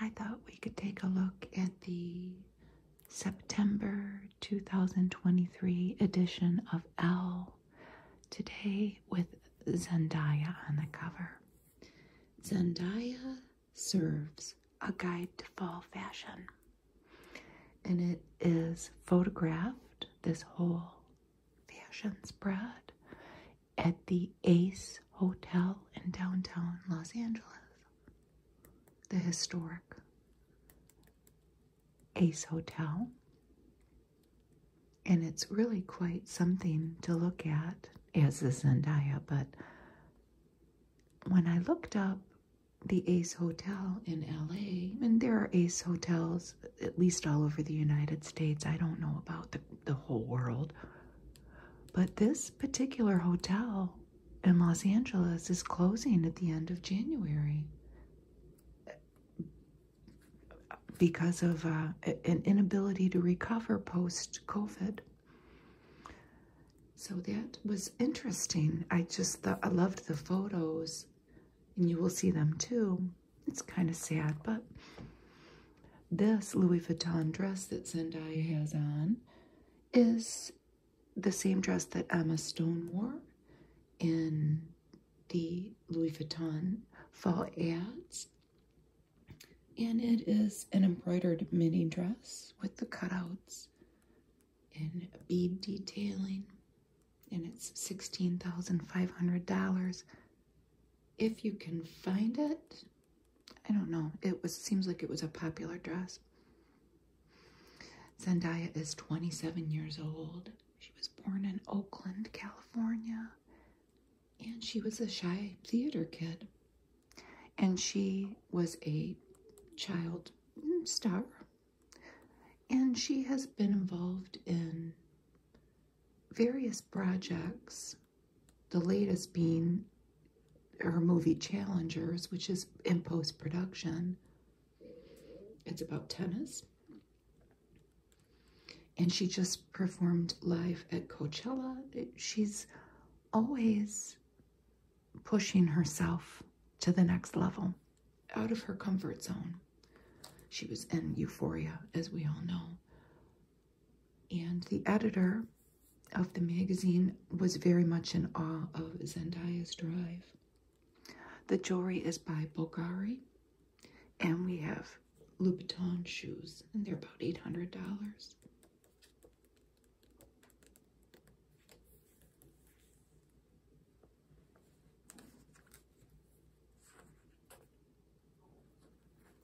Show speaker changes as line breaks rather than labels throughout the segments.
I thought we could take a look at the September 2023 edition of Elle today with Zendaya on the cover. Zendaya serves a guide to fall fashion, and it is photographed this whole fashion spread at the Ace Hotel in downtown Los Angeles. The historic Ace Hotel. And it's really quite something to look at, as the Sandia. But when I looked up the Ace Hotel in LA, and there are Ace Hotels at least all over the United States, I don't know about the, the whole world, but this particular hotel in Los Angeles is closing at the end of January because of uh, an inability to recover post COVID. So that was interesting. I just I loved the photos, and you will see them too. It's kind of sad, but this Louis Vuitton dress that Zendaya has on is the same dress that Emma Stone wore in the Louis Vuitton fall ads. And it is an embroidered mini dress with the cutouts and bead detailing. And it's $16,500. If you can find it, I don't know. It was seems like it was a popular dress. Zendaya is 27 years old. She was born in Oakland, California, and she was a shy theater kid. And she was a child star. And she has been involved in various projects the latest being her movie Challengers, which is in post production. It's about tennis. And she just performed live at Coachella. She's always pushing herself to the next level, out of her comfort zone. She was in euphoria, as we all know. And the editor of the magazine was very much in awe of Zendaya's drive. The jewelry is by Bulgari, and we have Louboutin shoes, and they're about $800.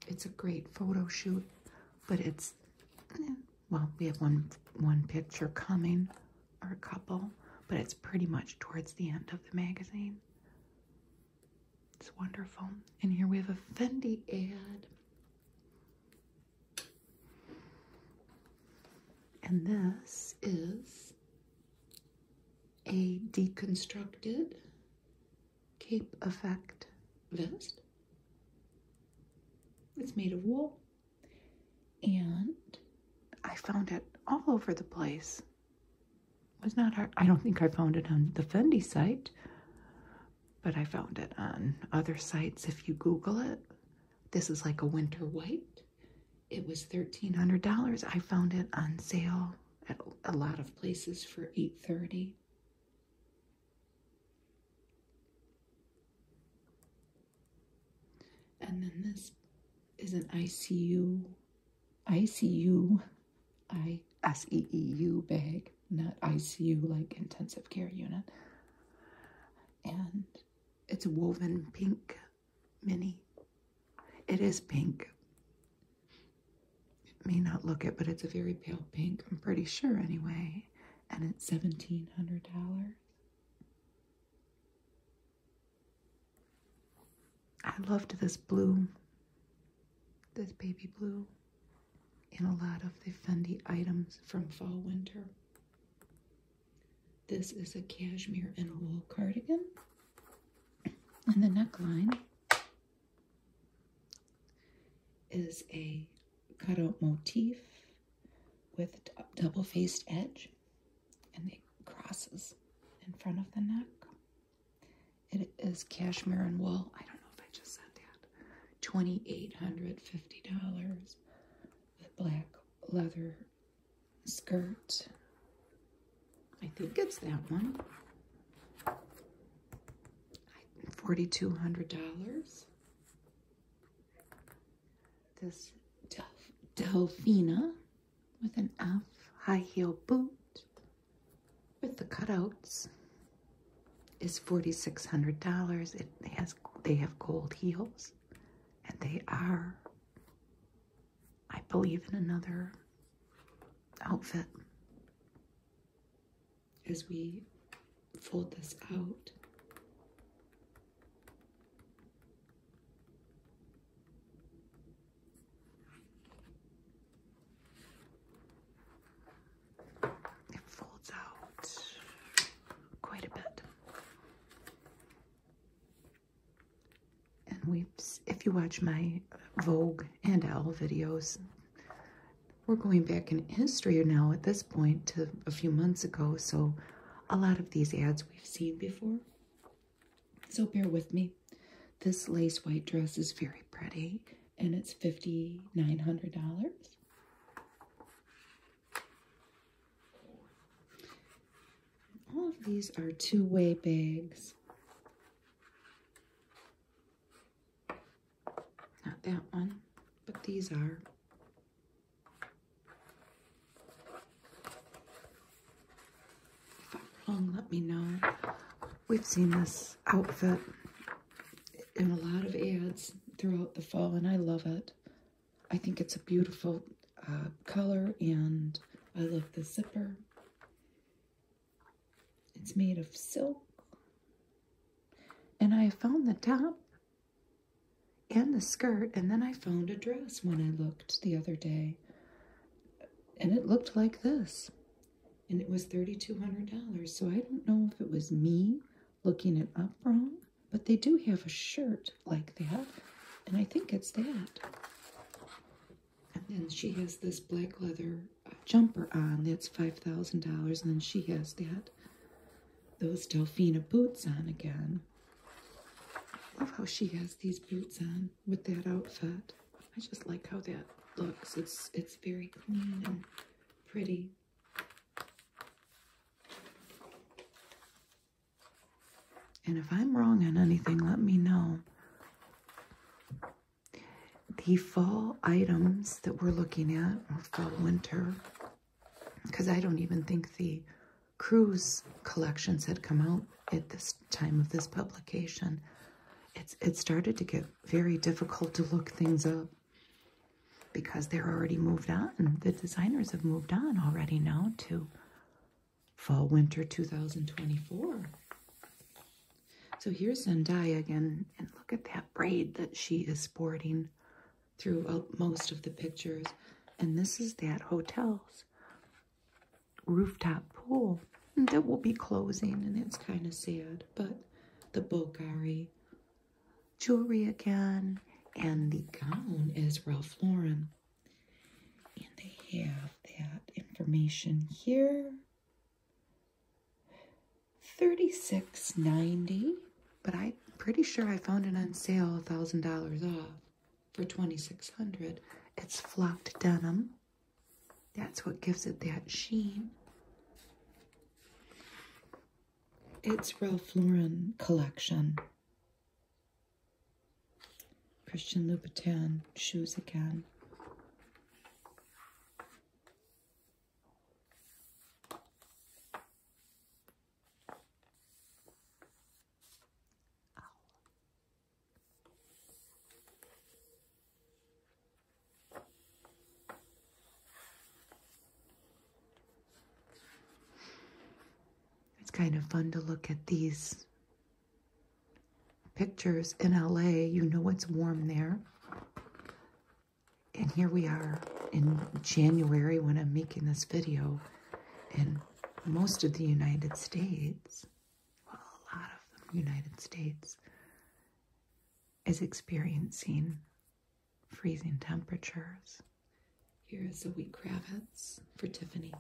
It's a great photo shoot, but it's well, we have one one picture coming or a couple, but it's pretty much towards the end of the magazine. It's wonderful. And here we have a Fendi ad. And this is a deconstructed cape effect vest. It's made of wool, and I found it all over the place. It was not hard. I don't think I found it on the Fendi site, but I found it on other sites. If you Google it, this is like a winter white. It was thirteen hundred dollars. I found it on sale at a lot of places for eight thirty. And then this is an ICU, ICU, I S E E U bag, not ICU like intensive care unit. And it's a woven pink mini. It is pink. It may not look it, but it's a very pale pink, I'm pretty sure anyway. And it's $1,700. I loved this blue, this baby blue, in a lot of the Fendi items from fall winter. This is a cashmere and wool cardigan. And the neckline is a cutout motif with a double faced edge and it crosses in front of the neck. It is cashmere and wool. I don't know if I just said that. $2,850 with black leather skirt. I think it's that one. $4,200. This Del Delphina with an F high heel boot with the cutouts is $4,600. It has, they have gold heels and they are, I believe in another outfit as we fold this out. It folds out quite a bit. And we, if you watch my Vogue and Owl videos, we're going back in history now at this point to a few months ago, so a lot of these ads we've seen before. So bear with me. This lace white dress is very pretty and it's $5,900. All of these are two-way bags. Not that one, but these are. let me know. We've seen this outfit in a lot of ads throughout the fall, and I love it. I think it's a beautiful uh, color, and I love the zipper. It's made of silk and I found the top and the skirt, and then I found a dress when I looked the other day. And it looked like this. And it was $3,200. So I don't know if it was me looking it up wrong, but they do have a shirt like that. And I think it's that. And then she has this black leather her jumper on. That's $5,000. And then she has that. Those Delphina boots on again. I love how she has these boots on with that outfit. I just like how that looks. It's, it's very clean and pretty. And if I'm wrong on anything, let me know the fall items that we're looking at, or fall winter, because I don't even think the cruise collections had come out at this time of this publication. It's, it started to get very difficult to look things up because they're already moved on. The designers have moved on already now to fall winter 2024. So here's Zendaya again and, look at that braid that she is sporting throughout most of the pictures. And this is that hotel's rooftop pool that will be closing. And it's kind of sad. But the Bulgari jewelry again. And the gown is Ralph Lauren. And they have that information here. Thirty six ninety, but I'm pretty sure I found it on sale $1,000 off for $2,600. It's flocked denim. That's what gives it that sheen. It's Ralph Lauren collection. Christian Louboutin shoes again. It's kind of fun to look at these pictures in LA. You know it's warm there and here we are in January when I'm making this video, and most of the United States, well, a lot of the United States, is experiencing freezing temperatures. Here is a wheat Kravitz for Tiffany.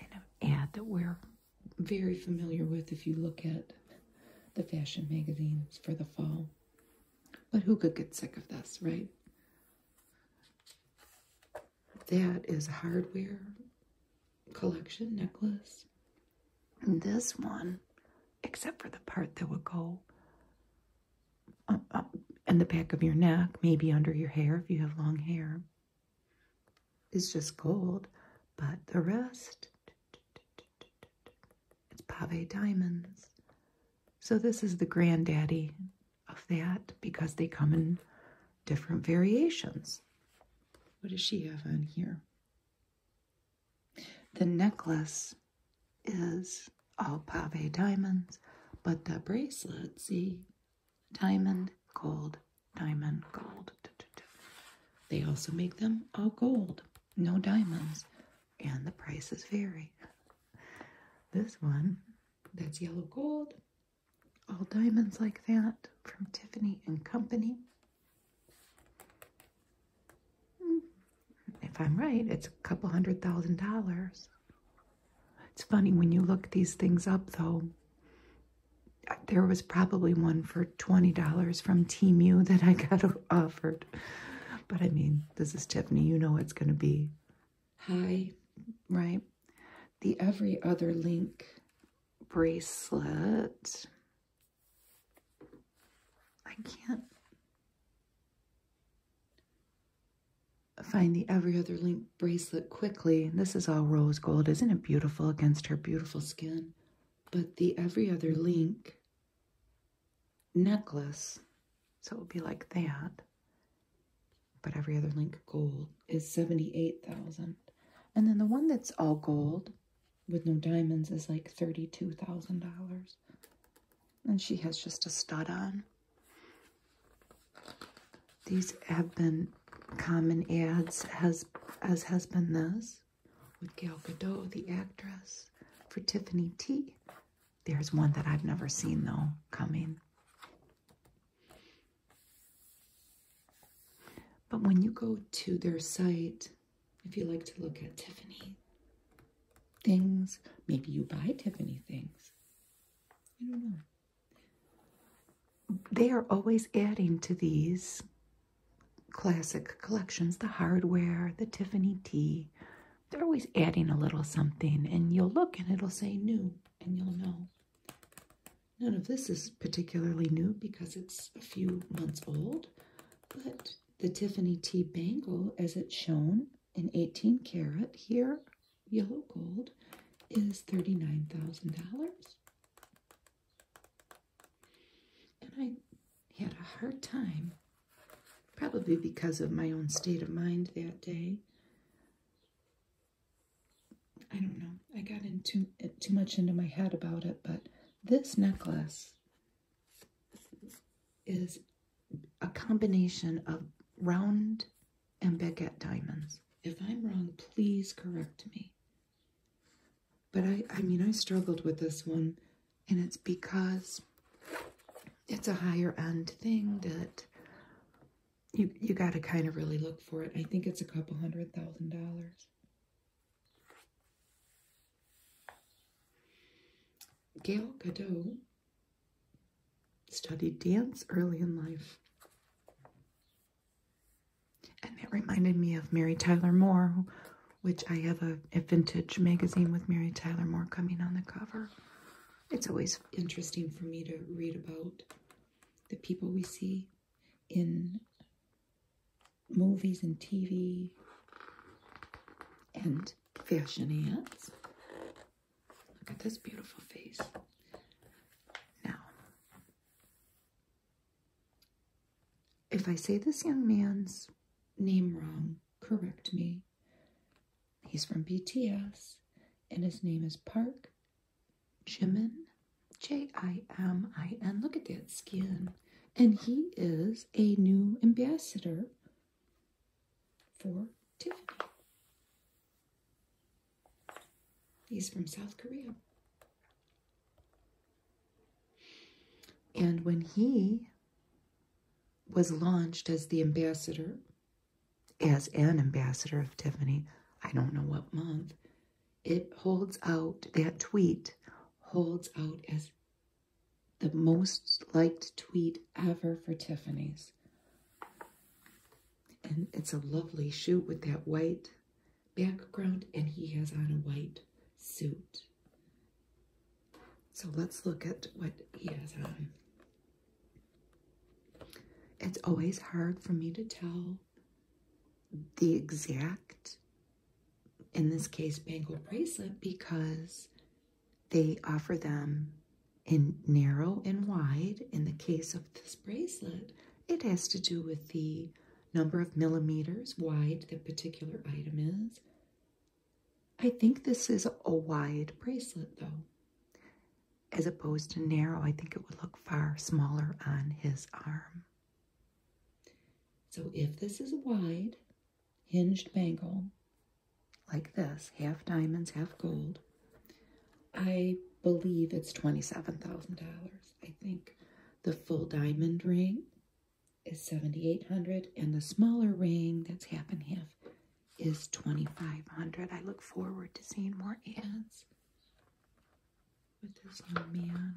And an ad that we're very familiar with if you look at the fashion magazines for the fall. But who could get sick of this, right? That is hardware collection necklace. And this one, except for the part that would go uh, uh, in the back of your neck, maybe under your hair if you have long hair, is just gold. But the rest, it's Pave Diamonds. So this is the granddaddy of that because they come in different variations. What does she have on here? The necklace is all pave diamonds, but the bracelet, see, diamond, gold, diamond, gold. They also make them all gold, no diamonds and the prices vary. This one, that's yellow gold, all diamonds like that from Tiffany and Company. Hmm, if I'm right, it's a couple hundred thousand dollars. It's funny when you look these things up though. There was probably one for $20 from Team that I got offered. But I mean, this is Tiffany. You know what's going to be. Hi. Right. The Every Other Link bracelet. I can't find the Every Other Link bracelet quickly. This is all rose gold. Isn't it beautiful against her beautiful skin? But the Every Other Link necklace, so it would be like that. But every other link gold is 78,000. And then the one that's all gold with no diamonds is like $32,000. And she has just a stud on. These have been common ads as as has been this with Gail Godot, the actress, for Tiffany T. There's one that I've never seen though coming. But when you go to their site, if you like to look at Tiffany things, maybe you buy Tiffany things. I don't know. They are always adding to these classic collections, the hardware, the Tiffany t They're always adding a little something, and you'll look and it'll say new, and you'll know. None of this is particularly new because it's a few months old, but the Tiffany T bangle, as it's shown in 18 karat here, yellow gold, is $39,000. And I had a hard time Probably because of my own state of mind that day. I don't know. I got into too much into my head about it, but this necklace is a combination of round and baguette diamonds. If I'm wrong, please correct me. But I, I mean, I struggled with this one and it's because it's a higher end thing that you you got to kind of really look for it. I think it's a couple hundred thousand dollars. Gail Godot studied dance early in life. And that reminded me of Mary Tyler Moore, which I have a, vintage magazine with Mary Tyler Moore coming on the cover. It's always interesting for me to read about the people we see in movies and TV and fashion ads. Look at this beautiful face. Now, if I say this young man's name wrong, correct me. He's from BTS, and his name is Park Jimin, J I M I N. Look at that skin. And he is a new ambassador for Tiffany. He's from South Korea. And when he was launched as the ambassador, as an ambassador of Tiffany. I don't know what month. It holds out, that tweet holds out as the most liked tweet ever for Tiffany's. And it's a lovely shoot with that white background, and he has on a white suit. So let's look at what he has on. It's always hard for me to tell the exact, in this case, bangle bracelet, because they offer them in narrow and wide. In the case of this bracelet, it has to do with the number of millimeters wide the particular item is, I think this is a wide bracelet though, as opposed to narrow. I think it would look far smaller on his arm. So if this is a wide hinged bangle, like this, half diamonds, half gold, I believe it's $27,000. I think the full diamond ring is 7,800 and the smaller ring that's half and half is 2,500. I look forward to seeing more ants. But there's no man.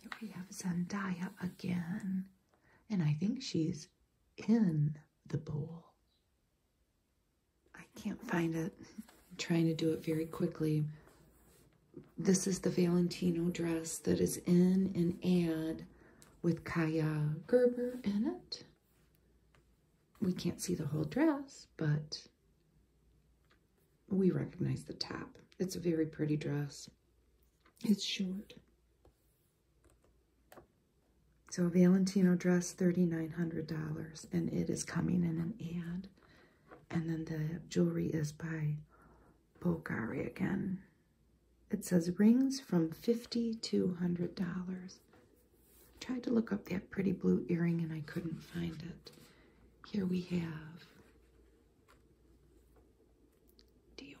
Here we have Zendaya again. And I think she's in the bowl. I can't find it. trying to do it very quickly this is the Valentino dress that is in an ad with Kaya Gerber in it. We can't see the whole dress, but we recognize the top. It's a very pretty dress. It's short. So Valentino dress, $3,900, and it is coming in an ad and then the jewelry is by Bogari again. It says rings from $50 to $100. Tried to look up that pretty blue earring and I couldn't find it. Here we have Dior.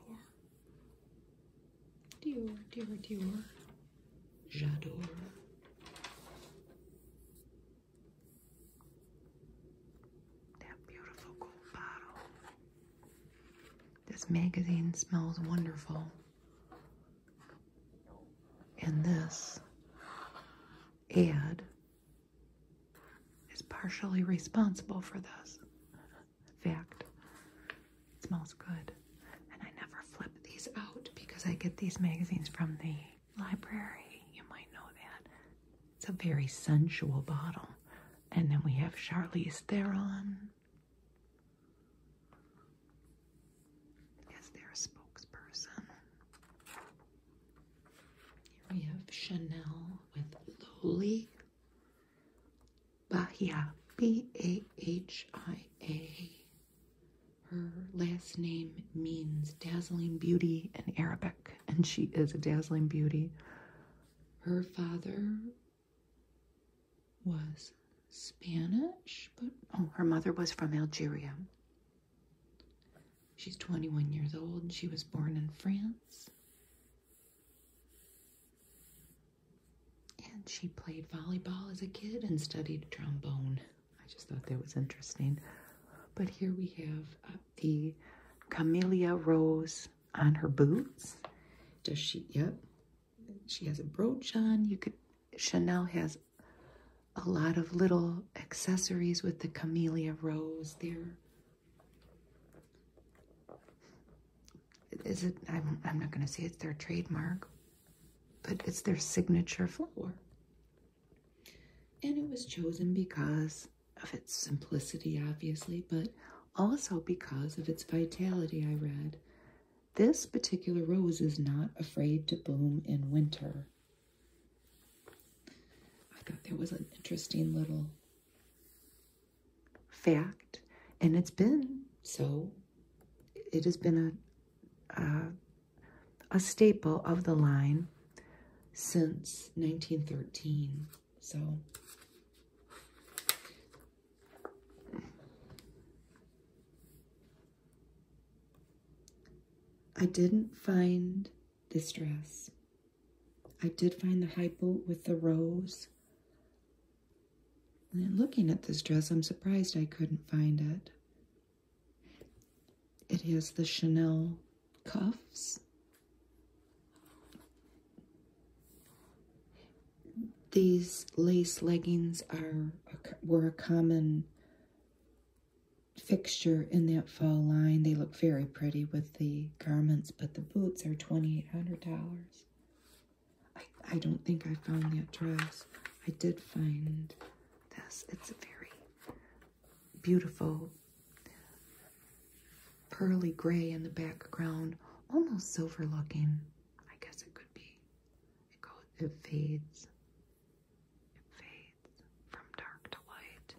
Dior, Dior, Dior. J'adore. That beautiful gold bottle. This magazine smells wonderful. And this ad is partially responsible for this. Fact. It smells good. And I never flip these out because I get these magazines from the library. You might know that. It's a very sensual bottle. And then we have Charlize Theron. As their spokesperson. we have Chanel with Loli. Bahia. B-A-H-I-A. Her last name means dazzling beauty in Arabic and she is a dazzling beauty. Her father was Spanish, but oh, her mother was from Algeria. She's 21 years old, and she was born in France. And she played volleyball as a kid and studied trombone. I just thought that was interesting. But here we have uh, the camellia rose on her boots. Does she? Yep. She has a brooch on. You could. Chanel has a lot of little accessories with the camellia rose there. Is it? I'm, I'm not going to say it's their trademark, but it's their signature flower. And it was chosen because of its simplicity, obviously, but also because of its vitality. I read this particular rose is not afraid to bloom in winter. I thought there was an interesting little fact, and it's been so. It has been a a staple of the line since 1913. So I didn't find this dress. I did find the high boot with the rose. And looking at this dress, I'm surprised I couldn't find it. It has the Chanel cuffs. These lace leggings are were a common fixture in that fall line. They look very pretty with the garments, but the boots are $2,800. I, I don't think I found that dress. I did find this. It's a very beautiful pearly gray in the background, almost silver looking. I guess it could be. It goes, it fades. It fades from dark to light.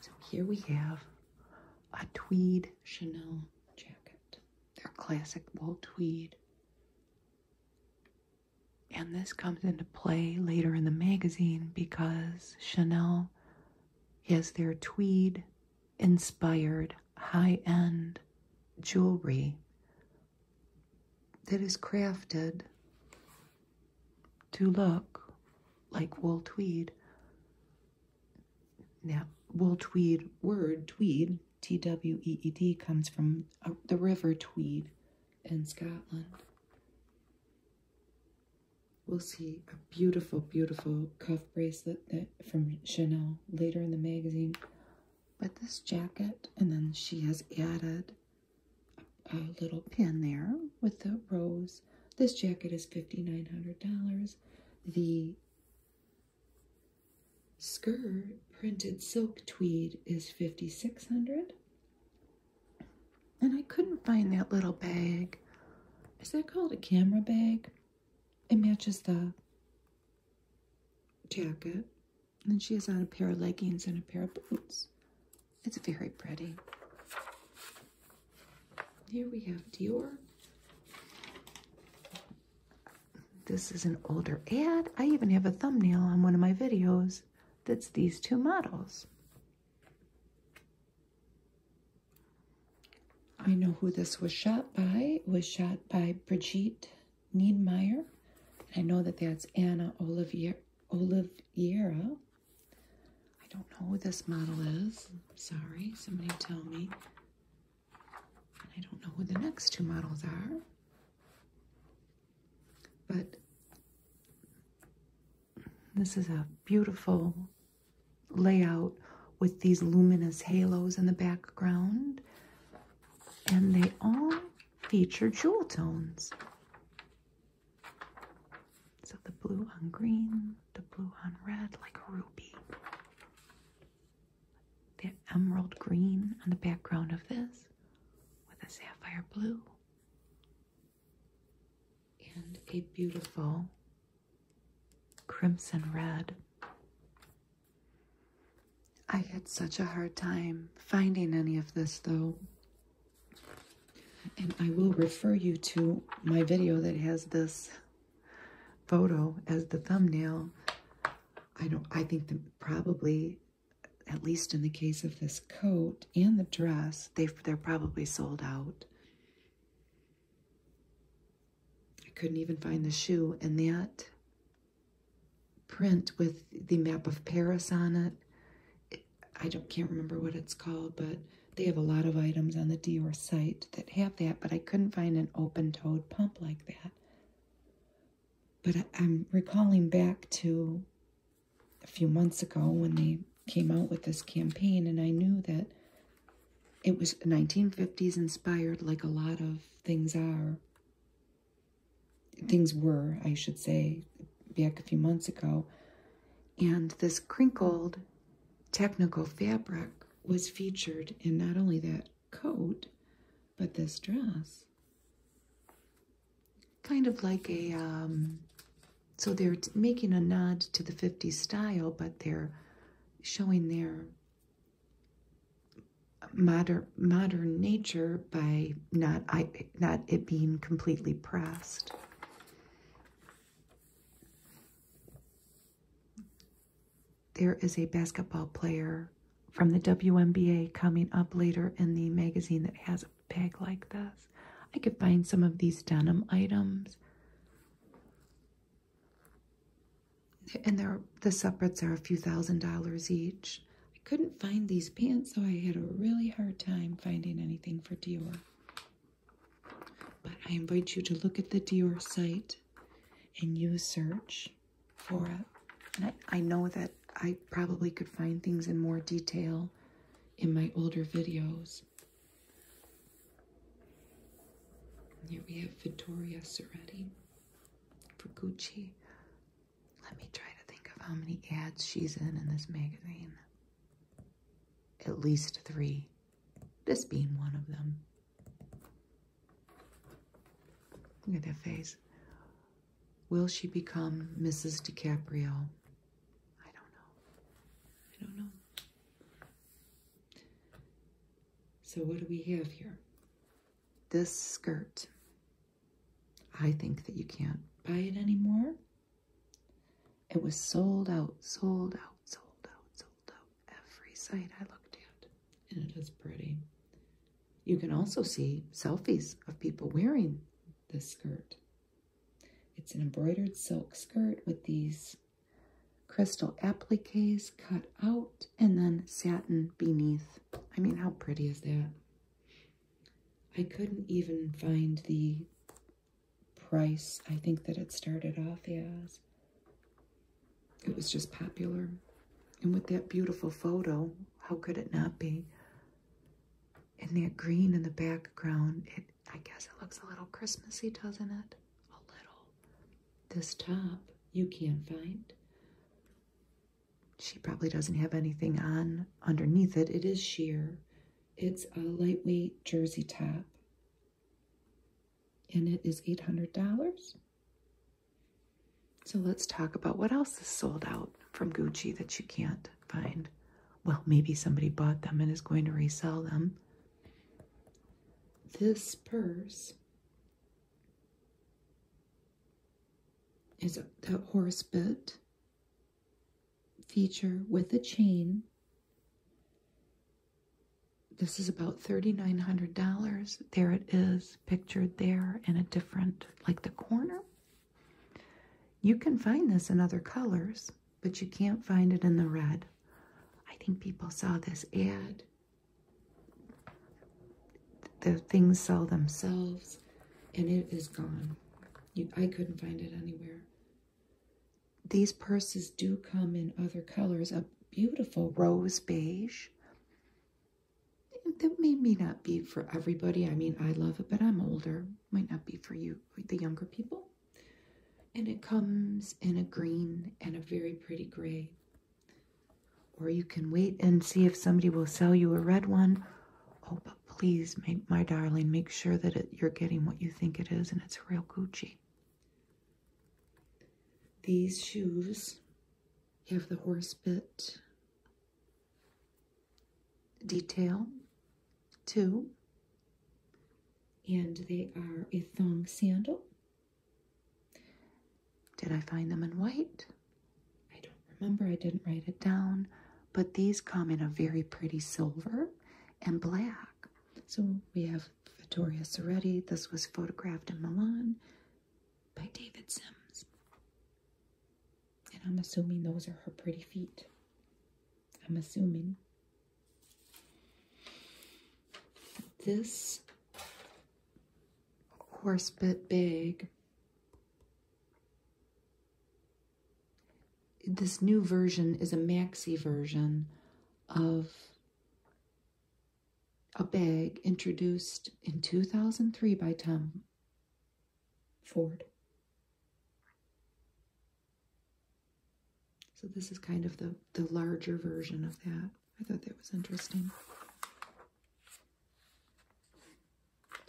So here we have a tweed Chanel jacket. They're classic wool tweed. And this comes into play later in the magazine because Chanel has their tweed inspired high end jewelry that is crafted to look like wool tweed. Now, wool tweed word, tweed, T W E E D, comes from uh, the river Tweed, in Scotland. We'll see a beautiful, beautiful cuff bracelet that, from Chanel later in the magazine. But this jacket, and then she has added a, little pin there with the rose. This jacket is $5,900. The skirt, printed silk tweed, is $5,600. And I couldn't find that little bag. Is that called a camera bag? It matches the jacket. And she has on a pair of leggings and a pair of boots. It's very pretty. Here we have Dior. This is an older ad. I even have a thumbnail on one of my videos that's these two models. I know who this was shot by. was shot by Brigitte Niedmeyer. I know that that's Anna Olivier Oliviera. I don't know who this model is. sorry, somebody tell me. I don't know who the next two models are. But this is a beautiful layout with these luminous halos in the background. And they all feature jewel tones. So the blue on green, the blue on red, like a ruby. The emerald green on the background of this with a sapphire blue and a beautiful crimson red. I had such a hard time finding any of this though. And I will refer you to my video that has this photo as the thumbnail. I don't I think probably at least in the case of this coat and the dress, they they're probably sold out. I couldn't even find the shoe, and that print with the map of Paris on it, I don't can't remember what it's called, but they have a lot of items on the Dior site that have that, but I couldn't find an open-toed pump like that. But I'm recalling back to a few months ago when they came out with this campaign, and I knew that it was 1950s inspired, like a lot of things are. Things were, I should say, back a few months ago. And this crinkled technical fabric was featured in not only that coat, but this dress kind of like a, um, so they're making a nod to the 50s style, but they're showing their modern modern nature by not I, not it being completely pressed. There is a basketball player from the WNBA coming up later in the magazine that has Big like this. I could find some of these denim items. And the separates are a few thousand dollars each. I couldn't find these pants, so I had a really hard time finding anything for Dior. But I invite you to look at the Dior site and you search for it. I know that I probably could find things in more detail in my older videos. Here we have Vittoria Soretti for Gucci. Let me try to think of how many ads she's in in this magazine. At least three, this being one of them. Look at that face. Will she become Mrs. DiCaprio? I don't know. I don't know. So, what do we have here? This skirt. I think that you can't buy it anymore. It was sold out, sold out, sold out, sold out. Every site I looked at. And it is pretty. You can also see selfies of people wearing this skirt. It's an embroidered silk skirt with these crystal appliques cut out and then satin beneath. I mean, how pretty is that? I couldn't even find the price I think that it started off yes. It was just popular. And with that beautiful photo, how could it not be? and that green in the background, it I guess it looks a little Christmassy, doesn't it? A little. This top you can't find. She probably doesn't have anything on underneath it. It is sheer. It's a lightweight jersey top. And it is $800. So let's talk about what else is sold out from Gucci that you can't find well, maybe somebody bought them and is going to resell them. This purse is that horse bit feature with a chain. This is about $3,900. There it is, pictured there in a different, like the corner you can find this in other colors, but you can't find it in the red. I think people saw this ad. The things sell themselves, and it is gone. I couldn't find it anywhere. These purses do come in other colors. A beautiful rose beige. That may not be for everybody. I mean, I love it, but I'm older might not be for you, the younger people. And it comes in a green and a very pretty gray. Or you can wait and see if somebody will sell you a red one. Oh, but please, my, darling, make sure that you're getting what you think it is and it's real Gucci. These shoes have the horse bit detail two, And they are a thong sandal. Did I find them in white? I don't remember. I didn't write it down. But these come in a very pretty silver and black. So we have Vittoria Soretti. This was photographed in Milan by David Sims. And I'm assuming those are her pretty feet. I'm assuming. This horse bit big. This new version is a maxi version of a bag introduced in 2003 by Tom Ford. So this is kind of the, the larger version of that. I thought that was interesting.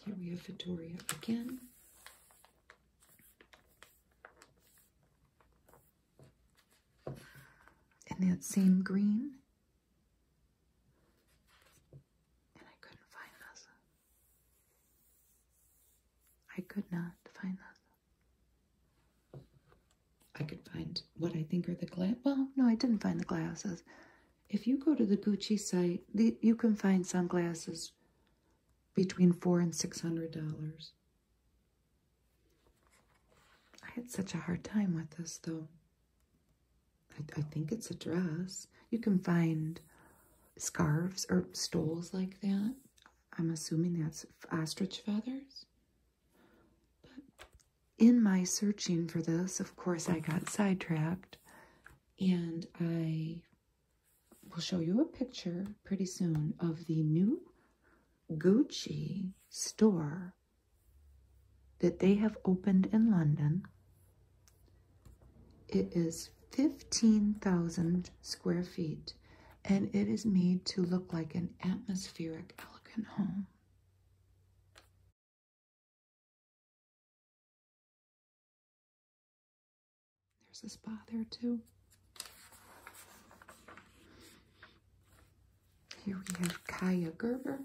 Here we have Victoria again. And that same green. And I couldn't find this. I could not find those. I could find what I think are the glass. Well, no, I didn't find the glasses. If you go to the Gucci site, the, you can find sunglasses between four and six hundred dollars. I had such a hard time with this though. I, I think it's a dress. You can find scarves or stoles like that. I'm assuming that's ostrich feathers. in my searching for this, of course, I got sidetracked. And I will show you a picture pretty soon of the new Gucci store that they have opened in London. It is 15,000 square feet and it is made to look like an atmospheric, elegant home. There's a spa there too. Here we have Kaya Gerber.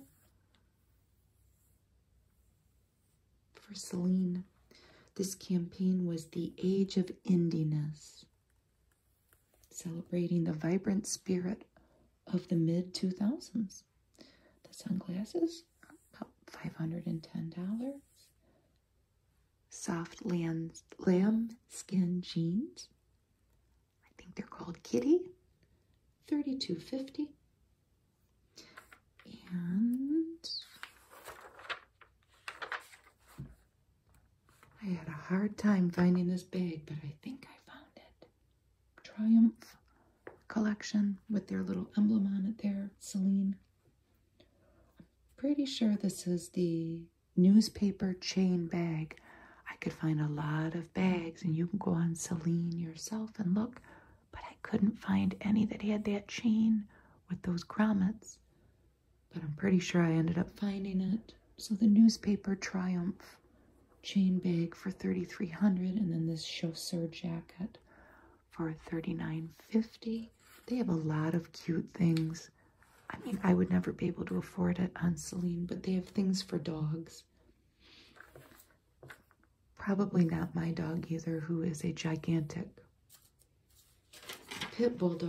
For Celine, this campaign was the age of indiness, celebrating the vibrant spirit of the mid 2000s. The sunglasses about $510. Soft lamb skin jeans, I think they're called Kitty, 32.50. And I had a hard time finding this bag, but I think I found it. Triumph collection with their little emblem on it there, Celine. I'm pretty sure this is the newspaper chain bag. I could find a lot of bags, and you can go on Celine yourself and look but I couldn't find any that had that chain with those grommets. But I'm pretty sure I ended up finding it. So the newspaper Triumph chain bag for 3300 and then this chasseur jacket for 39.50. They have a lot of cute things. I mean, I would never be able to afford it on Celine, but they have things for dogs. Probably not my dog either, who is a gigantic pit dog,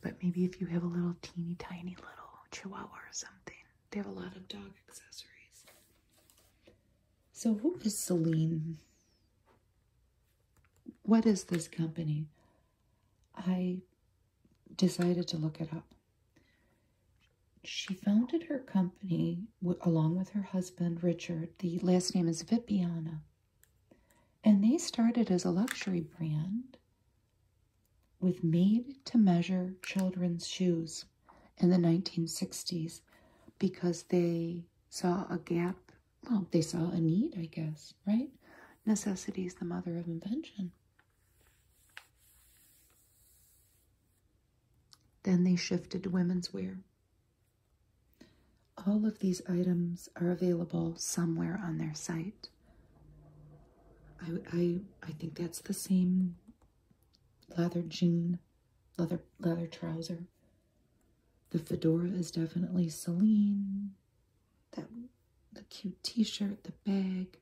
But maybe if you have a little teeny tiny little chihuahua or something, they have a lot of dog accessories. So, who is Celine? What is this company? I decided to look it up she founded her company along with her husband Richard. The last name is Vipiana. And they started as a luxury brand with made to measure children's shoes in the 1960s because they saw a gap. Well, they saw a need, I guess, right? Necessity is the mother of invention. Then they shifted to women's wear. All of these items are available somewhere on their site. I, I, think that's the same leather jean, leather, leather trouser. The fedora is definitely Celine. That, the cute t-shirt, the bag.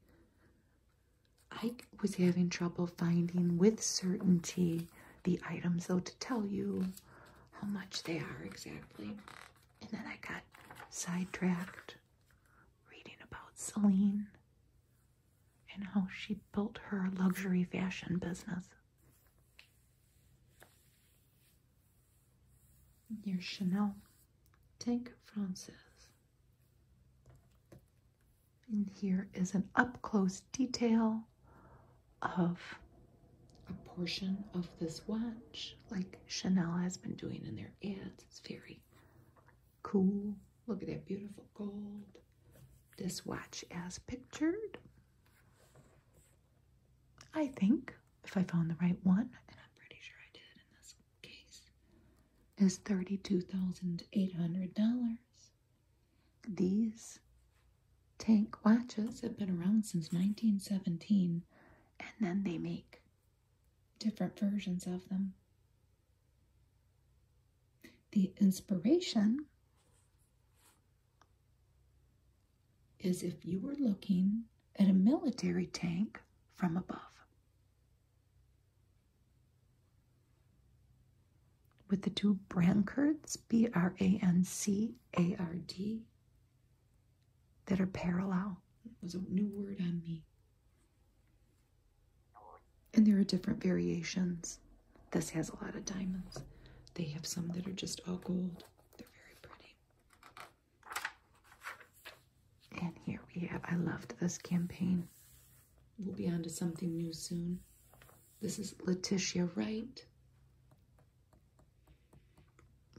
I was having trouble finding with certainty the items though to tell you how much they are exactly. And then I got sidetracked reading about Celine and how she built her luxury fashion business. near Chanel Tank Frances. And here is an up-close detail of a portion of this watch, like Chanel has been doing in their ads. It's very cool. Look at that beautiful gold. This watch as pictured. I think, if I found the right one, and I'm pretty sure I did in this case, is $32,800. These tank watches have been around since 1917, and then they make different versions of them. The inspiration is if you were looking at a military tank from above. With the two brancards, B R A N C A R D, that are parallel? It was a new word on me. And there are different variations. This has a lot of diamonds. They have some that are just all gold. They're very pretty. And here we have, I loved this campaign. We'll be on to something new soon. This is Letitia Wright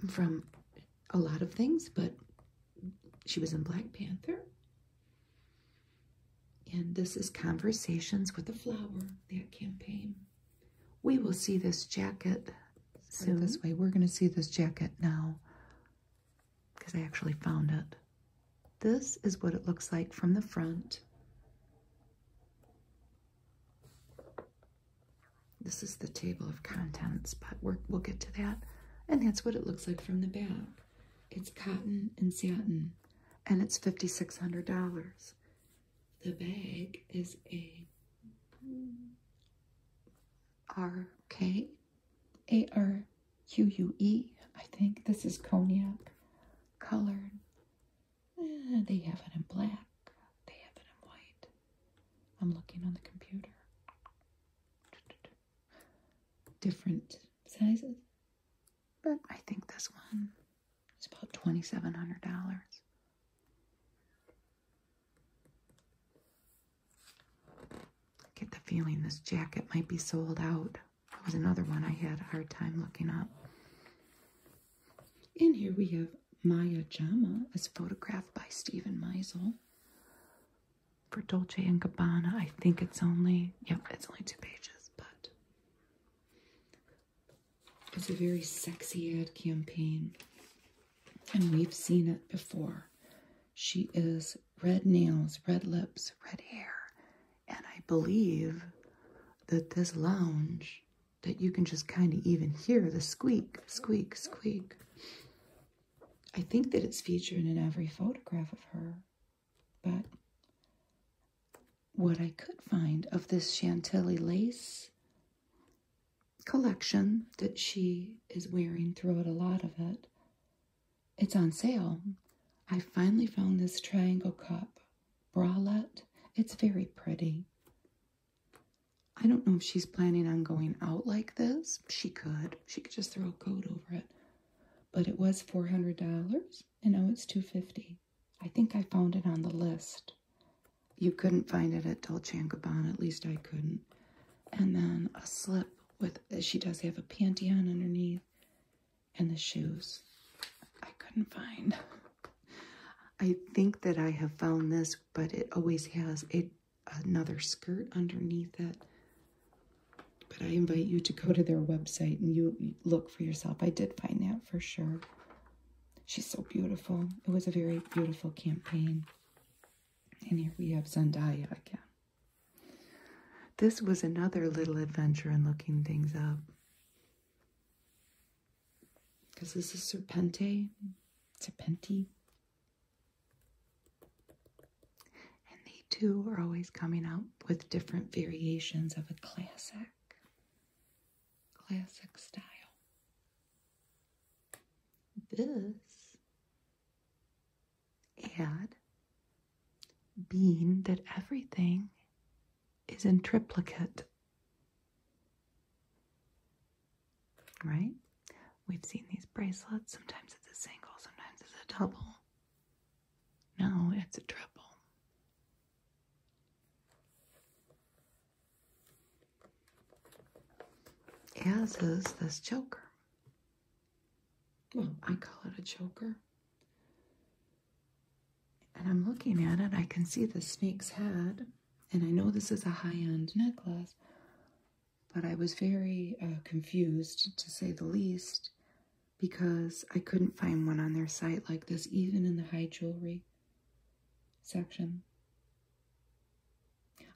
from a lot of things, but she was in Black Panther. And this is Conversations with a Flower, that campaign. We will see this jacket soon. This way, we're going to see this jacket now because I actually found it. This is what it looks like from the front. This is the table of contents, but we will get to that. And that's what it looks like from the back. It's cotton and satin, and it's $5,600. The bag is a R-K, A-R-Q-U-E, I think. This is cognac colored Eh, they have it in black. They have it in white. I'm looking on the computer. Different sizes. But I think this one is about $2,700. get the feeling this jacket might be sold out. That was another one I had a hard time looking up. In here we have Maya Jama as photographed by Stephen Meisel. For Dolce and Gabbana, I think it's only yep, it's only two pages, but it's a very sexy ad campaign. And we've seen it before. She is red nails, red lips, red hair, and I believe that this lounge, that you can just kind of even hear the squeak, squeak, squeak. I think that it's featured in every photograph of her. But what I could find of this Chantilly lace collection that she is wearing throughout a lot of it, it's on sale. I finally found this triangle cup bralette. It's very pretty. I don't know if she's planning on going out like this. She could. She could just throw a coat over it. But it was $400 and now it's 250 I think I found it on the list. You couldn't find it at Dolce & Gabbana, at least I couldn't. And then a slip with, she does have a panty on underneath and the shoes I couldn't find. I think that I have found this, but it always has a another skirt underneath it. But I invite you to go to their website and you look for yourself. I did find that for sure. She's so beautiful. It was a very beautiful campaign. And here we have Zendaya again. This was another little adventure in looking things up. Because this is Serpente, Serpenti. And they too are always coming out with different variations of a classic, classic style. This and being that everything is in triplicate. Right? We've seen these bracelets. Sometimes it's a single, sometimes it's a double. No, it's a triple. As is this choker. I call it a choker. And I'm looking at it, I can see the snake's head, and I know this is a high end necklace, but I was very uh, confused to say the least because I couldn't find one on their site like this, even in the high jewelry section.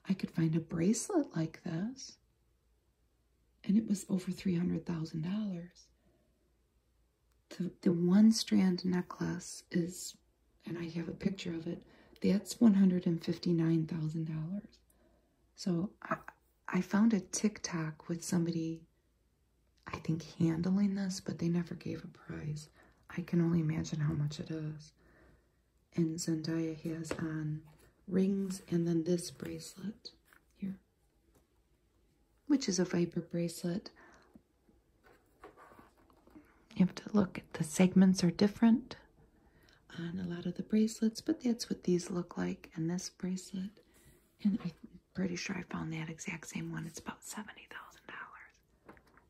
I could find a bracelet like this, and it was over $300,000 the, the one strand necklace is, and I have a picture of it, that's $159,000. So I, I found a TikTok with somebody, I think, handling this, but they never gave a price. I can only imagine how much it is. And Zendaya has on rings and then this bracelet here which is a Viper bracelet. You have to look at the segments are different on a lot of the bracelets, but that's what these look like. And this bracelet, and I'm pretty sure I found that exact same one. It's about $70,000.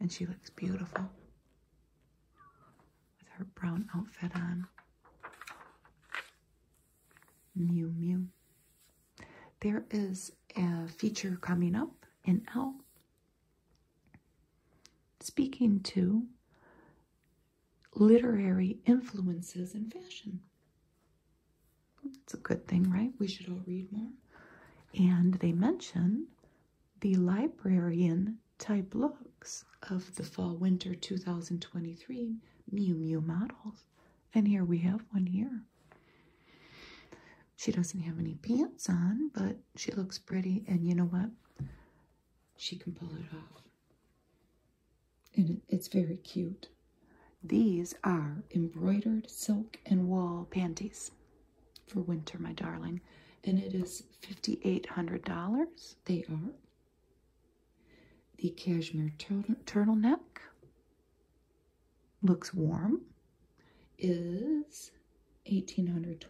And she looks beautiful with her brown outfit on. Mew Mew. There is a feature coming up in L. Speaking to literary influences in fashion. It's a good thing, right? We should all read more. And they mention the librarian type looks of the fall winter 2023 mew mew models. And here we have one here. She doesn't have any pants on, but she looks pretty. And you know what? She can pull it off. And it's very cute. These are embroidered silk and wool panties for winter, my darling. And it is $5,800. They are the cashmere turtleneck looks warm is $1,820.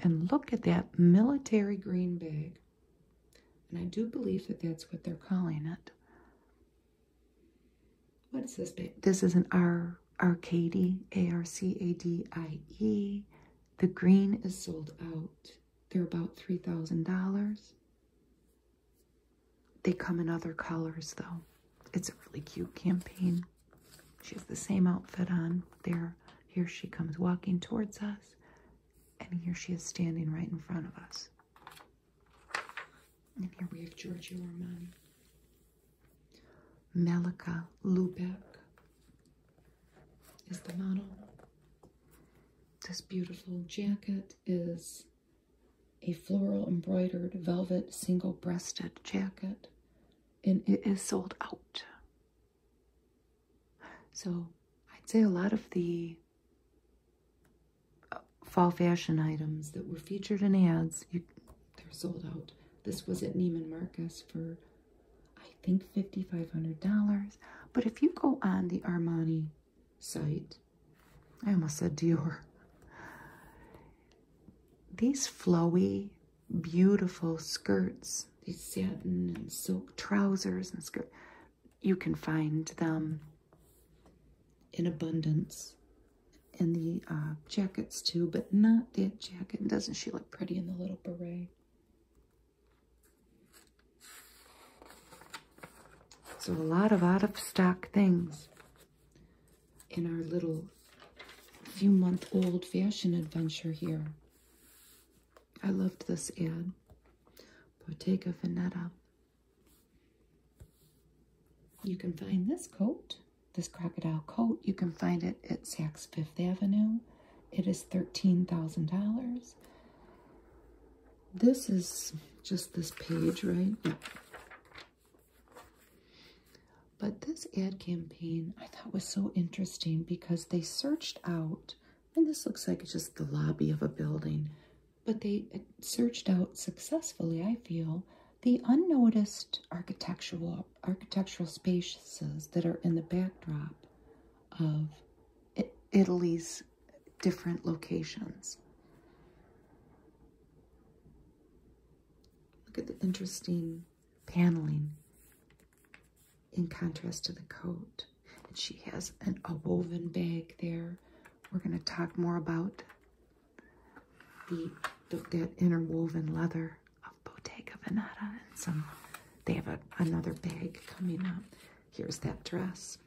And look at that military green bag. And I do believe that that's what they're calling it. What is this bag? This is an R Arcady, The green is sold out. They're about $3,000. They come in other colors though. It's a really cute campaign. She has the same outfit on. There, here she comes walking towards us, and here she is standing right in front of us. And here we have Giorgio Armani, Malika Lubeck is the model. This beautiful jacket is a floral embroidered velvet single breasted jacket, and it is sold out. So I'd say a lot of the uh, fall fashion items that were featured in ads, they're sold out. This was at Neiman Marcus for, I think, $5,500. But if you go on the Armani site. I almost said Dior. These flowy, beautiful skirts, these satin and silk trousers and skirt, you can find them in abundance and the uh, jackets too, but not that jacket. Doesn't she look pretty in the little beret? So a lot of out of stock things in our little few month old fashion adventure here. I loved this ad. Bottega Veneta. You can find this coat, this crocodile coat, you can find it at Saks Fifth Avenue. It is $13,000. This is just this page, right? But this ad campaign I thought was so interesting because they searched out, and this looks like it's just the lobby of a building, but they searched out successfully, I feel, the unnoticed architectural architectural spaces that are in the backdrop of Italy's different locations. Look at the interesting paneling in contrast to the coat. And she has a woven bag there. We're going to talk more about the, the that interwoven leather of Bottega Veneta and some. They have a, another bag coming up. Here's that dress.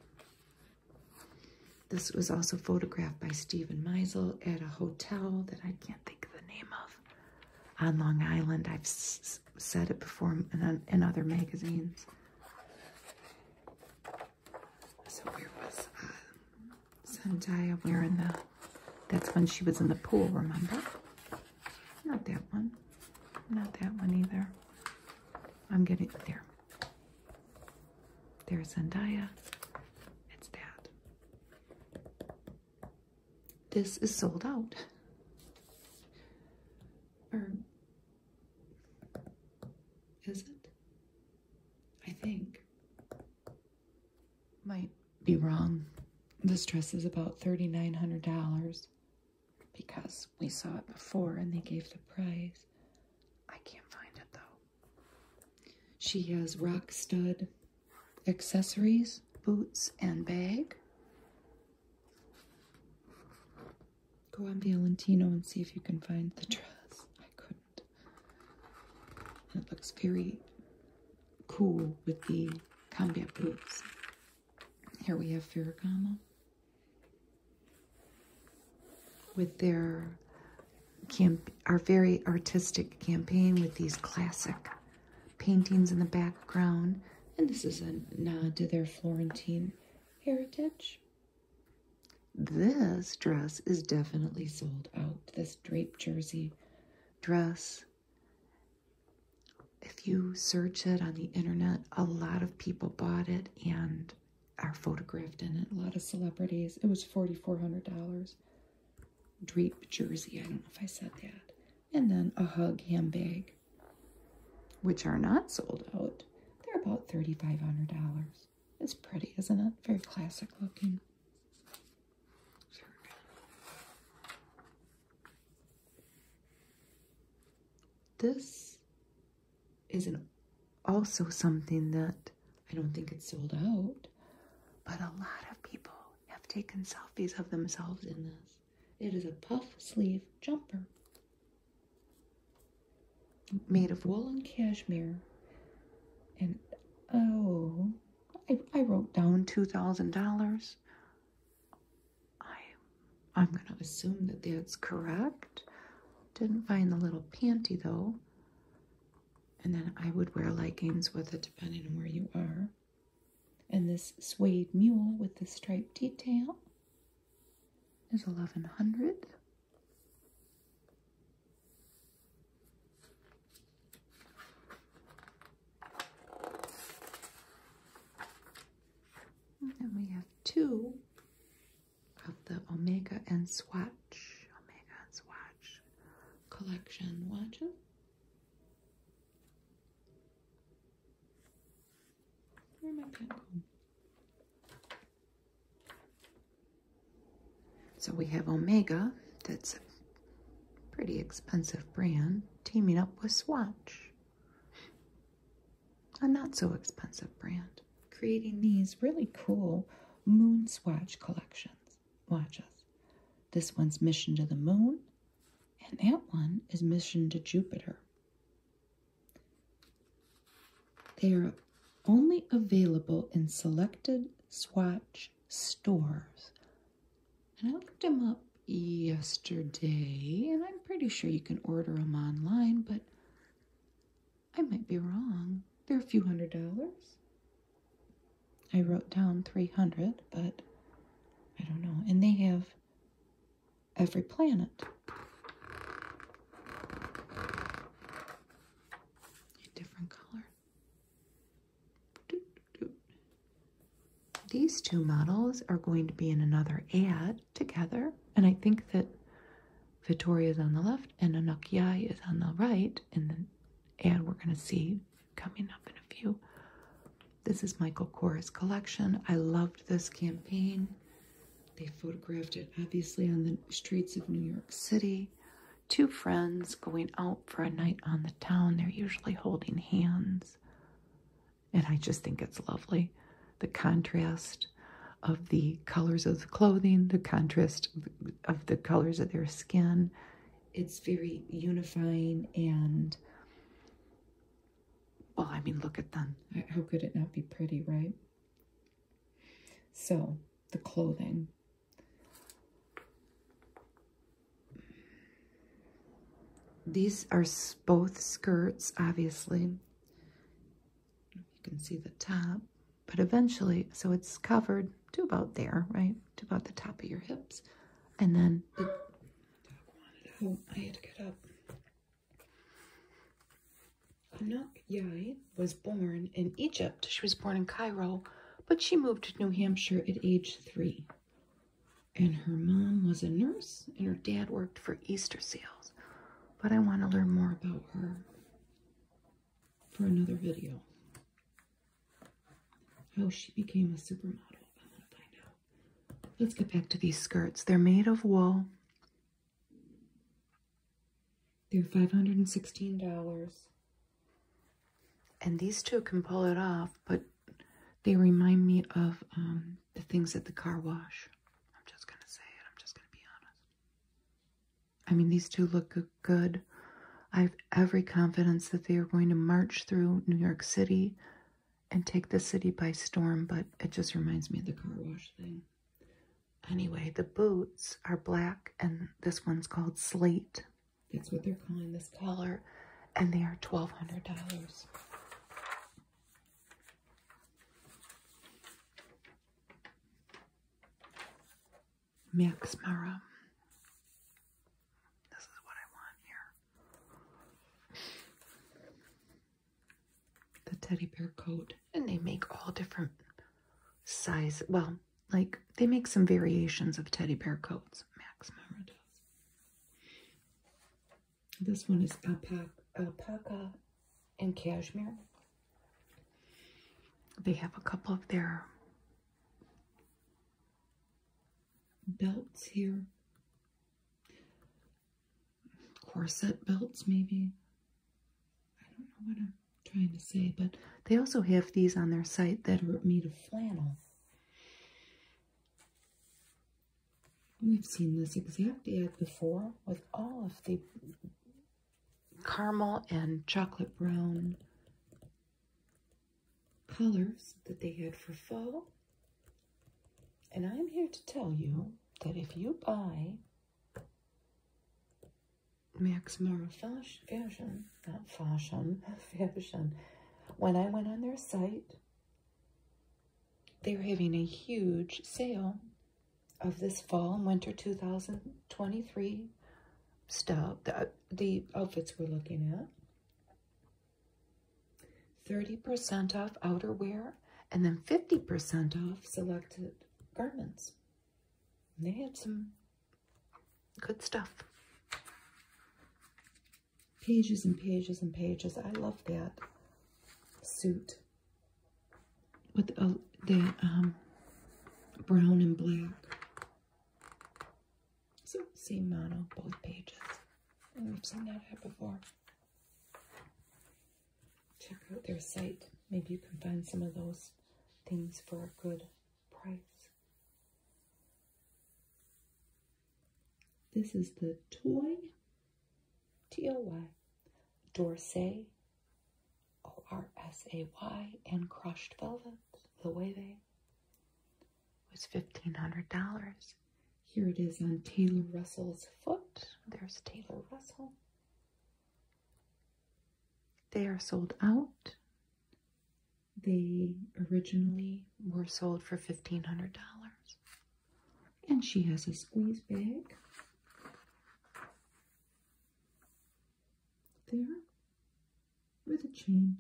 This was also photographed by Stephen Meisel at a hotel that I can't think of the name of on Long Island. I've said it before in, other magazines. So here was uh, Zendaya wearing the, that's when she was in the pool, remember? Not that one. Not that one either. I'm getting there. There's Zendaya. It's that. This is sold out. Or is it? I think. Might be wrong. This dress is about $3,900 because we saw it before and they gave the prize. I can't find it though. She has rock stud accessories, boots, and bag. Go on Valentino and see if you can find the dress. I couldn't. It looks very cool with the combat boots. Here we have Ferragamo with their camp, our very artistic campaign with these classic paintings in the background. And this is a nod to their Florentine heritage. This dress is definitely sold out. This drape jersey dress. If you search it on the internet, a lot of people bought it and and are photographed in it. A lot of celebrities. It was $4,400. Drape jersey. I don't know if I said that. And then a hug handbag, which are not sold out. They're about $3,500. It's pretty, isn't it? Very classic looking. This is an, also something that I don't think it's sold out, but a lot of people have taken selfies of themselves in this. It is a puff sleeve jumper made of wool and cashmere. And oh, I, I wrote down $2,000. I, am going to assume that that's correct. Didn't find the little panty though. And then I would wear leggings with it depending on where you are. And this suede mule with the striped detail is 1100. And we have two of the Omega and Swatch, Omega and Swatch collection. watches. it. Where my pen going? So we have Omega, that's a pretty expensive brand, teaming up with Swatch a not so expensive brand, creating these really cool moon swatch collections. Watches. This one's Mission to the Moon, and that one is Mission to Jupiter. They are only available in selected swatch stores. And I looked them up yesterday, and I'm pretty sure you can order them online, but I might be wrong. They're a few hundred dollars. I wrote down 300, but I don't know. And they have every planet. A different color. These two models are going to be in another ad together and I think that Vittoria is on the left and Anakiai is on the right, and then and we're going to see coming up in a few. This is Michael Kors collection. I loved this campaign. They photographed it obviously on the streets of New York City. Two friends going out for a night on the town. They're usually holding hands. And I just think it's lovely. The contrast of the colors of the clothing, the contrast of the colors of their skin. It's very unifying and, well, I mean, look at them. How could it not be pretty, right? So, the clothing. These are both skirts, obviously. You can see the top, but eventually, so it's covered to about there, right? To about the top of your hips. And then oh, I had to get up. Anak Yai was born in Egypt. She was born in Cairo, but she moved to New Hampshire at age three. And her mom was a nurse, and her dad worked for Easter Seals but I want to learn more about her for another video. How she became a supermodel. Let's get back to these skirts. They're made of wool. They're $516. And these two can pull it off, but they remind me of um, the things at the car wash. I'm just gonna say it. I'm just gonna be honest. I mean, these two look good. I have every confidence that they are going to march through New York City and take the city by storm, but it just reminds me of the car wash thing. Anyway, the boots are black, and this one's called Slate. That's what they're calling this color, and they are $1,200. Max Mara. This is what I want here. The teddy bear coat. And they make all different size. Well, like they make some variations of teddy bear coats. Max Mara does. This one is alpaca, alpaca in cashmere. They have a couple of their belts here. Corset belts, maybe. I don't know what I'm trying to say, but they also have these on their site that are made of flannel. We've seen this exact ad before with all of the caramel and chocolate brown colors that they had for fall. And I'm here to tell you that if you buy Max Mara Fashion, not fashion, fashion, when I went on their site, they are having a huge sale of this fall and winter 2023 stuff the outfits we're looking at. 30% off outerwear and then 50% off selected garments. they had some good stuff. Pages and pages and pages. I love that suit with the oh, um, brown and black. So same on both pages. we have seen that before. Check out their site. Maybe you can find some of those things for a good price. This is the Toy, T-O-Y, Dorsay, O R S A Y, and Crushed Velvet, the Wave, was $1,500. Here it is on Taylor Russell's foot. There's Taylor Russell. They are sold out. They originally were sold for $1,500. And she has a squeeze bag there with a chain.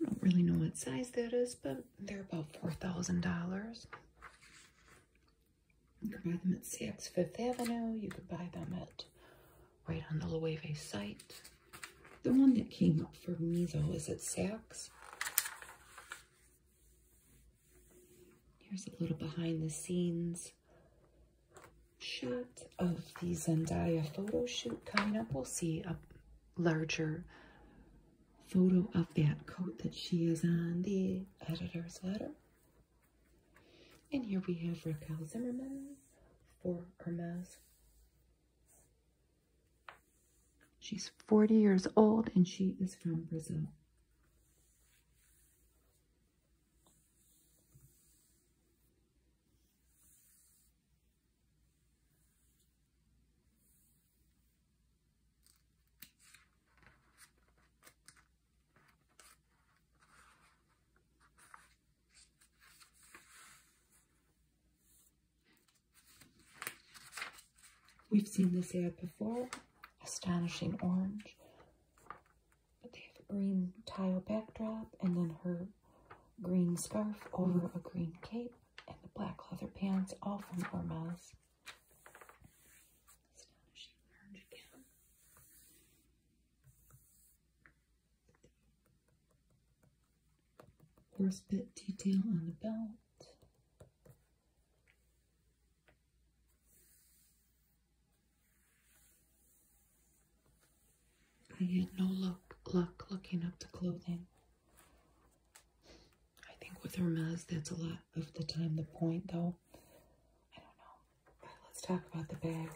I don't really know what size that is, but they're about $4,000. You can buy them at Saks Fifth Avenue. You could buy them at right on the Loewe site. The one that came up for me though is at Saks. Here's a little behind the scenes shot of the Zendaya photo shoot coming up. We'll see a larger photo of that coat that she is on the editor's letter. And here we have Raquel Zimmerman for Hermes. She's 40 years old and she is from Brazil. We've seen this ad before, astonishing orange. But they have a green tile backdrop and then her green scarf over a green cape and the black leather pants, all from Hermes. Astonishing orange again. Horse bit detail on the belt. I had no luck, luck looking up the clothing. I think with Hermes, that's a lot of the time the point, though. I don't know. let's talk about the bag.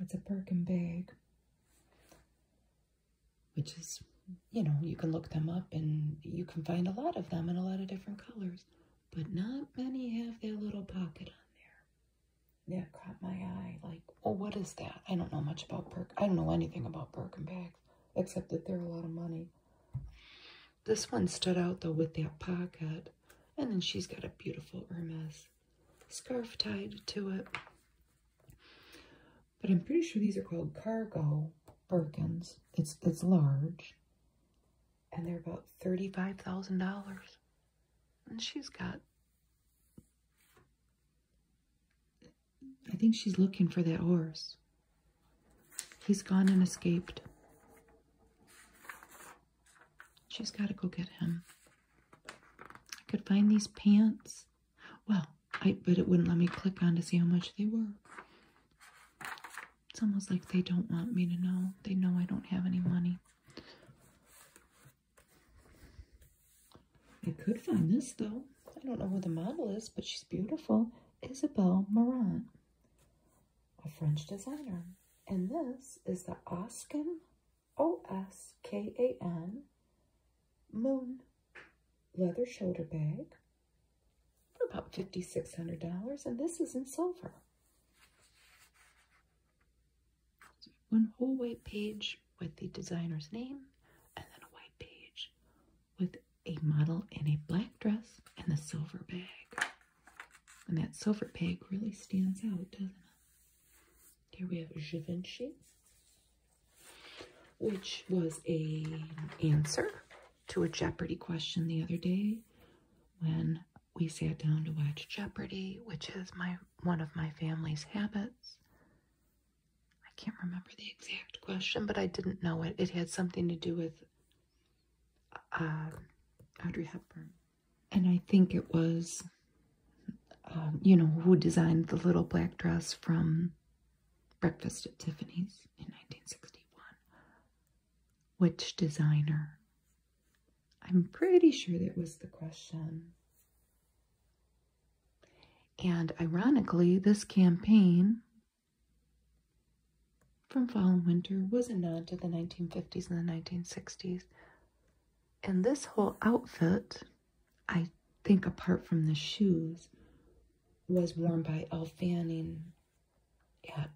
It's a Birkin bag which is, you know, you can look them up and you can find a lot of them in a lot of different colors, but not many have their little pocket on there. That caught my eye. Like, oh, what is that? I don't know much about Perk. I don't know anything about Birkin bags, except that they're a lot of money. This one stood out though with that pocket. And then she's got a beautiful Hermes scarf tied to it. But I'm pretty sure these are called cargo Birkins. It's it's large. And they're about $35,000. And she's got I think she's looking for that horse. He's gone and escaped. She's got to go get him. I could find these pants well, I but it wouldn't let me click on to see how much they were. It's almost like they don't want me to know. They know I don't have any money. I could find this though. I don't know where the model is, but she's beautiful. Isabelle Marant, a French designer. And this is the Oskin O-S-K-A-N, Moon leather shoulder bag for about $5,600. And this is in silver. one whole white page with the designer's name and then a white page with a model in a black dress and the silver bag. And that silver bag really stands out, doesn't it? Here we have Givenchy which was a answer to a Jeopardy question the other day when we sat down to watch Jeopardy, which is my one of my family's habits. I can't remember the exact question, but I didn't know it. It had something to do with uh, Audrey Hepburn. And I think it was um, you know, who designed the little black dress from Breakfast at Tiffany's in 1961. Which designer? I'm pretty sure that was the question. And ironically, this campaign from Fall and Winter was a nod to the 1950s and the 1960s. And this whole outfit I think apart from the shoes, was worn by Elle Fanning at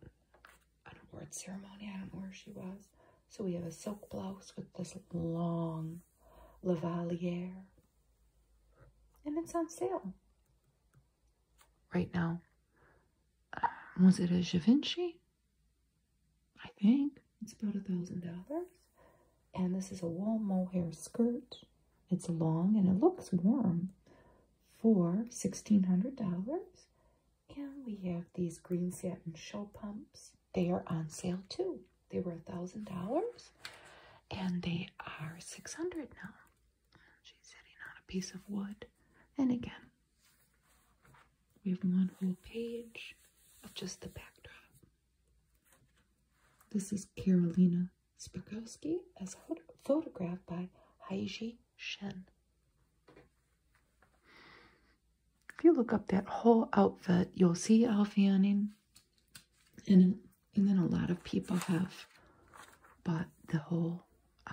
an award ceremony. I don't know where she was. So we have a silk blouse with this long lavaliere. And it's on sale right now. Uh, was it a Givenchy? I think. It's about a thousand dollars. And this is a wool mohair skirt. It's long and it looks warm for $1,600. And we have these green satin show pumps. They are on sale too. They were a $1,000 and they are 600 now. She's sitting on a piece of wood. And again, we have one whole page of just the backdrop. This is Karolina Spirkowski as photographed by Heiji Shen. If you look up that whole outfit, you'll see Alf Anning and, and then a lot of people have bought the whole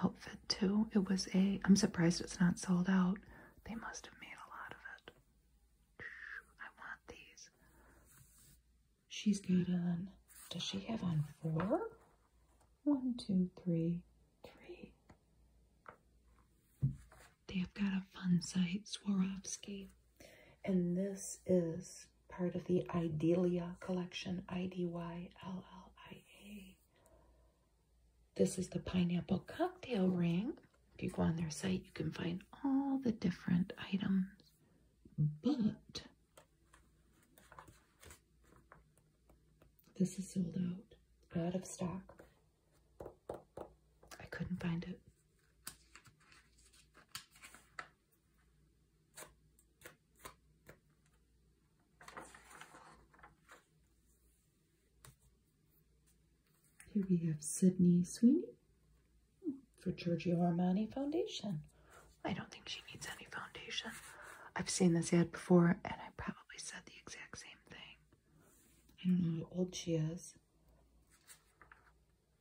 outfit too. It was a, I'm surprised it's not sold out. They must have made a lot of it. I want these. She's got on, does she have on four? One, two, three, three. They have got a fun site, Swarovski. And this is part of the Idealia collection, I-D-Y-L-L-I-A. This is the pineapple cocktail ring. If you go on their site, you can find all the different items, but this is sold out, out of stock. I couldn't find it. Here we have Sydney Sweeney for Giorgio Armani Foundation. I don't think she needs any foundation. I've seen this ad before, and I probably said the exact same thing. I don't know how old she is,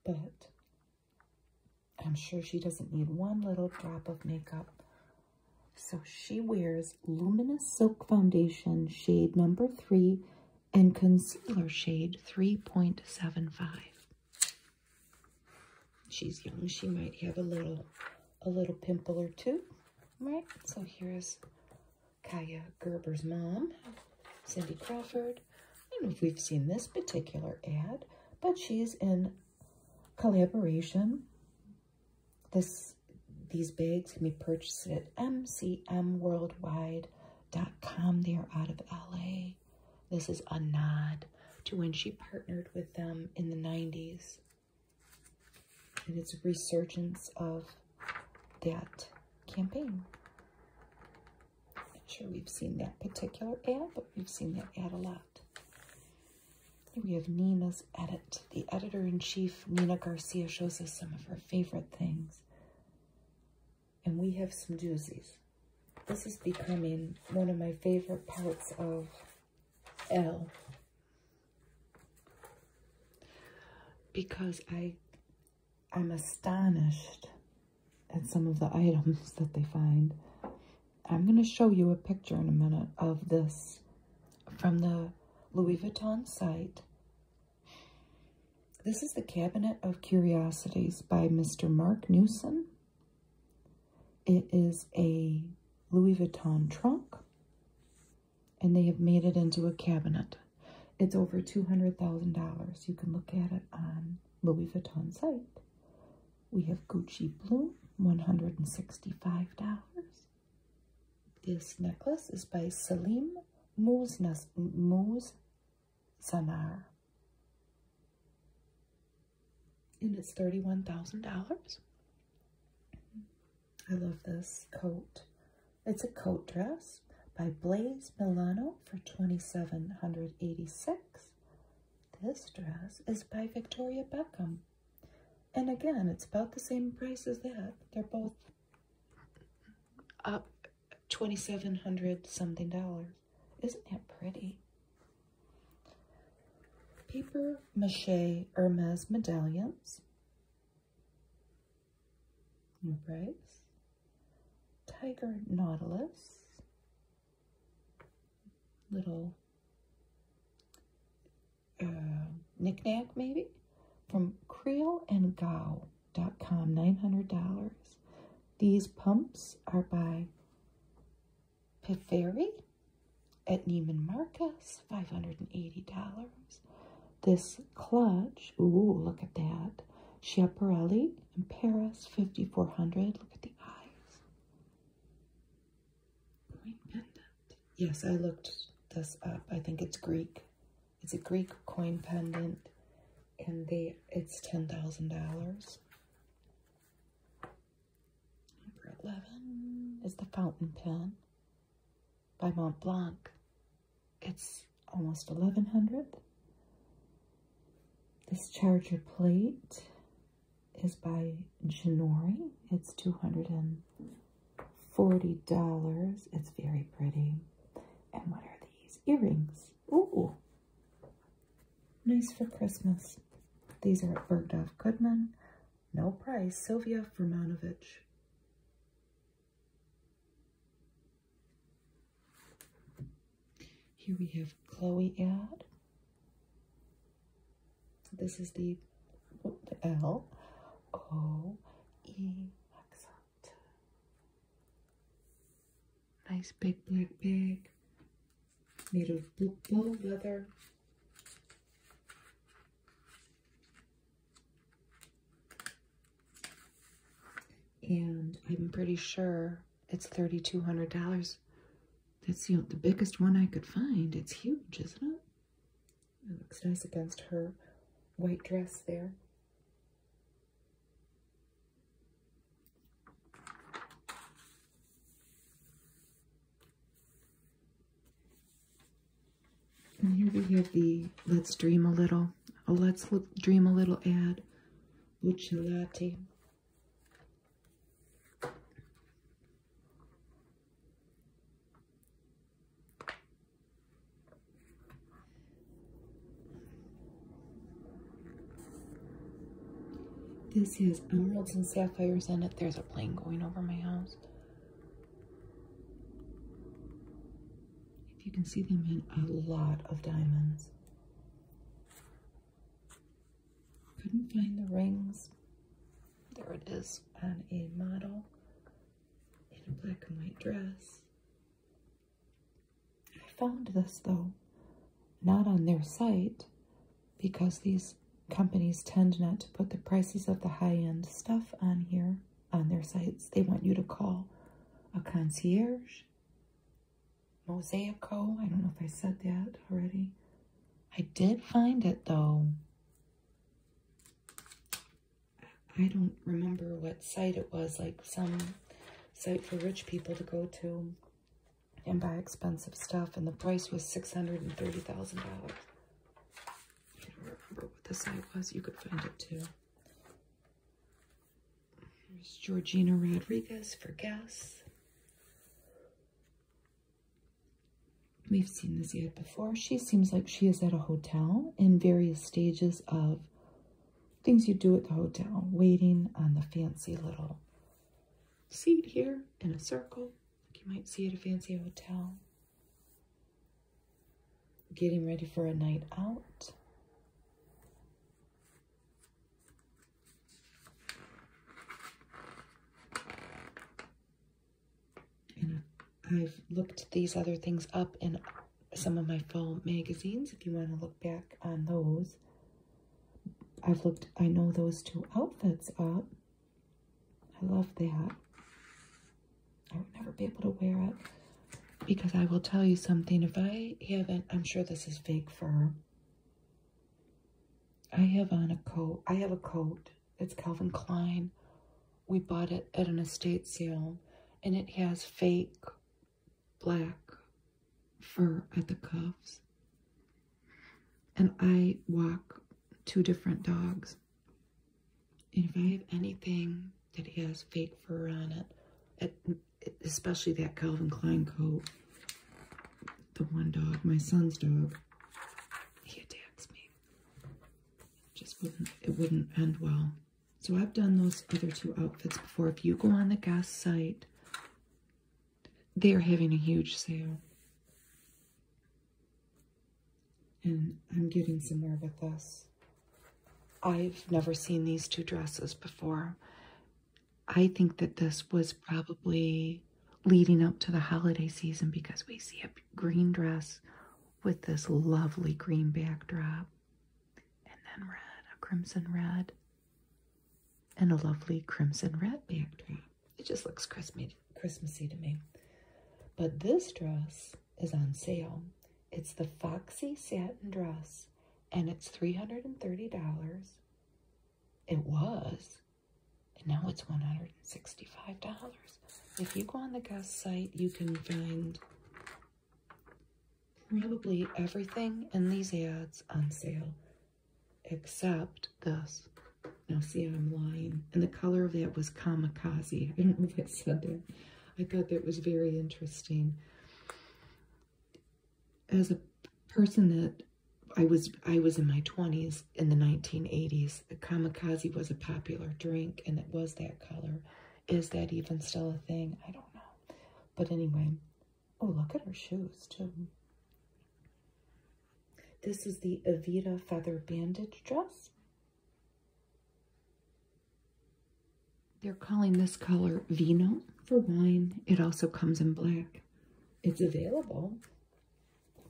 but I'm sure she doesn't need one little drop of makeup. So she wears Luminous Silk Foundation, shade number three, and concealer shade 3.75. She's young, she might have a little a little pimple or two. All right. so here's Kaya Gerber's mom, Cindy Crawford. I don't know if we've seen this particular ad, but she's in collaboration. This these bags can be purchased at mcmworldwide.com. They are out of LA. This is a nod to when she partnered with them in the 90s. And it's a resurgence of that campaign. I'm not sure we've seen that particular ad, but we've seen that ad a lot. we have Nina's edit. The editor-in-chief, Nina Garcia, shows us some of her favorite things and we have some doozies. This is becoming one of my favorite parts of L because I, I'm astonished at some of the items that they find. I'm going to show you a picture in a minute of this from the Louis Vuitton site. This is the Cabinet of Curiosities by Mr. Mark Newson. It is a Louis Vuitton trunk, and they have made it into a cabinet. It's over $200,000. You can look at it on Louis Vuitton site. We have Gucci Bloom $165. This necklace is by Selim Mouz Sanar and it's $31,000. I love this coat. It's a coat dress by Blaze Milano for $2,786. This dress is by Victoria Beckham. And again, it's about the same price as that. They're both up $2,700 something dollars. Isn't it pretty? Paper mache Hermes medallions. New price. Tiger Nautilus. Little uh, knickknack, maybe? From Creel and Gao. Walmart.com, $900. These pumps are by Pifferi at Neiman Marcus, $580. This clutch, ooh, look at that. Schiaparelli in Paris, 5400 Look at the eyes. Green pendant. Yes, I looked this up. I think it's Greek. It's a Greek coin pendant and the it's ten thousand dollars. Number eleven is the fountain pen by Mont Blanc. It's almost eleven hundred. This charger plate is by Genori. It's two hundred and forty dollars. It's very pretty. And what are these earrings? Ooh. Nice for Christmas. These are at Bergdorf Goodman. No price. Sylvia Vermanovich. Here we have Chloe ad. This is the, L O E Nice big black bag made of bull leather. And I'm pretty sure it's $3,200. That's the, the biggest one I could find. It's huge, isn't it? It looks nice against her white dress there. And here we have the Let's Dream a Little, a oh, Let's Dream a Little ad, Lucha Latte. This has Emeralds and Sapphires in it. There's a plane going over my house. If you can see them in a lot of diamonds. Couldn't find the rings. There it is on a model in a black and white dress. I found this though, not on their site, because these companies tend not to put the prices of the high end stuff on here on their sites. They want you to call a concierge, Mosaico. I don't know if I said that already. I did find it though. I don't remember what site it was, like some site for rich people to go to and buy expensive stuff. And the price was $630,000. I don't remember what the site was. You could find it too. Here's Georgina Rodriguez for guests. We've seen this yet before. She seems like she is at a hotel in various stages of things you do at the hotel, waiting on the fancy little seat here in a circle, like you might see at a fancy hotel. Getting ready for a night out. I've looked these other things up in some of my fall magazines if you want to look back on those. I've looked, I know those two outfits up. I love that. I would never be able to wear it because I will tell you something. If I haven't, I'm sure this is fake fur. I have on a coat. I have a coat. It's Calvin Klein. We bought it at an estate sale and it has fake black fur at the cuffs. And I walk two different dogs. And if I have anything that has fake fur on it, especially that Calvin Klein coat, the one dog, my son's dog, he attacks me. It just wouldn't, it wouldn't end well. So I've done those other two outfits before. If you go on the gas site they are having a huge sale. And I'm getting somewhere with this. I've never seen these two dresses before. I think that this was probably leading up to the holiday season because we see a green dress with this lovely green backdrop and then red, a crimson red and a lovely crimson red background. It just looks Christmassy to me. But this dress is on sale. It's the Foxy Satin Dress, and it's $330. It was, and now it's $165. If you go on the guest site, you can find probably everything in these ads on sale except this. Now see, I'm lying. And the color of that was kamikaze. I don't know if I said that. I thought that was very interesting. As a person that I was I was in my 20s in the 1980s. Kamikaze was a popular drink and it was that color. Is that even still a thing? I don't know. But anyway, Oh, look at her shoes, too. This is the Avita Feather Bandage dress. They're calling this color Vino for wine. It also comes in black. It's available.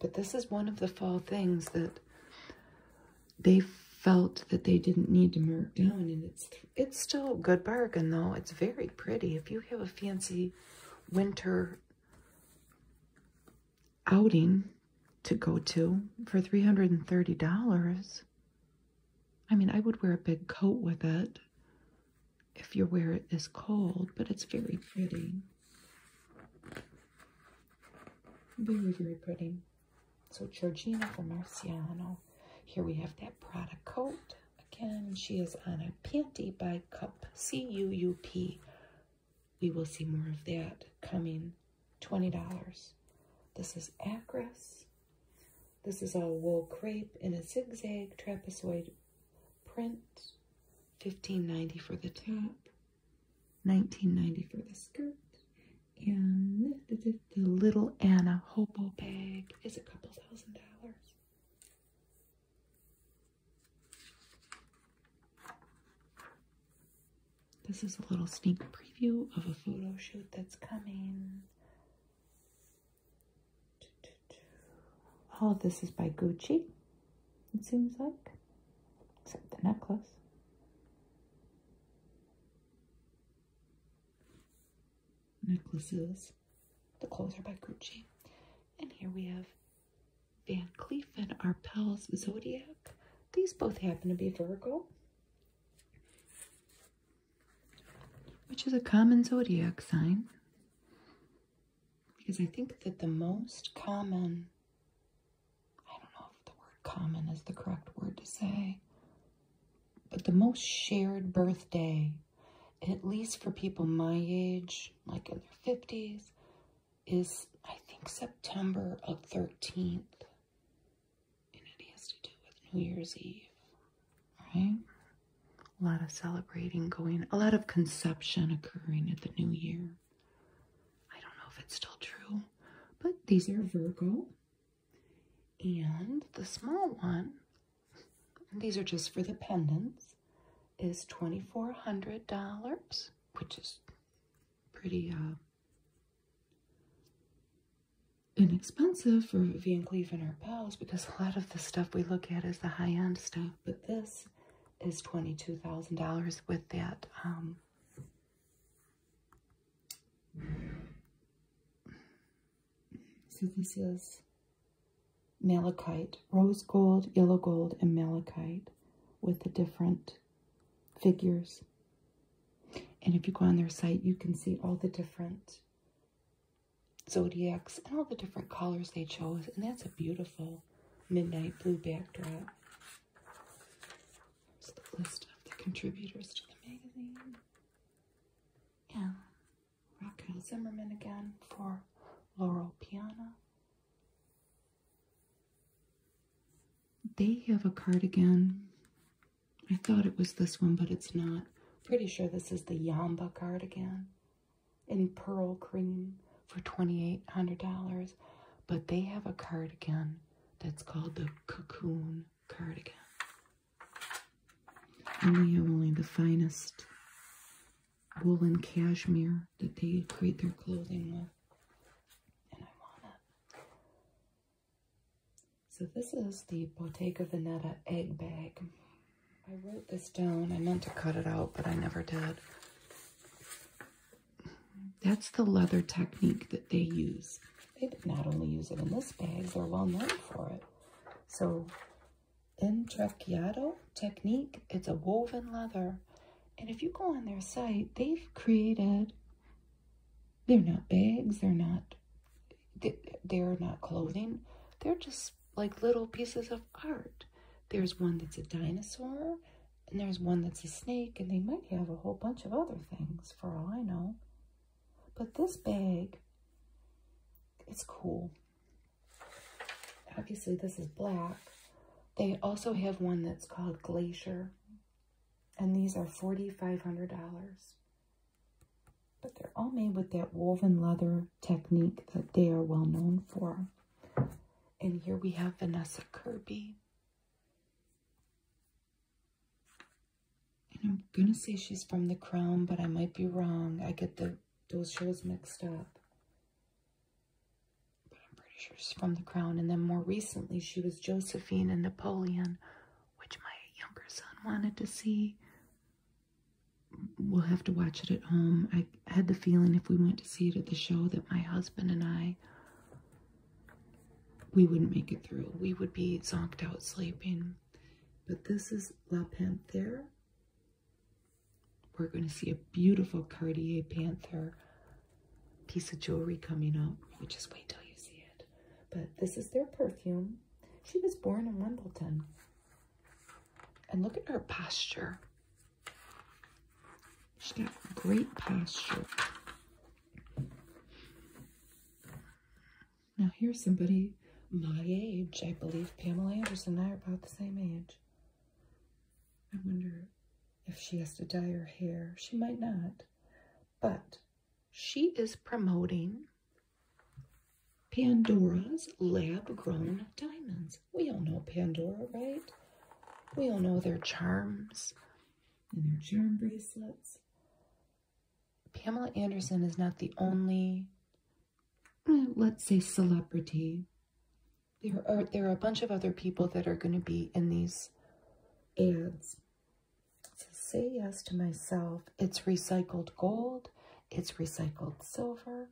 But this is one of the fall things that they felt that they didn't need to mark down, and it's it's still a good bargain, though. It's very pretty. If you have a fancy winter outing to go to for $330, I mean, I would wear a big coat with it if your wear this cold, but it's very pretty. Very, very pretty. So, Georgina from Marciano. Here we have that Prada coat. Again, she is on a panty by Cup, C-U-U-P. We will see more of that coming. $20. This is Acris. This is all wool crepe in a zigzag trapezoid print. Fifteen ninety dollars for the top, Nineteen ninety dollars for the skirt. And the, the, little Anna hobo bag is a couple thousand dollars. This is a little sneak preview of a photo shoot that's coming. All this is by Gucci, it seems like, except the necklace. Necklaces. The clothes are by Gucci. And here we have Van Cleef and Arpels Zodiac. These both happen to be Virgo, which is a common zodiac sign. Because I think that the most common, I don't know if the word common is the correct word to say, but the most shared birthday at least for people my age, like in their 50s, is I think September of 13th. And it has to do with New Year's Eve, right? A lot of celebrating going, a lot of conception occurring at the new year. I don't know if it's still true, but these are Virgo. And the small one these are just for the pendants, is $2,400, which is pretty uh, inexpensive for Van Cleef and her because a lot of the stuff we look at is the high-end stuff, but this is $22,000 with that um, so this is malachite, rose gold, yellow gold, and malachite with the different figures. And if you go on their site, you can see all the different zodiacs and all the different colors they chose. And that's a beautiful midnight blue backdrop. Here's the list of the contributors to the magazine. Yeah, Rakim Zimmerman again for Laurel Piana. They have a cardigan. I thought it was this one, but it's not. Pretty sure this is the Yamba cardigan in pearl cream for $2,800. But they have a cardigan that's called the Cocoon Cardigan. And they have only the finest wool and cashmere that they create their clothing with. So this is the Bottega Veneta egg bag. I wrote this down. I meant to cut it out, but I never did. That's the leather technique that they use. They not only use it in this bag, they're well known for it. So Intrecchiato technique. It's a woven leather. And if you go on their site, they've created, they're not bags, they're not, they're not clothing. They're just like little pieces of art. There's one that's a dinosaur, and there's one that's a snake, and they might have a whole bunch of other things for all I know. But this bag, it's cool. Obviously, this is black. They also have one that's called Glacier, and these are $4,500. But they're all made with that woven leather technique that they are well known for. And here we have Vanessa Kirby. And I'm going to say she's from The Crown, but I might be wrong. I get the those shows mixed up. But I'm pretty sure she's from The Crown. And then more recently, she was Josephine and Napoleon, which my younger son wanted to see. We'll have to watch it at home. I had the feeling if we went to see it at the show that my husband and I, we wouldn't make it through. We would be zonked out sleeping. But this is La Panthère we're going to see a beautiful Cartier Panther piece of jewelry coming up. You just wait till you see it. But this is their perfume. She was born in Wimbledon. And look at her posture. She's got great posture. Now here's somebody my age. I believe Pamela Anderson and I are about the same age. I wonder if she has to dye her hair. She might not. But she is promoting Pandora's lab-grown diamonds. We all know Pandora, right? We all know their charms and their charm bracelets. Pamela Anderson is not the only let's say celebrity. There are there are a bunch of other people that are going to be in these ads. say yes to myself. It's recycled gold, it's recycled silver,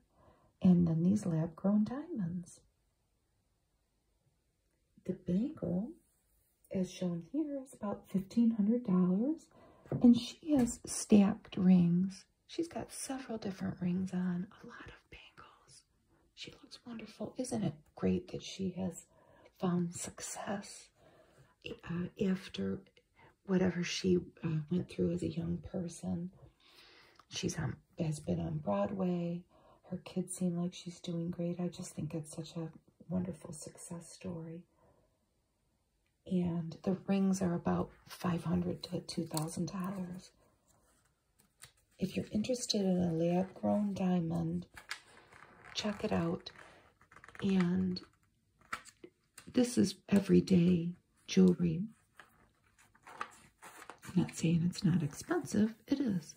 and then these lab grown diamonds. The bangle, as shown here, is about $1,500, and she has stacked rings. She's got several different rings on, a lot of bangles. She looks wonderful. Isn't it great that she has found success uh, after whatever she uh, went through as a young person? She's on, has been on Broadway. Her kids seem like she's doing great. I just think it's such a wonderful success story and the rings are about 500 to $2,000. If you're interested in a lab-grown diamond, check it out. And this is everyday jewelry. I'm not saying it's not expensive, it is,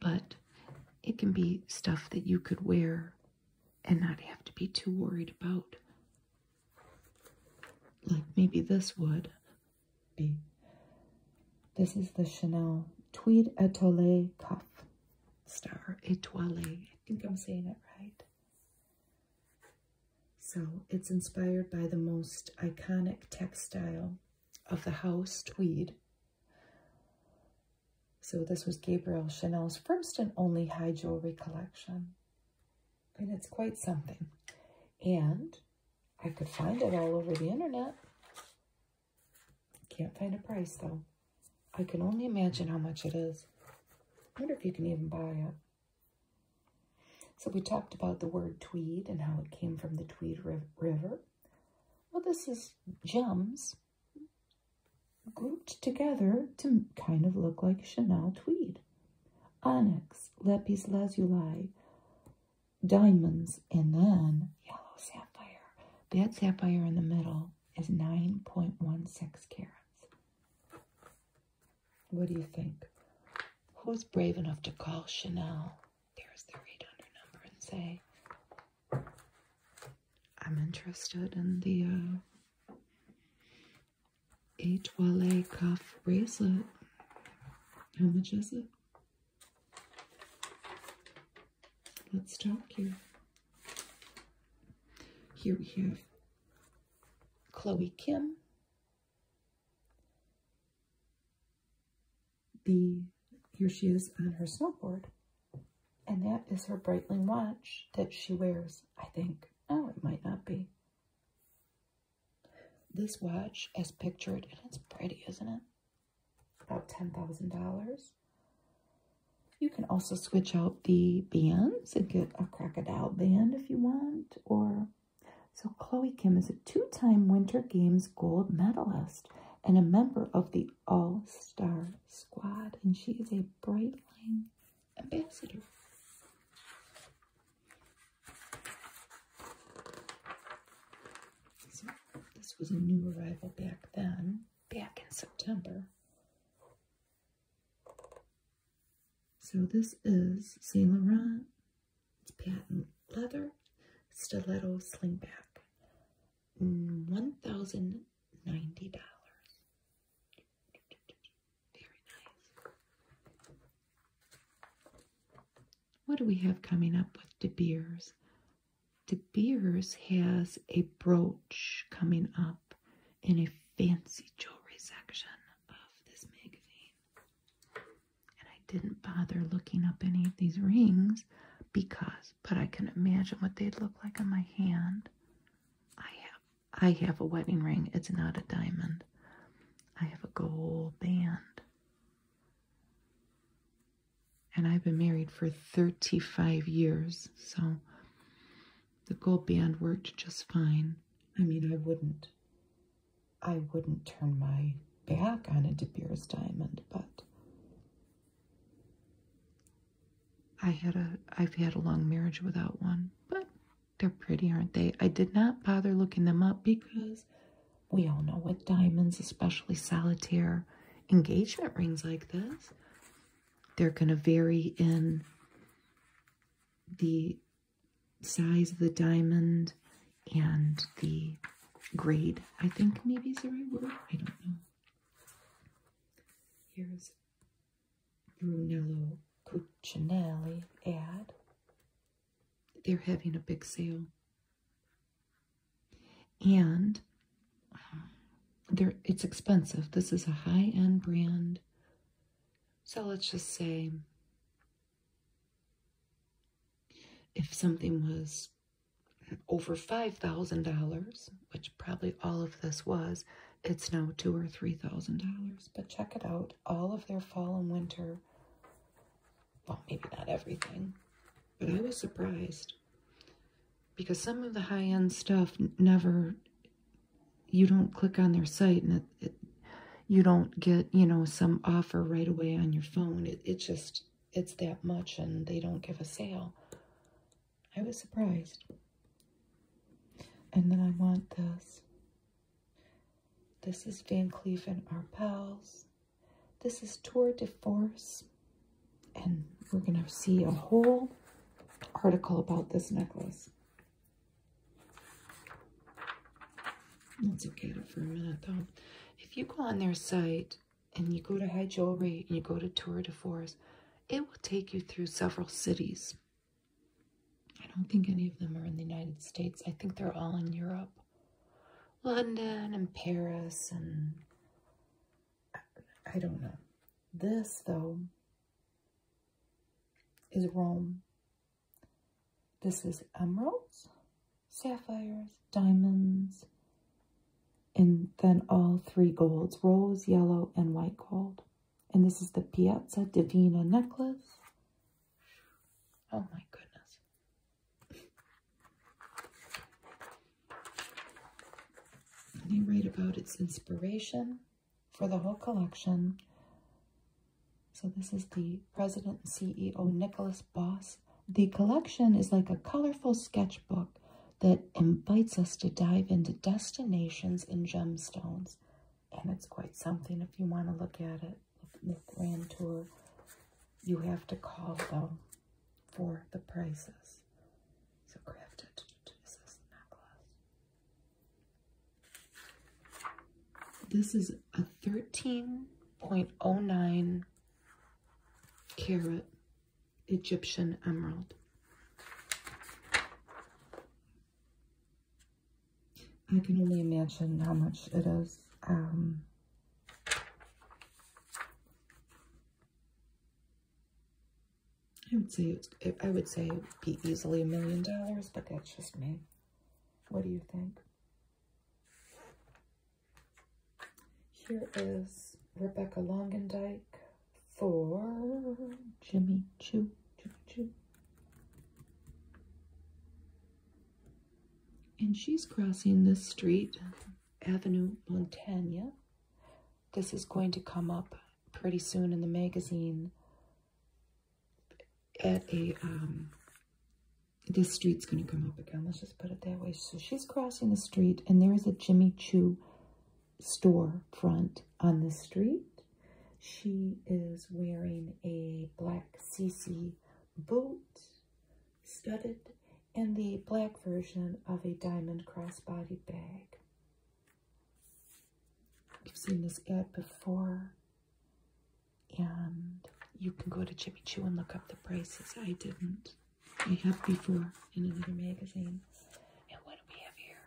but it can be stuff that you could wear and not have to be too worried about like maybe this would be. This is the Chanel Tweed Etoile Cuff Star Etoile. I think I'm saying it right. So it's inspired by the most iconic textile of the house, tweed. So this was Gabriel Chanel's first and only high jewelry collection and it's quite something. And I could find it all over the internet. Can't find a price though. I can only imagine how much it is. wonder if you can even buy it. So we talked about the word tweed and how it came from the Tweed River. Well, this is gems grouped together to kind of look like Chanel tweed onyx, lapis lazuli, diamonds, and then yellow sapphire. That sapphire in the middle is 9.16 carats. What do you think? Who's brave enough to call Chanel? There's their 800 number and say, I'm interested in the uh, a Etoile cuff bracelet. How much is it? Let's talk here. Here we have Chloe Kim, the here she is on her snowboard, and that is her Breitling watch that she wears. I think. Oh, it might not be. This watch, as pictured, and it's pretty, isn't it? About $10,000. You can also switch out the bands and get a crocodile band if you want. Or So Chloe Kim is a two-time Winter Games gold medalist and a member of the All-Star squad. And she is a bright line ambassador. this was a new arrival back then, back in September. So this is Saint Laurent. It's patent leather stiletto slingback. $1,090. Very nice. What do we have coming up with De Beers? De Beers has a brooch coming up in a fancy jewelry section of this magazine. And I didn't bother looking up any of these rings because, but I can imagine what they'd look like on my hand. I have I have a wedding ring. It's not a diamond. I have a gold band. And I've been married for 35 years, so the gold band worked just fine. I mean, I wouldn't, I wouldn't turn my back on a De Beers diamond, but I had a, I've had a long marriage without one, but they're pretty, aren't they? I did not bother looking them up because we all know what diamonds, especially solitaire engagement rings like this, they're going to vary in the size of the diamond and the grade, I think maybe is the right word. I don't know. Here's Brunello Cucinelli ad. They're having a big sale. And uh, they it's expensive. This is a high-end brand. So let's just say if something was over $5,000, which probably all of this was, it's now two or $3,000 but check it out. All of their fall and winter, well, maybe not everything, but I was surprised because some of the high-end stuff never, you don't click on their site and you don't get, you know, some offer right away on your phone. It's just, it's that much and they don't give a sale. I was surprised. And then I want this. This is Van Cleef and Arpels. This is Tour de Force. And we're going to see a whole article about this necklace. Let's look at it for a minute, though. If you go on their site and you go to High Jewelry and you go to Tour de Force, it will take you through several cities I don't think any of them are in the United States. I think they're all in Europe. London and Paris and I don't know. This though is Rome. This is emeralds, sapphires, diamonds, and then all three golds, rose, yellow, and white gold. And this is the Piazza Divina necklace Oh my goodness. And they write about its inspiration for the whole collection. So this is the president CEO, Nicholas Boss. The collection is like a colorful sketchbook that invites us to dive into destinations and gemstones and it's quite something if you want to look at it. The grand tour, you have to call them for the prices. So crafted is this necklace. This is a 13.09 carat Egyptian emerald. I can only imagine how much it is. Um, I would say it's, I would say it'd be easily a million dollars, but that's just me. What do you think? Here is Rebecca Longendike for Jimmy Choo. Choo Choo. And she's crossing the street, Avenue Montana. This is going to come up pretty soon in the magazine at a, um, this street's going to come up again. Let's just put it that way. So she's crossing the street and there is a Jimmy Choo store front on the street. She is wearing a black CC boot, studded, and the black version of a diamond crossbody bag. You've seen this ad before, and you can go to Jimmy Chu and look up the prices. I didn't. I have before in another magazine. And what do we have here?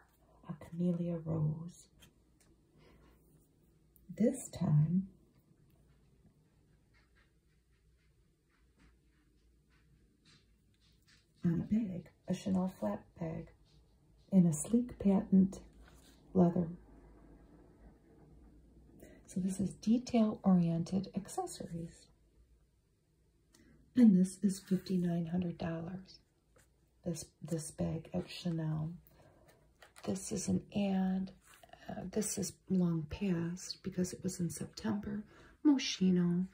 A camellia rose. This time, on a bag, a Chanel flat bag, in a sleek patent leather. So this is detail-oriented accessories. And this is $5,900 this, this bag at Chanel. This is an ad. Uh, this is long past because it was in September. Moschino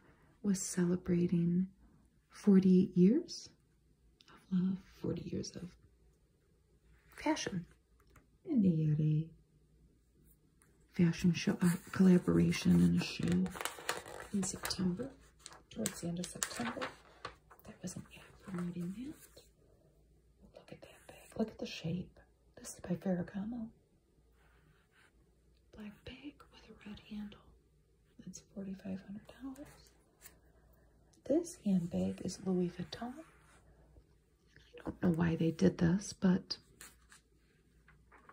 was celebrating 48 years of love, 40 years of fashion and they had a fashion show uh, collaboration and a show in September, towards the end of September. That was an ad promoting that. Look at that bag. Look at the shape. This is by Ferragamo. Black bag with a red handle. That's $4,500. This handbag is Louis Vuitton. I don't know why they did this, but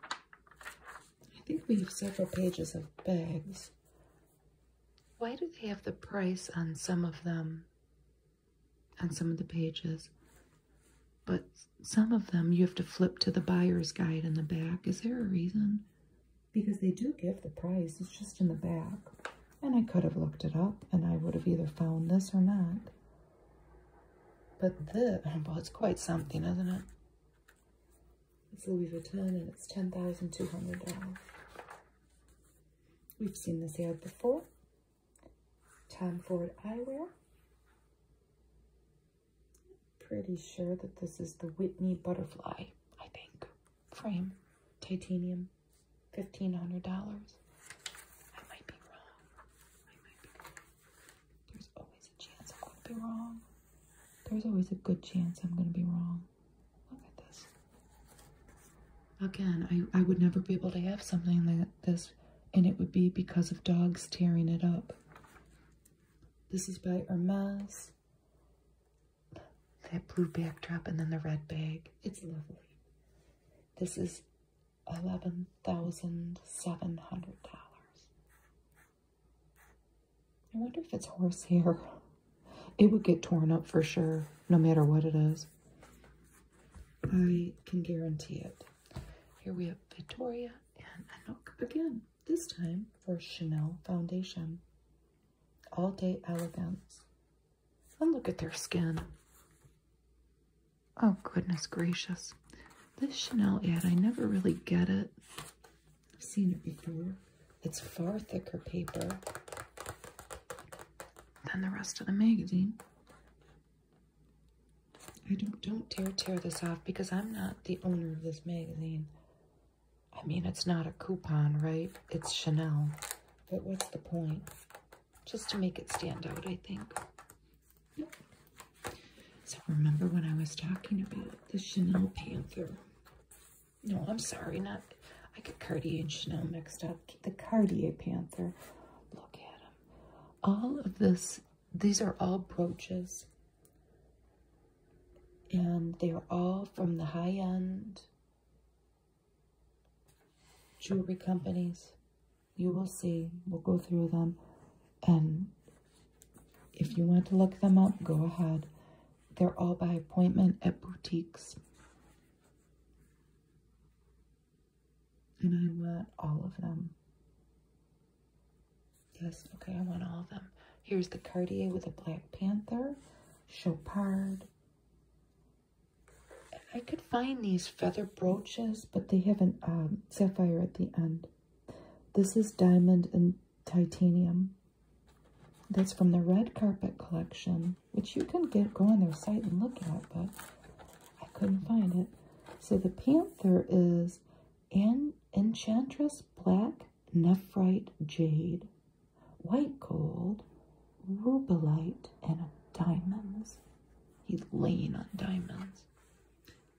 I think we have several pages of bags why do they have the price on some of them, on some of the pages? But some of them you have to flip to the buyer's guide in the back. Is there a reason? Because they do give the price, it's just in the back. And I could have looked it up and I would have either found this or not. But the, well, it's quite something, isn't it? It's Louis Vuitton and it's $10,200. We've seen this ad before. Tom Ford Eyewear. Pretty sure that this is the Whitney Butterfly, I think. Frame, titanium, $1,500. I might be wrong. There's always a chance I'm going to be wrong. There's always a good chance I'm going to be wrong. Look at this. Again, I, I would never be able to have something like this, and it would be because of dogs tearing it up. This is by Hermes. That blue backdrop and then the red bag. It's lovely. This is $11,700. I wonder if it's horse hair. It would get torn up for sure, no matter what it is. I can guarantee it. Here we have Victoria and Anouk again, this time for Chanel Foundation. All Day Elegance. And look at their skin. Oh, goodness gracious. This Chanel yet I never really get it. I've seen it before. It's far thicker paper than the rest of the magazine. I don't, don't dare tear this off because I'm not the owner of this magazine. I mean, it's not a coupon, right? It's Chanel. But what's the point? Just to make it stand out, I think. So remember when I was talking about the Chanel Panther? No, I'm sorry, not. I get Cartier and Chanel mixed up. The Cartier Panther. Look at him. All of this, these are all brooches. And they're all from the high end jewelry companies. You will see. We'll go through them. And if you want to look them up, go ahead. They're all by appointment at boutiques. And I want all of them. Yes, okay, I want all of them. Here's the Cartier with the Black Panther, Chopard. I could find these feather brooches, but they have a um, sapphire at the end. This is diamond and titanium. That's from the red carpet collection which you can get go on their site and look at, but I couldn't find it. So the panther is an enchantress black nephrite jade, white gold, rubellite, and diamonds. He's laying on diamonds.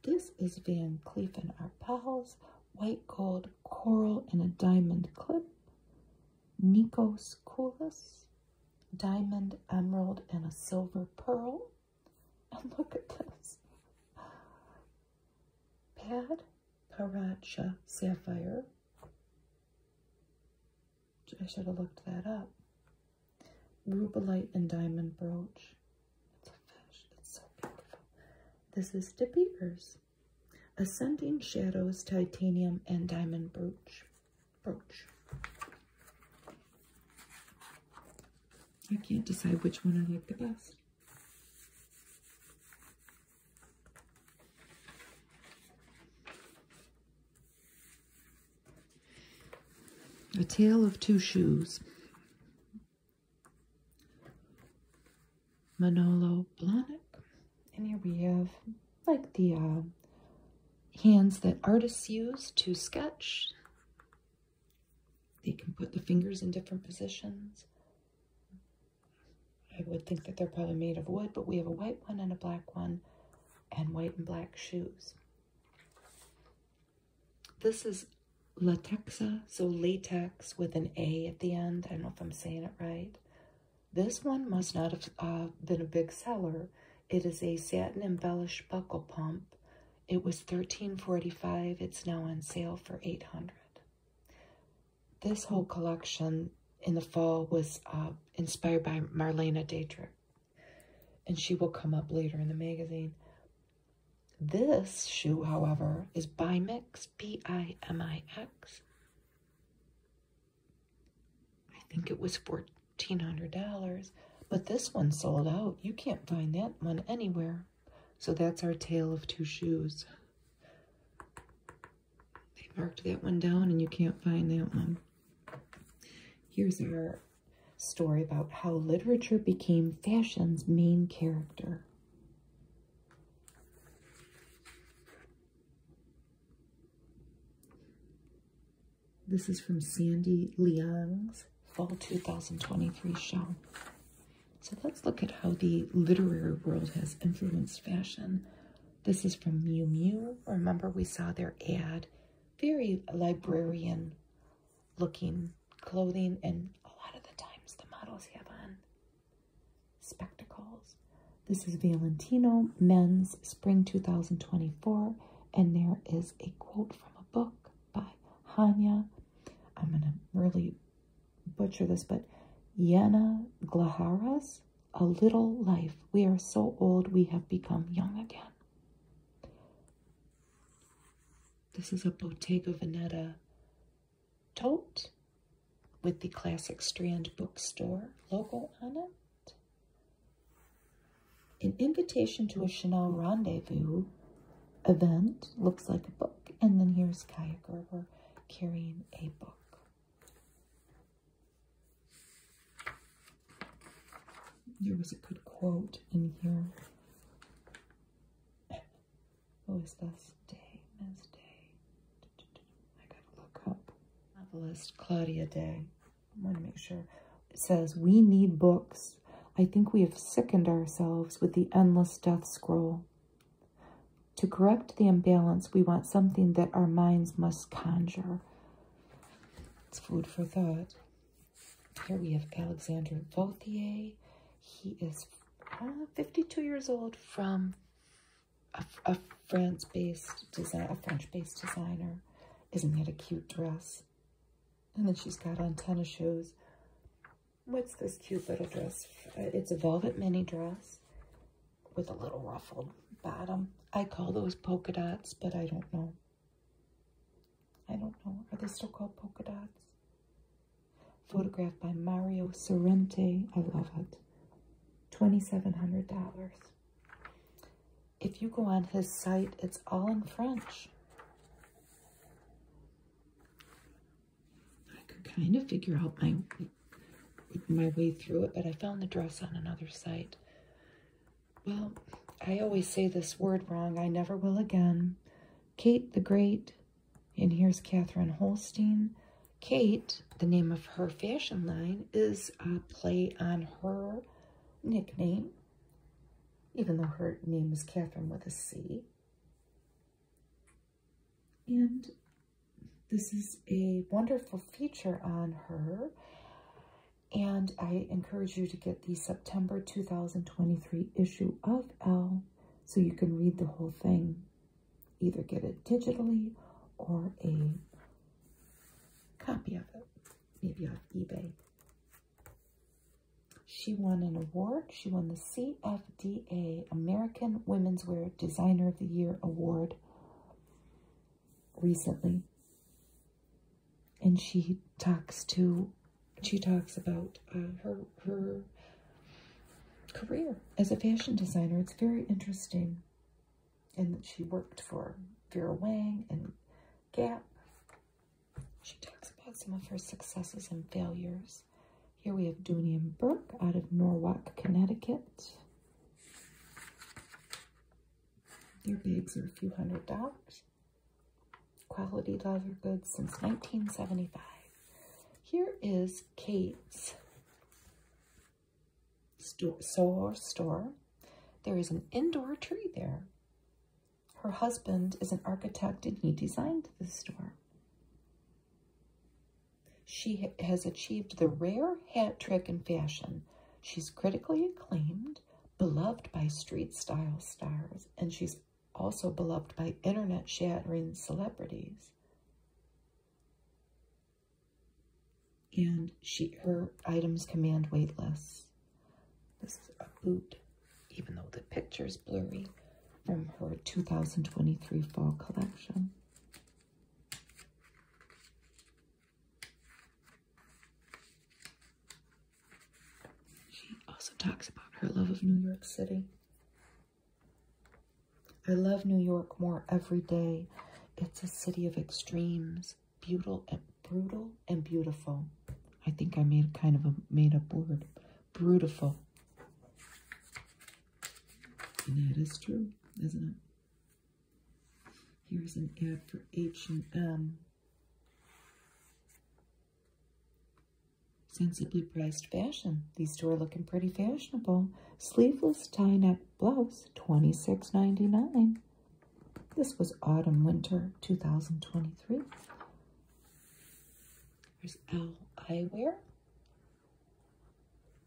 This is Van Cleef and Arpels, white gold, coral, and a diamond clip. Nikos Koulis, diamond, emerald, and a silver pearl. And look at this. Pad Paracha Sapphire. I should have looked that up. Rubellite and diamond brooch. This is De Ascending Shadows Titanium and Diamond Brooch. I can't decide which one I like the best. A Tale of Two Shoes. Manolo Blahnik. And here we have like the uh, hands that artists use to sketch. They can put the fingers in different positions. I would think that they're probably made of wood, but we have a white one and a black one and white and black shoes. This is latexa, so latex with an A at the end. I don't know if I'm saying it right. This one must not have uh, been a big seller. It is a satin embellished buckle pump. It was thirteen forty five. It's now on sale for 800 This whole collection in the fall was uh, inspired by Marlena Dietrich. And she will come up later in the magazine. This shoe, however, is Bimix, B-I-M-I-X. I think it was $1,400, but this one sold out. You can't find that one anywhere. So that's our tale of two shoes. They marked that one down and you can't find that one. Here's our story about how literature became fashion's main character. This is from Sandy Liang's Fall 2023 show. So let's look at how the literary world has influenced fashion. This is from Miu Miu. Remember we saw their ad. Very librarian looking clothing and a lot of the times the models have on spectacles. This is Valentino Men's Spring 2024, and there is a quote from a book by Hanya. I'm going to really butcher this, but Yana Glaharas, A Little Life. We are so old, we have become young again. This is a Bottega Veneta tote with the Classic Strand Bookstore logo on it. An invitation to a Chanel rendezvous event looks like a book, and then here's Kaya Gerber carrying a book. There was a good quote in here. What was this? Day, Ms. Day. I gotta look up. Novelist Claudia Day. I want to make sure. It says, we need books. I think we have sickened ourselves with the endless death scroll. To correct the imbalance, we want something that our minds must conjure. It's food for thought. Here we have Alexandre Vauthier. He is uh, 52 years old from a, France-based design, a French-based designer. Isn't that a cute dress? And then she's got on tennis shoes. What's this cute little dress? Uh, it's a velvet mini dress with a little ruffled bottom. I call those polka dots, but I don't know. I don't know. Are they still called polka dots? Photographed by Mario Sorrente. I love it. $2,700. If you go on his site, it's all in French. I could kind of figure out my my way through it, but I found the dress on another site. Well, I always say this word wrong. I never will again. Kate the Great, and here's Catherine Holstein. Kate the name of her fashion line is a uh, play on her nickname, even though her name is Catherine with a C. And this is a wonderful feature on her. And I encourage you to get the September 2023 issue of Elle so you can read the whole thing. Either get it digitally or a copy of it, maybe off eBay. She won an award. She won the CFDA American Women's Wear Designer of the Year Award recently. And she talks to, she talks about uh, her, her career as a fashion designer. It's very interesting and she worked for Vera Wang and Gap. She talks about some of her successes and failures. Here we have Dunian Burke out of Norwalk, Connecticut. Their bags are a few hundred dollars. Quality leather goods since 1975. Here is Kate's store, store. There is an indoor tree there. Her husband is an architect and he designed the store. She has achieved the rare hat trick in fashion. She's critically acclaimed, beloved by street style stars, and she's also beloved by internet shattering celebrities and she her items command weight less. This is a boot, even though the picture is blurry, from her 2023 fall collection. She also talks about her love of New York City. I love New York more every day. It's a city of extremes brutal and brutal and beautiful. I think I made kind of a made-up word. Beautiful. And that is true, isn't it? Here's an ad for H&M. Sensibly priced fashion. These two are looking pretty fashionable. Sleeveless tie-neck blouse, twenty six ninety nine. This was autumn winter 2023. There's Owl Eyewear,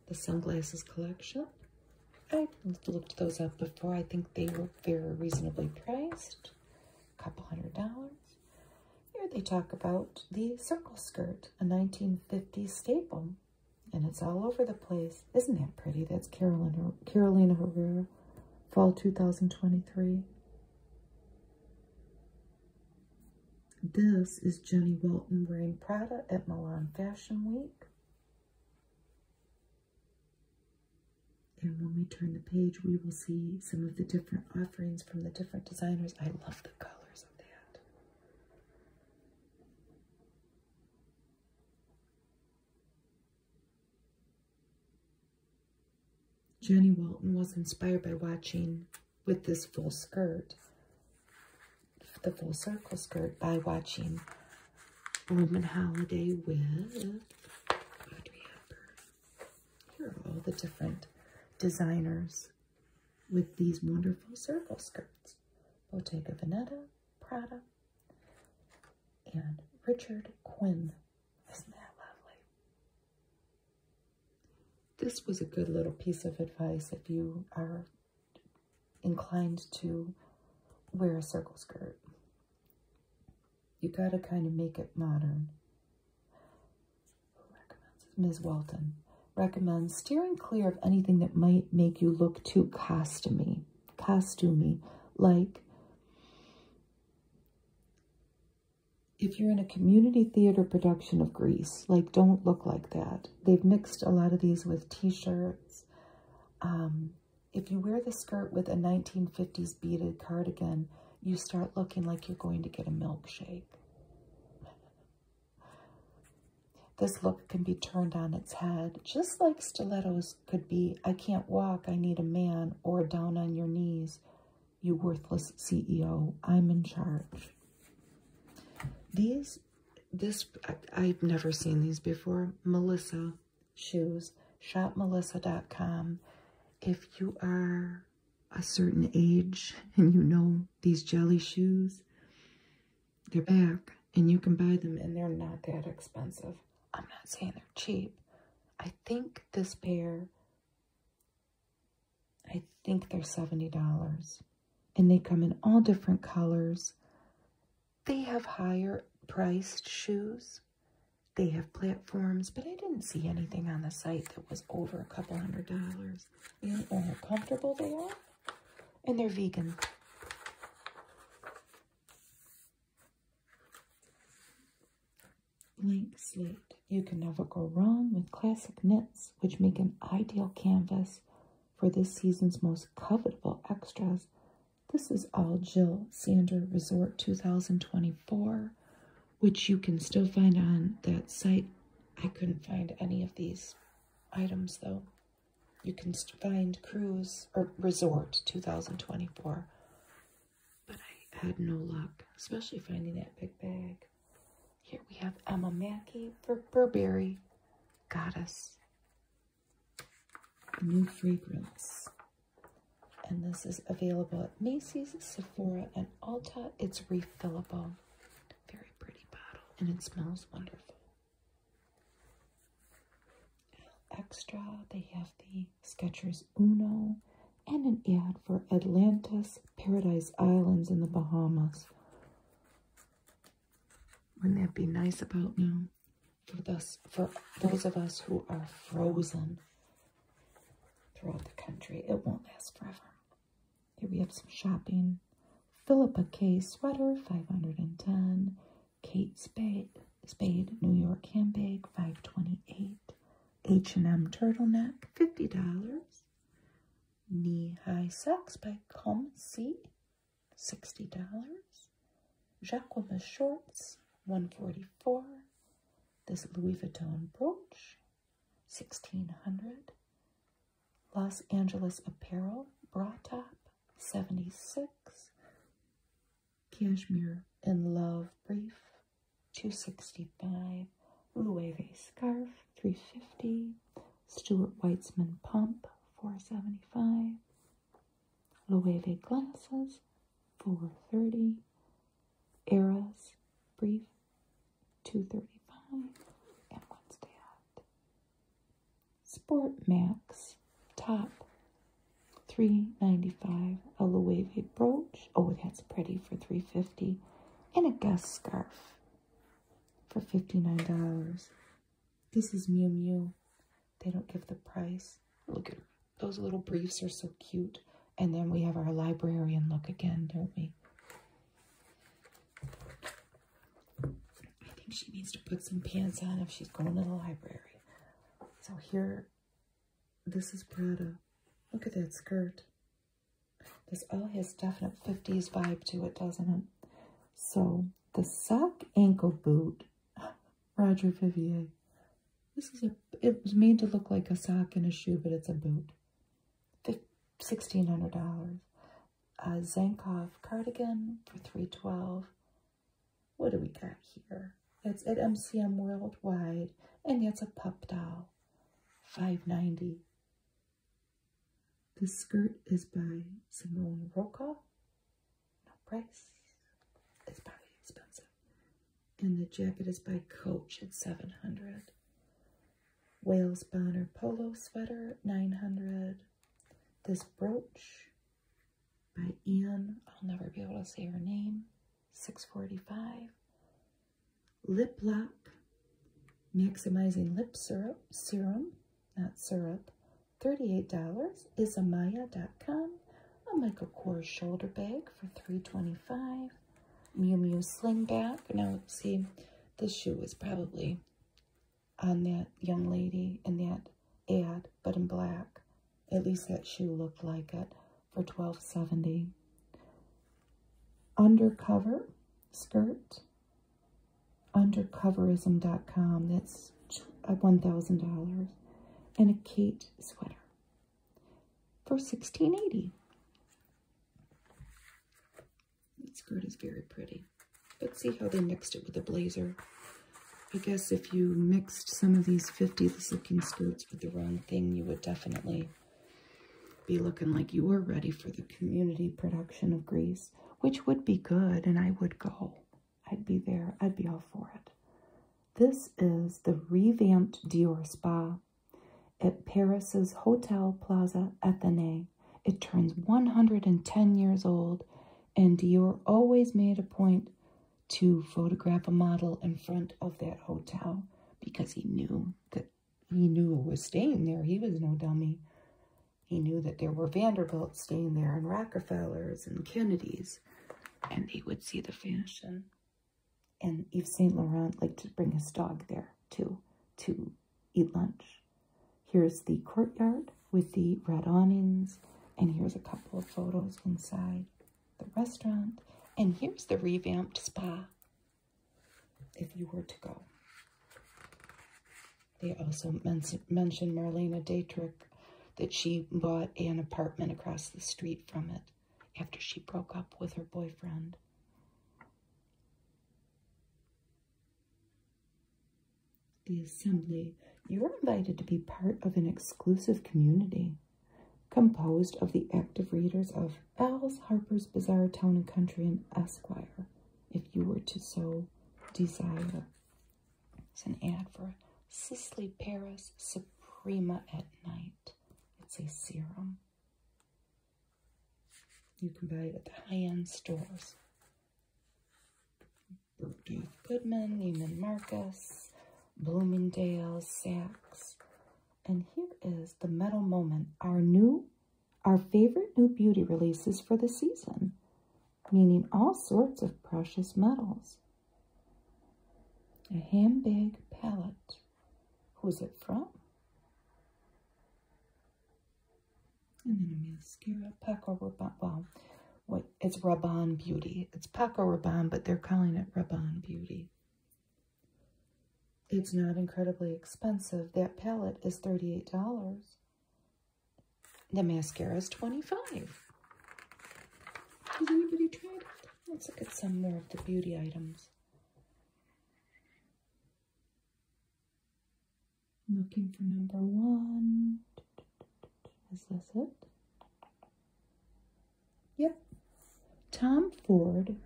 the sunglasses collection. I looked those up before. I think they were very reasonably priced, a couple hundred dollars. Here they talk about the circle skirt, a 1950 staple and it's all over the place. Isn't that pretty? That's Carolina, Carolina Herrera, fall 2023. This is Jenny Walton wearing Prada at Milan Fashion Week. And when we turn the page, we will see some of the different offerings from the different designers. I love the colors of that. Jenny Walton was inspired by watching with this full skirt, the full circle skirt, by watching Roman Holiday with, Here are all the different designers with these wonderful circle skirts. Bottega Veneta, Prada, and Richard Quinn. Isn't that lovely? This was a good little piece of advice if you are inclined to wear a circle skirt. You got to kind of make it modern. Who Ms. Walton recommends steering clear of anything that might make you look too costumey costuming, like if you're in a community theater production of Greece, like don't look like that. They've mixed a lot of these with t-shirts. Um, if you wear the skirt with a 1950s beaded cardigan, you start looking like you're going to get a milkshake. This looks can be turned on its head, just like stilettos could be, I can't walk, I need a man, or down on your knees, you worthless CEO, I'm in charge. These, this, I, have never seen these before, Melissa shoes, shopmelissa.com. If you are a certain age and you know these jelly shoes, they're back and you can buy them and they're not that expensive. I'm not saying they're cheap. I think this pair, I think they're $70. And they come in all different colors. They have higher priced shoes. They have platforms, but I didn't see anything on the site that was over a couple hundred dollars. And oh, how comfortable they are. And they're vegan. Blank slate. You can never go wrong with classic knits, which make an ideal canvas for this season's most covetable extras. This is all Jill Sander Resort 2024, which you can still find on that site. I couldn't find any of these items though. You can find cruise or resort 2024. But I had no luck, especially finding that big bag. Here we have Emma Mackey for Burberry Goddess. New fragrance. And this is available at Macy's, Sephora, and Alta. It's refillable. Very pretty bottle, and it smells wonderful. Extra, they have the Skechers Uno and an ad for Atlantis Paradise Islands in the Bahamas. Wouldn't that be nice about now? For us, for those of us who are frozen throughout the country, it won't last forever. Here we have some shopping. Philippa K sweater, 510. Kate Spade, Spade New York handbag, five twenty-eight. H&M turtleneck, fifty dollars. Knee-high socks by Comme C, sixty dollars. Jacquemus shorts, one forty-four. This Louis Vuitton brooch, sixteen hundred. Los Angeles apparel bra top, seventy-six. Cashmere in Love Brief, 265 Loewe Scarf, 350 Stuart Weitzman Pump, 475 Loewe Glasses, 430 Eras Brief, 235 and Wednesday Out. Sport Max top. 395 a Loewe brooch. Oh, that's pretty for 350 and a guest scarf for $59. This is Miu Miu. They don't give the price. Look at her. Those little briefs are so cute. And then we have our librarian look again, don't we? I think she needs to put some pants on if she's going to the library. So here, this is Prada. Look at that skirt. This oh has definite 50s vibe to it, doesn't it? So the sock ankle boot, Roger Vivier. This is a, it was made to look like a sock and a shoe, but it's a boot. $1,600. A Zankoff cardigan for 312 what do we got here? It's at MCM Worldwide, and that's a pup doll. Five ninety. This skirt is by Simone Roca. No price. It's probably expensive. And the jacket is by Coach at 700 Wales Bonner Polo Sweater, 900 This brooch by Anne, I'll never be able to say her name, 645. Lip Lock, Maximizing Lip Syrup, Serum, not syrup, $38, Isamaya.com. A Michael Kors shoulder bag for $325. Miu Miu sling bag. Now, see, this shoe was probably on that young lady in that ad, but in black. At least that shoe looked like it for 12.70. Undercover skirt. Undercoverism.com. That's uh, $1,000. And a Kate sweater for 16.80. That skirt is very pretty. But see how they mixed it with a blazer. I guess if you mixed some of these 50s looking skirts with the wrong thing, you would definitely be looking like you were ready for the community production of Greece, which would be good, and I would go. I'd be there. I'd be all for it. This is the revamped Dior Spa at Paris's Hotel Plaza Athenee. It turns 110 years old, and Dior always made a point to photograph a model in front of that hotel because he knew that he knew it was staying there. He was no dummy. He knew that there were Vanderbilts staying there and Rockefellers and Kennedys, and he would see the fashion. And Yves Saint Laurent liked to bring his dog there too to eat lunch. Here's the courtyard with the red awnings and here's a couple of photos inside the restaurant. And here's the revamped spa if you were to go. They also mention mentioned Marlena Dietrich that she bought an apartment across the street from it after she broke up with her boyfriend. The assembly you're invited to be part of an exclusive community composed of the active readers of Al's, Harper's Bizarre Town and Country, and Esquire, if you were to so desire. It's an ad for Sisley Paris Suprema at Night. It's a serum. You can buy it at the high-end stores. Goodman, Neiman Marcus, Bloomingdale's, Saks. And here is the Metal Moment, our new, our favorite new beauty releases for the season, meaning all sorts of precious metals. A handbag palette. Who's it from? And then a mascara pack over, well, it's Raban Beauty. It's Paco Raban, but they're calling it Raban Beauty. It's not incredibly expensive. That palette is $38. The mascara is 25 Has anybody tried it? Let's look at some more of the beauty items. Looking for number one. Is this it? Yep. Tom Ford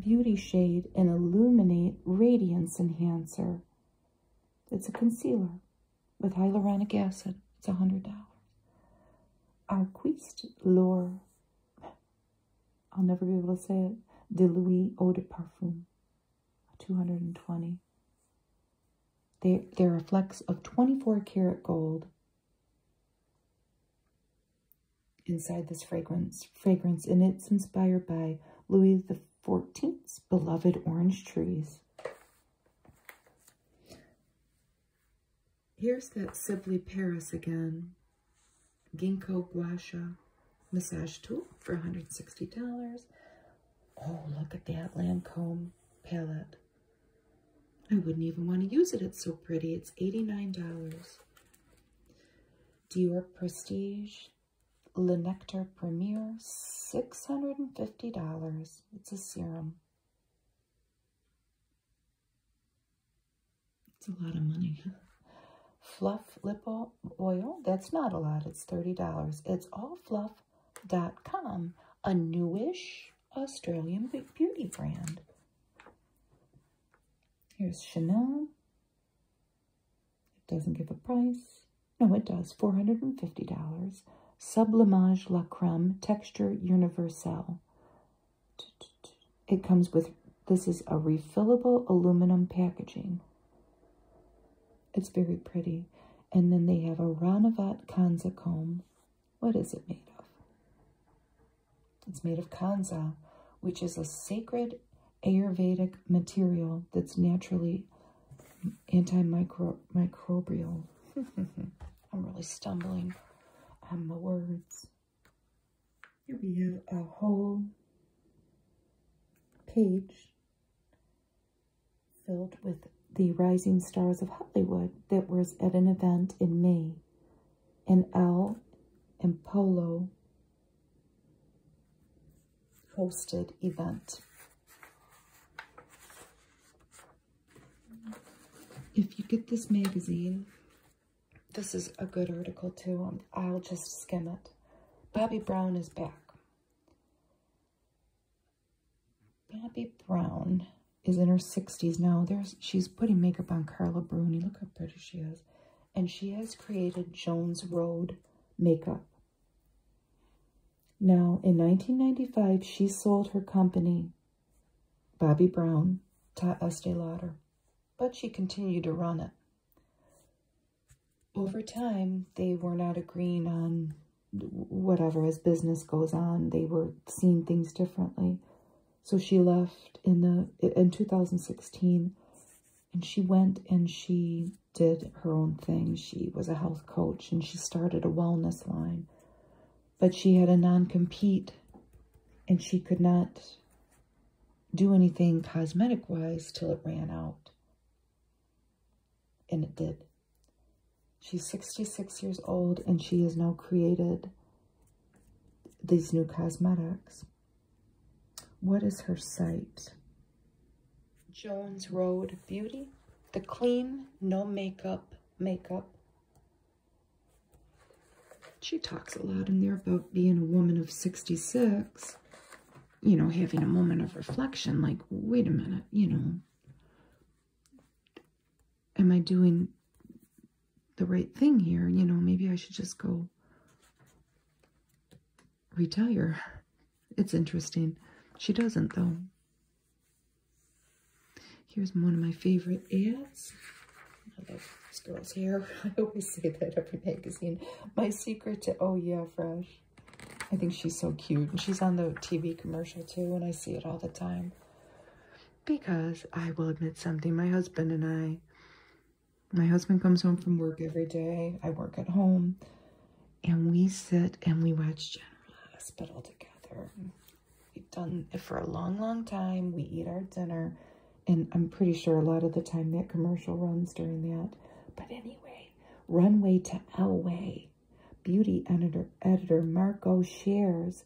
Beauty Shade and Illuminate Radiance Enhancer. It's a concealer with hyaluronic acid. It's a $100. Arquiste Lore. I'll never be able to say it. De Louis Eau de Parfum. 220. They, they're a flex of 24 karat gold Inside this fragrance, fragrance in it's inspired by Louis XIV's beloved orange trees. Here's that Sibley Paris again. Ginkgo Guasha massage tool for $160. Oh, look at that Lancome palette. I wouldn't even want to use it. It's so pretty. It's $89. Dior Prestige Le Nectar Premier, $650. It's a serum. It's a lot of money. Fluff Lip Oil, that's not a lot. It's $30. It's allfluff.com, a newish Australian beauty brand. Here's Chanel. It doesn't give a price. No, it does. $450. Sublimage La Creme Texture Universelle. It comes with, this is a refillable aluminum packaging. It's very pretty. And then they have a Ranavat Kanza comb. What is it made of? It's made of kanza, which is a sacred Ayurvedic material that's naturally antimicrobial. I'm really stumbling on the words. Here we have a whole page filled with the Rising Stars of Hollywood that was at an event in May. And L, and Polo hosted event. If you get this magazine, this is a good article too. I'll just skim it. Bobby Brown is back. Bobby Brown is in her 60s now. There's she's putting makeup on Carla Bruni. Look how pretty she is. And she has created Jones Road makeup. Now, in 1995, she sold her company, Bobby Brown, to Estee Lauder, but she continued to run it. Over time, they were not agreeing on whatever, as business goes on, they were seeing things differently. So she left in the in 2016 and she went and she did her own thing. She was a health coach and she started a wellness line. But she had a non-compete and she could not do anything cosmetic wise till it ran out. And it did. She's 66 years old and she has now created these new cosmetics. What is her site? Jones Road Beauty. The clean, no makeup, makeup. She talks a lot in there about being a woman of 66. You know, having a moment of reflection, like, wait a minute, you know, am I doing the right thing here? You know, maybe I should just go retire. It's interesting. She doesn't, though. Here's one of my favorite ads. I love this girl's hair. I always say that every magazine. My secret to, oh yeah, fresh. I think she's so cute. And she's on the TV commercial too, and I see it all the time because I will admit something. My husband and I, my husband comes home from work every day. I work at home. And we sit and we watch General Hospital together. We've done it for a long, long time. We eat our dinner. And I'm pretty sure a lot of the time that commercial runs during that. But anyway, Runway to Elway. Beauty editor, editor Marco shares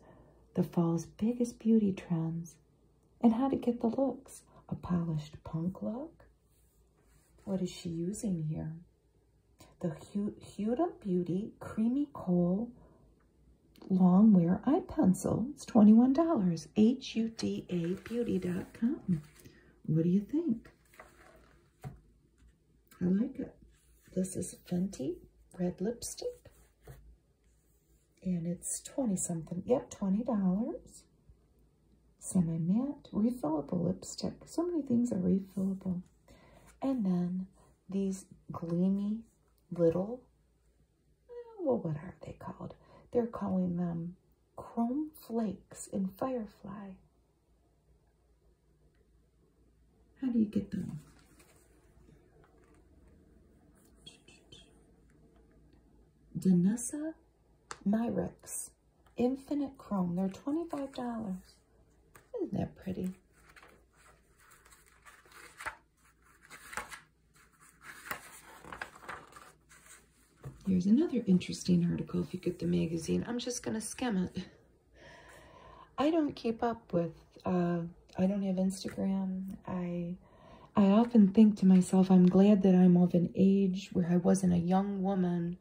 the fall's biggest beauty trends, and how to get the looks. A polished punk look? What is she using here? The Huda Beauty Creamy Coal Long Wear Eye Pencil. It's $21. H-U-D-A-Beauty.com. What do you think? I like it. This is Fenty Red Lipstick. And it's 20 something. Yep, $20. Semi-matte, refillable lipstick. So many things are refillable. And then these gleamy little, eh, well, what are they called? They're calling them chrome flakes in Firefly. How do you get them? Danusa Myrex Infinite Chrome. They're $25. Isn't that pretty? Here's another interesting article if you get the magazine. I'm just going to skim it. I don't keep up with, uh, I don't have Instagram. I, I often think to myself, I'm glad that I'm of an age where I wasn't a young woman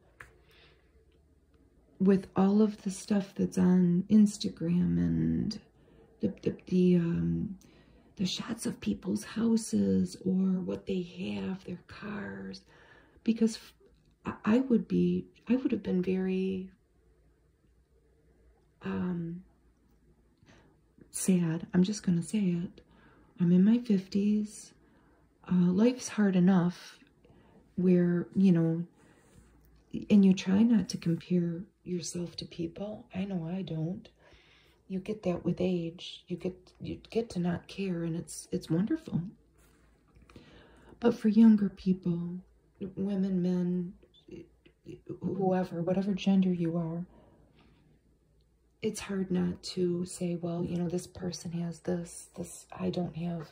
with all of the stuff that's on Instagram and the, the, the, um, the shots of people's houses or what they have, their cars, because I would be, I would have been very um, sad. I'm just going to say it. I'm in my 50s. Uh, life's hard enough where, you know, and you try not to compare yourself to people. I know I don't. You get that with age. You get you get to not care and it's it's wonderful. But for younger people, women, men, whoever, whatever gender you are, it's hard not to say, well, you know, this person has this, this, I don't have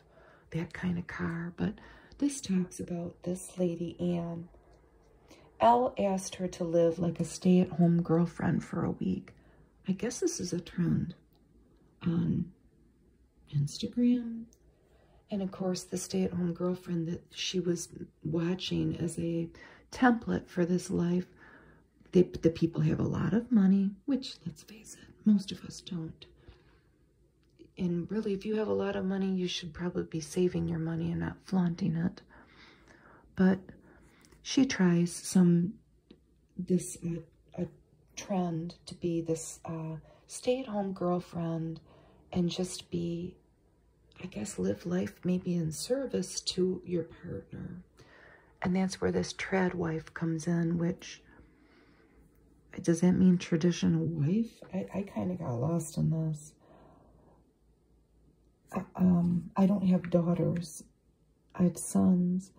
that kind of car. But this talks about this lady, Anne. Elle asked her to live like a stay-at-home girlfriend for a week. I guess this is a trend on Instagram, and of course, the stay-at-home girlfriend that she was watching as a template for this life, the people have a lot of money, which, let's face it, most of us don't. And really, if you have a lot of money, you should probably be saving your money and not flaunting it. But she tries some, this uh, a trend to be this uh, stay at home girlfriend and just be, I guess, live life maybe in service to your partner. And that's where this trad wife comes in, which does that mean traditional wife? I, I kind of got lost in this. Uh, um, I don't have daughters. I have sons,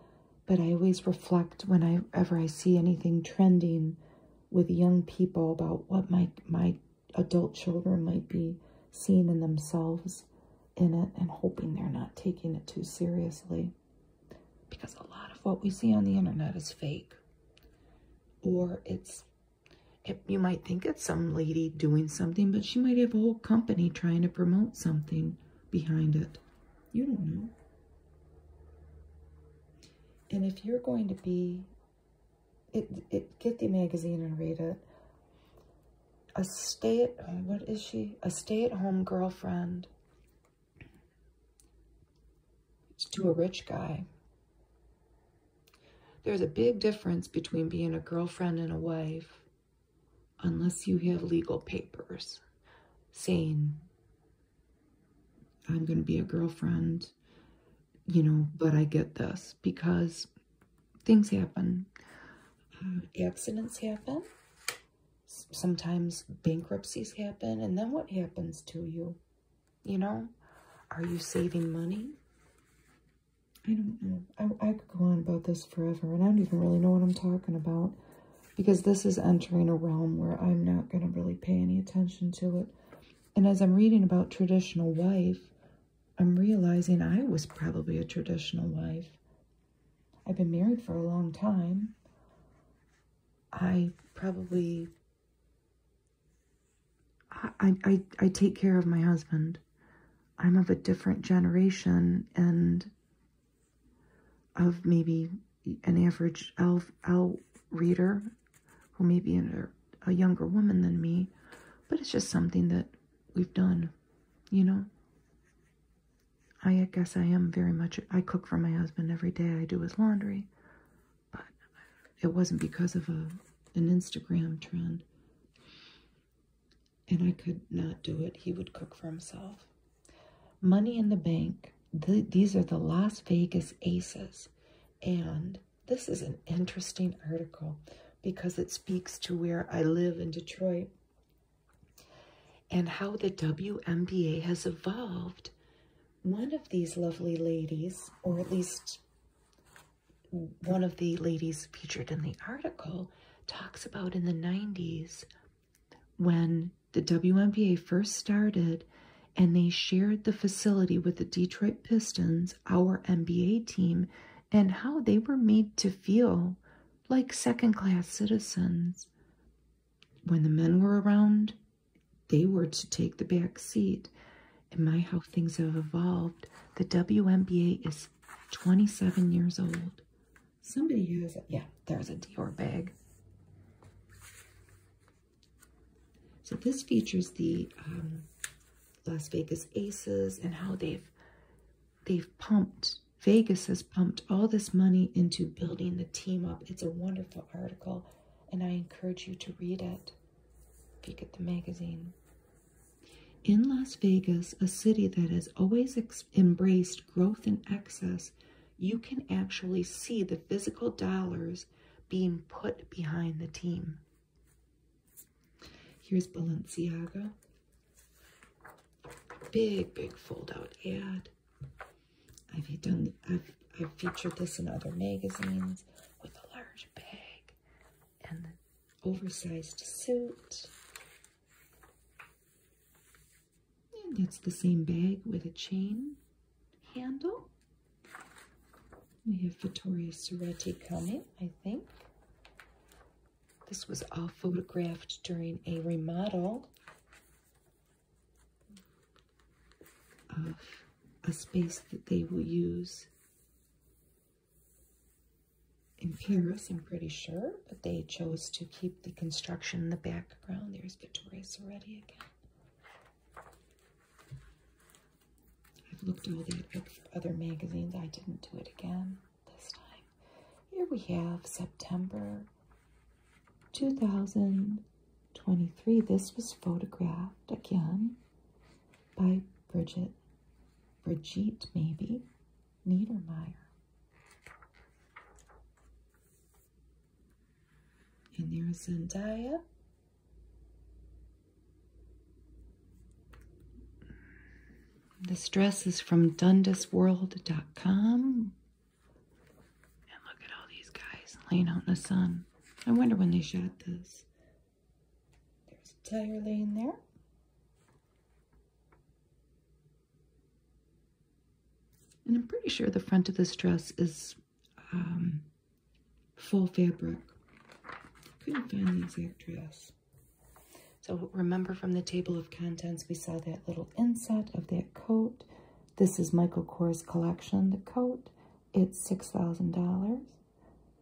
but I always reflect whenever I see anything trending with young people about what my my adult children might be seeing in themselves in it and hoping they're not taking it too seriously because a lot of what we see on the internet is fake or it's you might think it's some lady doing something but she might have a whole company trying to promote something behind it you don't know and if you're going to be it, it, get the magazine and read it. A stay at home, uh, what is she? A stay at home girlfriend to a rich guy. There's a big difference between being a girlfriend and a wife, unless you have legal papers saying, I'm going to be a girlfriend you know but i get this because things happen um, accidents happen sometimes bankruptcies happen and then what happens to you you know are you saving money i don't know I could go on about this forever and i don't even really know what i'm talking about because this is entering a realm where i'm not going to really pay any attention to it and as I'm reading about traditional wife, I'm realizing I was probably a traditional wife. I've been married for a long time. I probably I, I, I take care of my husband. I'm of a different generation and of maybe an average L elf reader who may be a younger woman than me, but it's just something that we've done, you know. I guess I am very much, I cook for my husband every day, I do his laundry, but it wasn't because of a an Instagram trend. And I could not do it. He would cook for himself. Money in the Bank. these are the Las Vegas Aces. And this is an interesting article because it speaks to where I live in Detroit and how the WMBA has evolved. One of these lovely ladies, or at least one of the ladies featured in the article, talks about in the 90s when the WMBA first started and they shared the facility with the Detroit Pistons, our NBA team, and how they were made to feel like second class citizens. When the men were around, they were to take the back seat. And my how things have evolved, the WNBA is 27 years old. Somebody has, a, yeah, there's a Dior bag. So this features the um, Las Vegas Aces and how they've they've pumped Vegas has pumped all this money into building the team up. It's a wonderful article, and I encourage you to read it. Peek at the magazine. In Las Vegas, a city that has always embraced growth and excess, you can actually see the physical dollars being put behind the team. Here's Balenciaga. Big, big fold-out ad. I've done I've featured this in other magazines with a large bag and the oversized suit. And that's the same bag with a chain handle. We have Vittoria Soretti coming, I think. This was all photographed during a remodel of a space that they will use in Paris, I'm pretty sure, but they chose to keep the construction in the background. There's Vittoria Soretti again. I've looked through the other magazines. I didn't do it again this time. Here we have September 2023. This was photographed again by Bridget, Brigitte maybe, Niedermeyer. And there's Zendaya this dress is from dundasworld.com. And look at all these guys laying out in the sun. I wonder when they shot this. There's a tire laying there. And I'm pretty sure the front of this dress is um, full fabric. Couldn't find the exact dress. So remember from the table of contents, we saw that little inset of that coat. This is Michael Kors collection, the coat. It's $6,000.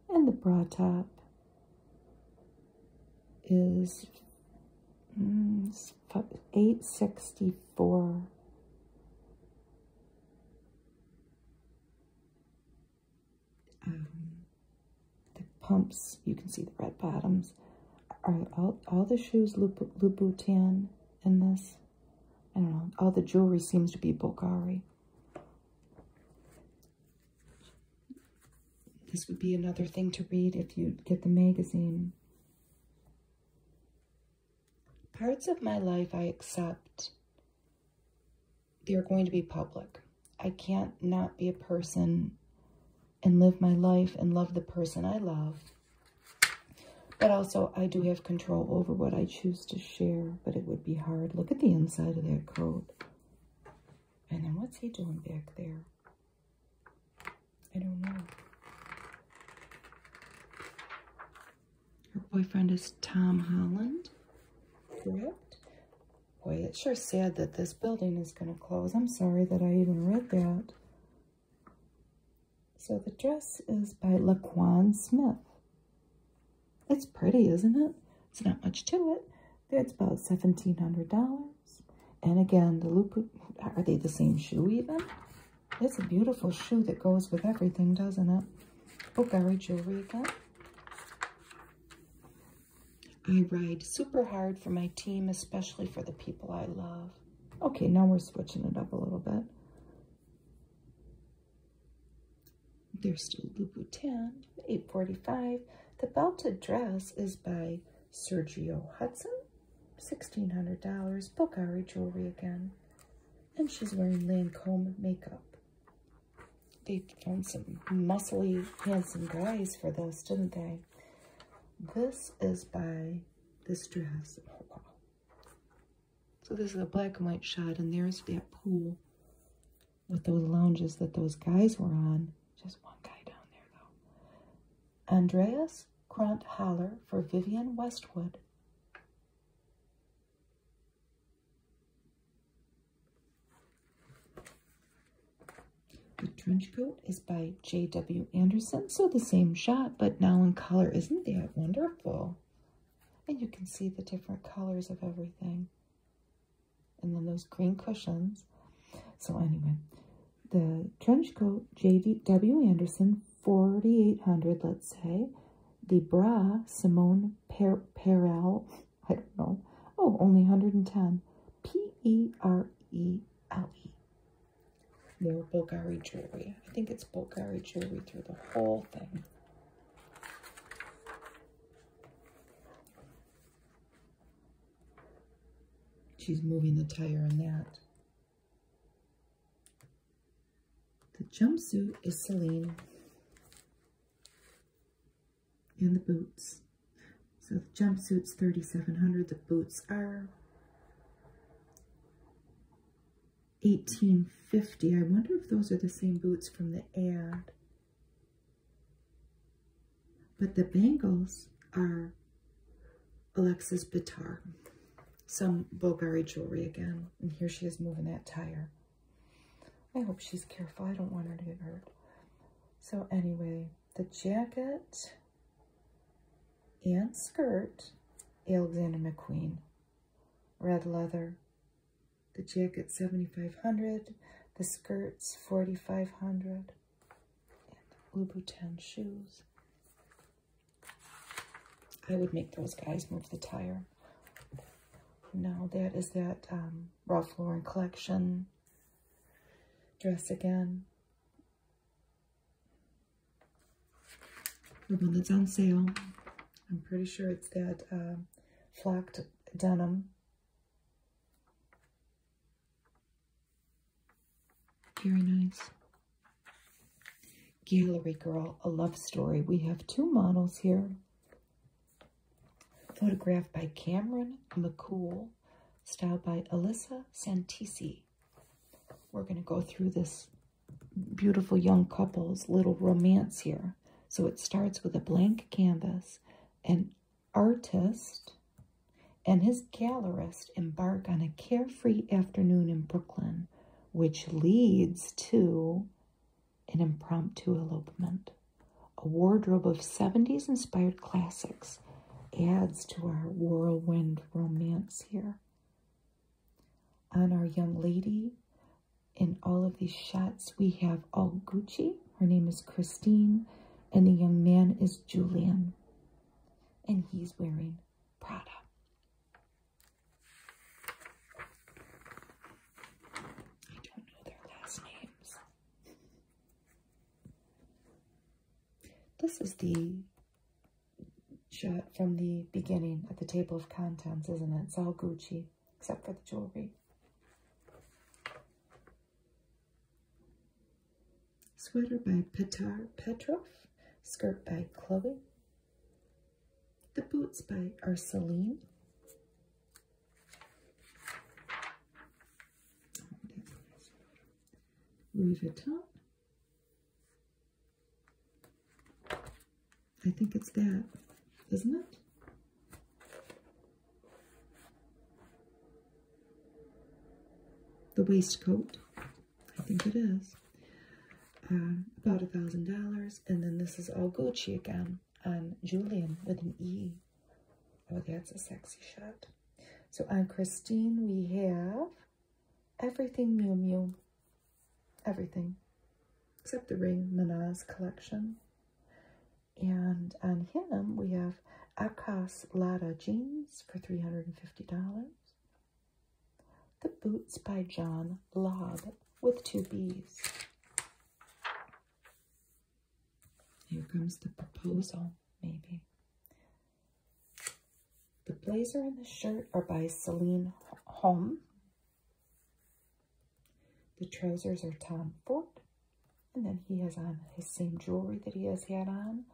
And the bra top is mm, 864 um, the pumps, you can see the red bottoms. Are all, all the shoes Louboutin in this? I don't know. All the jewelry seems to be Bulgari. This would be another thing to read if you get the magazine. Parts of my life I accept they're going to be public. I can't not be a person and live my life and love the person I love. But also, I do have control over what I choose to share, but it would be hard. Look at the inside of that coat. And then what's he doing back there? I don't know. Her boyfriend is Tom Holland, correct? Boy, it's sure sad that this building is going to close. I'm sorry that I even read that. So the dress is by Laquan Smith. It's pretty, isn't it? It's not much to it. It's about $1,700. And again, the loop, are they the same shoe even? It's a beautiful shoe that goes with everything, doesn't it? Bulgari jewelry again. I ride super hard for my team, especially for the people I love. Okay, now we're switching it up a little bit. There's still Louboutin, 845. The belted dress is by Sergio Hudson, $1,600. Bulgari jewelry again. And she's wearing Lancome makeup. They found some muscly, handsome guys for those, didn't they? This is by this dress. Oh, so this is a black and white shot, and there's that pool with those lounges that those guys were on. Just one guy down there, though. Andreas Kront for Vivian Westwood. The trench coat is by J.W. Anderson, so the same shot, but now in color. Isn't that wonderful? And you can see the different colors of everything. And then those green cushions. So anyway, the trench coat, J.W. Anderson, 4800 let's say. The bra, Simone per Perel. I don't know. Oh, only 110. P-E-R-E-L-E. They were Bulgari jewelry. I think it's Bulgari jewelry through the whole thing. She's moving the tire in that. The jumpsuit is Celine and the boots. So the jumpsuit's 3700 the boots are 1850 I wonder if those are the same boots from the ad. But the bangles are Alexis Bitar, some Bulgari jewelry again. And here she is moving that tire. I hope she's careful. I don't want her to get hurt. So anyway, the jacket and skirt, Alexander McQueen, red leather. The jacket 7500 the skirts 4500 and Louboutin shoes. I would make those guys move the tire. No, that is that um, Ralph Lauren collection dress again. The one that's on sale. I'm pretty sure it's that uh, um, flocked denim. Very nice. Gallery Girl, a love story. We have two models here. Photographed by Cameron McCool, styled by Alyssa Santisi. We're going to go through this beautiful young couple's little romance here. So it starts with a blank canvas. An artist and his gallerist embark on a carefree afternoon in Brooklyn, which leads to an impromptu elopement. A wardrobe of 70s inspired classics adds to our whirlwind romance here. On our young lady, in all of these shots, we have all Gucci. Her name is Christine, and the young man is Julian, and he's wearing Prada. I don't know their last names. This is the shot from the beginning at the table of contents, isn't it? It's all Gucci, except for the jewelry. Sweater by Petar Petrov, skirt by Chloe, the boots by Ursuline. Louis Vuitton. I think it's that, isn't it? The waistcoat, I think it is. Uh, about a thousand dollars, and then this is all Gucci again and Julian with an E. Oh, that's a sexy shot. So on Christine, we have everything Mew Mew. Everything. Except the ring, Manaz collection. And on him, we have Akas Lada jeans for $350. The boots by John Lobb with two B's. Here comes the proposal, maybe. The blazer and the shirt are by Celine Home. The trousers are Tom Ford. And then he has on his same jewelry that he has had on.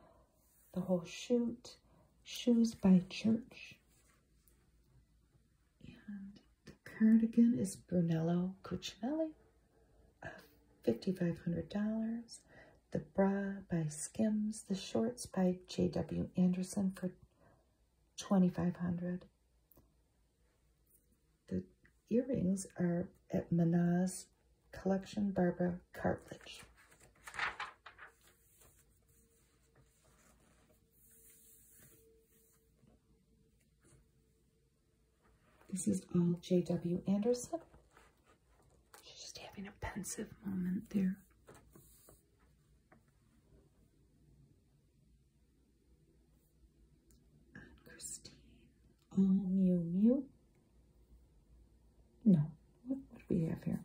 The whole shoot. Shoes by Church. And the cardigan is Brunello Cucinelli, uh, $5,500. The bra by Skims. The shorts by J.W. Anderson for $2,500. The earrings are at Manaz Collection Barbara Cartledge. This is all J.W. Anderson. She's just having a pensive moment there. And Christine. All Mew Mew. No. what do we have here?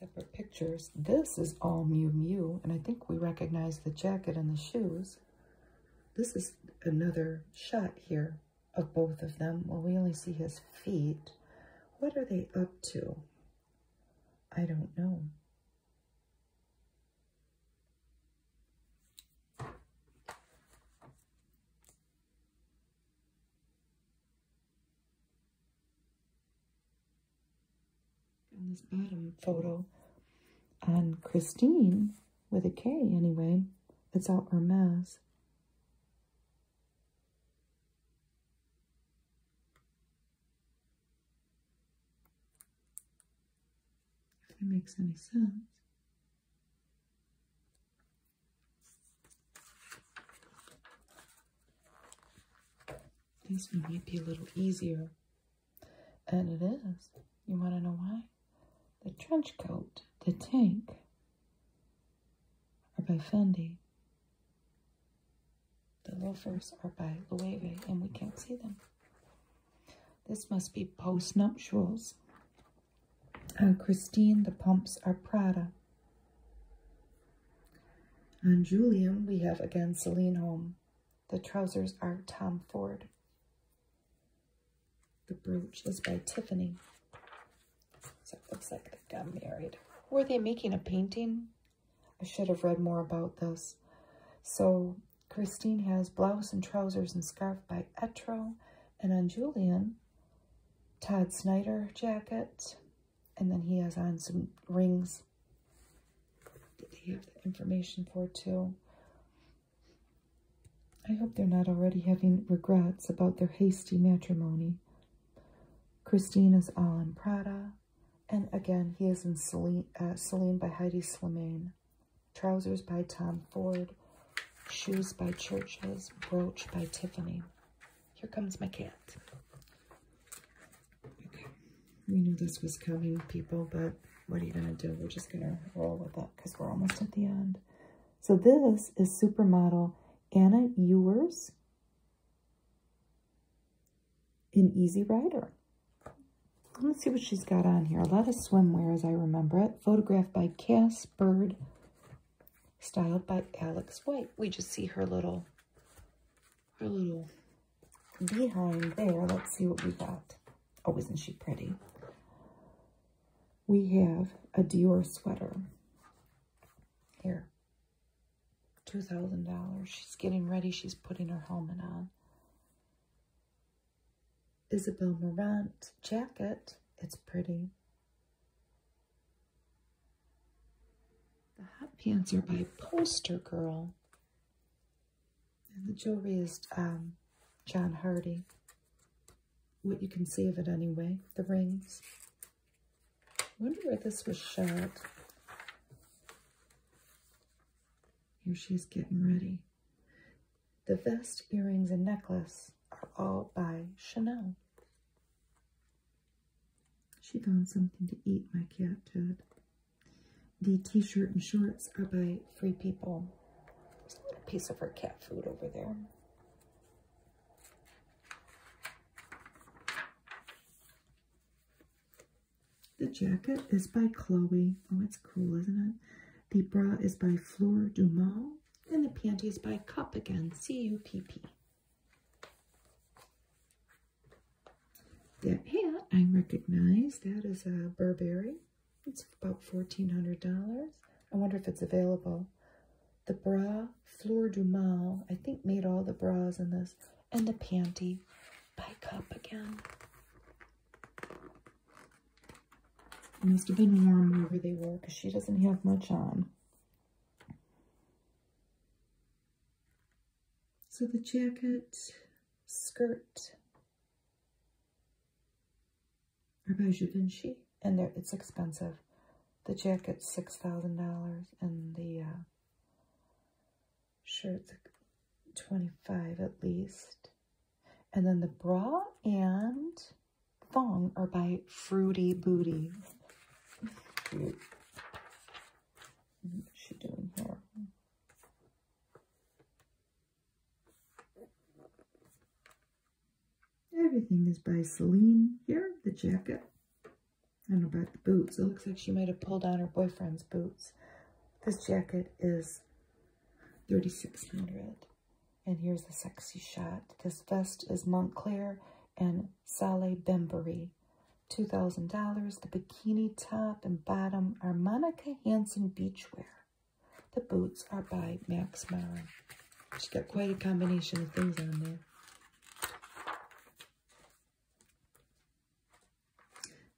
Separate pictures. This is all Mew Mew, and I think we recognize the jacket and the shoes. This is another shot here of both of them. Well, we only see his feet. What are they up to? I don't know. On this bottom photo on Christine, with a K anyway, it's all Hermes. If that makes any sense. This might be a little easier and it is. You want to know why? The trench coat, the tank, are by Fendi. The loafers are by Loewe, and we can't see them. This must be post-nuptials. On uh, Christine, the pumps are Prada. On Julian, we have again Celine Home. The trousers are Tom Ford. The brooch is by Tiffany. So it looks like they got married. Were they making a painting? I should have read more about this. So Christine has blouse and trousers and scarf by Etro. And on Julian, Todd Snyder jacket. And then he has on some rings the information for too. I hope they're not already having regrets about their hasty matrimony. Christina's is Alan Prada, and again, he is in Celine, uh, by Heidi Slimane, Trousers by Tom Ford, Shoes by Churches, Brooch by Tiffany. Here comes my cat. We knew this was coming, people, but what are you going to do? We're just going to roll with that because we're almost at the end. So this is supermodel Anna Ewers in Easy Rider. Let's see what she's got on here. A lot of swimwear as I remember it. Photographed by Cass Bird. Styled by Alex White. We just see her little, her little behind there, let's see what we got. Oh, isn't she pretty? We have a Dior sweater. Here. $2,000. She's getting ready. She's putting her helmet on. Isabel Marant jacket. It's pretty. The hat pants are by Poster Girl. And the jewelry is um, John Hardy. What you can see of it anyway, the rings. wonder where this was shot. Here she's getting ready. The vest, earrings, and necklace are all by Chanel. She found something to eat, my cat did. The t-shirt and shorts are by Free People. There's a piece of her cat food over there. The jacket is by Chloe. Oh, it's cool, isn't it? The bra is by Fleur Dumas. And the panties by Cup again, C-U-P-P. That hat I recognize. That is a uh, Burberry. It's about $1,400. I wonder if it's available. The bra, Fleur du Mal, I think made all the bras in this. And the panty by Cup again. It must have been warm wherever they were because she doesn't have much on. So the jacket, skirt, Hermes Givenchy, and it's expensive. The jacket's six thousand dollars, and the uh, shirt's twenty five at least. And then the bra and thong are by Fruity Booty. What's she doing here? Everything is by Celine here. The jacket. I don't know about the boots. It looks like she might have pulled on her boyfriend's boots. This jacket is 3600 And here's the sexy shot. This vest is Montclair and Salee Bembury. $2,000. The bikini top and bottom are Monica Hansen Beachwear. The boots are by Max Mara. She's got quite a combination of things on there.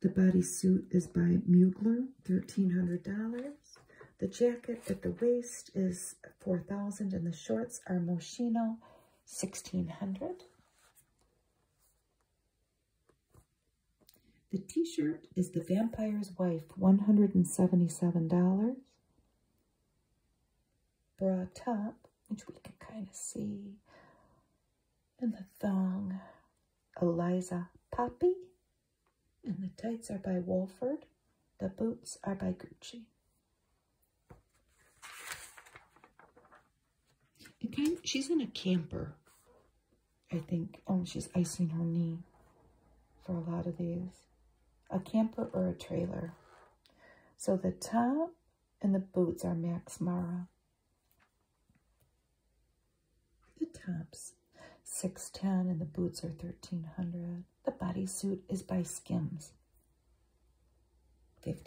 The bodysuit is by Mugler, $1,300. The jacket at the waist is 4000 and the shorts are Moschino, 1600 the t-shirt is The Vampire's Wife, $177. Bra top, which we can kind of see, and the thong, Eliza Poppy. And the tights are by Walford. The boots are by Gucci. It kind she's in a camper. I think um, she's icing her knee for a lot of these. A camper or a trailer. So the top and the boots are Max Mara. The tops 610 and the boots are 1300 The bodysuit is by Skims. $58.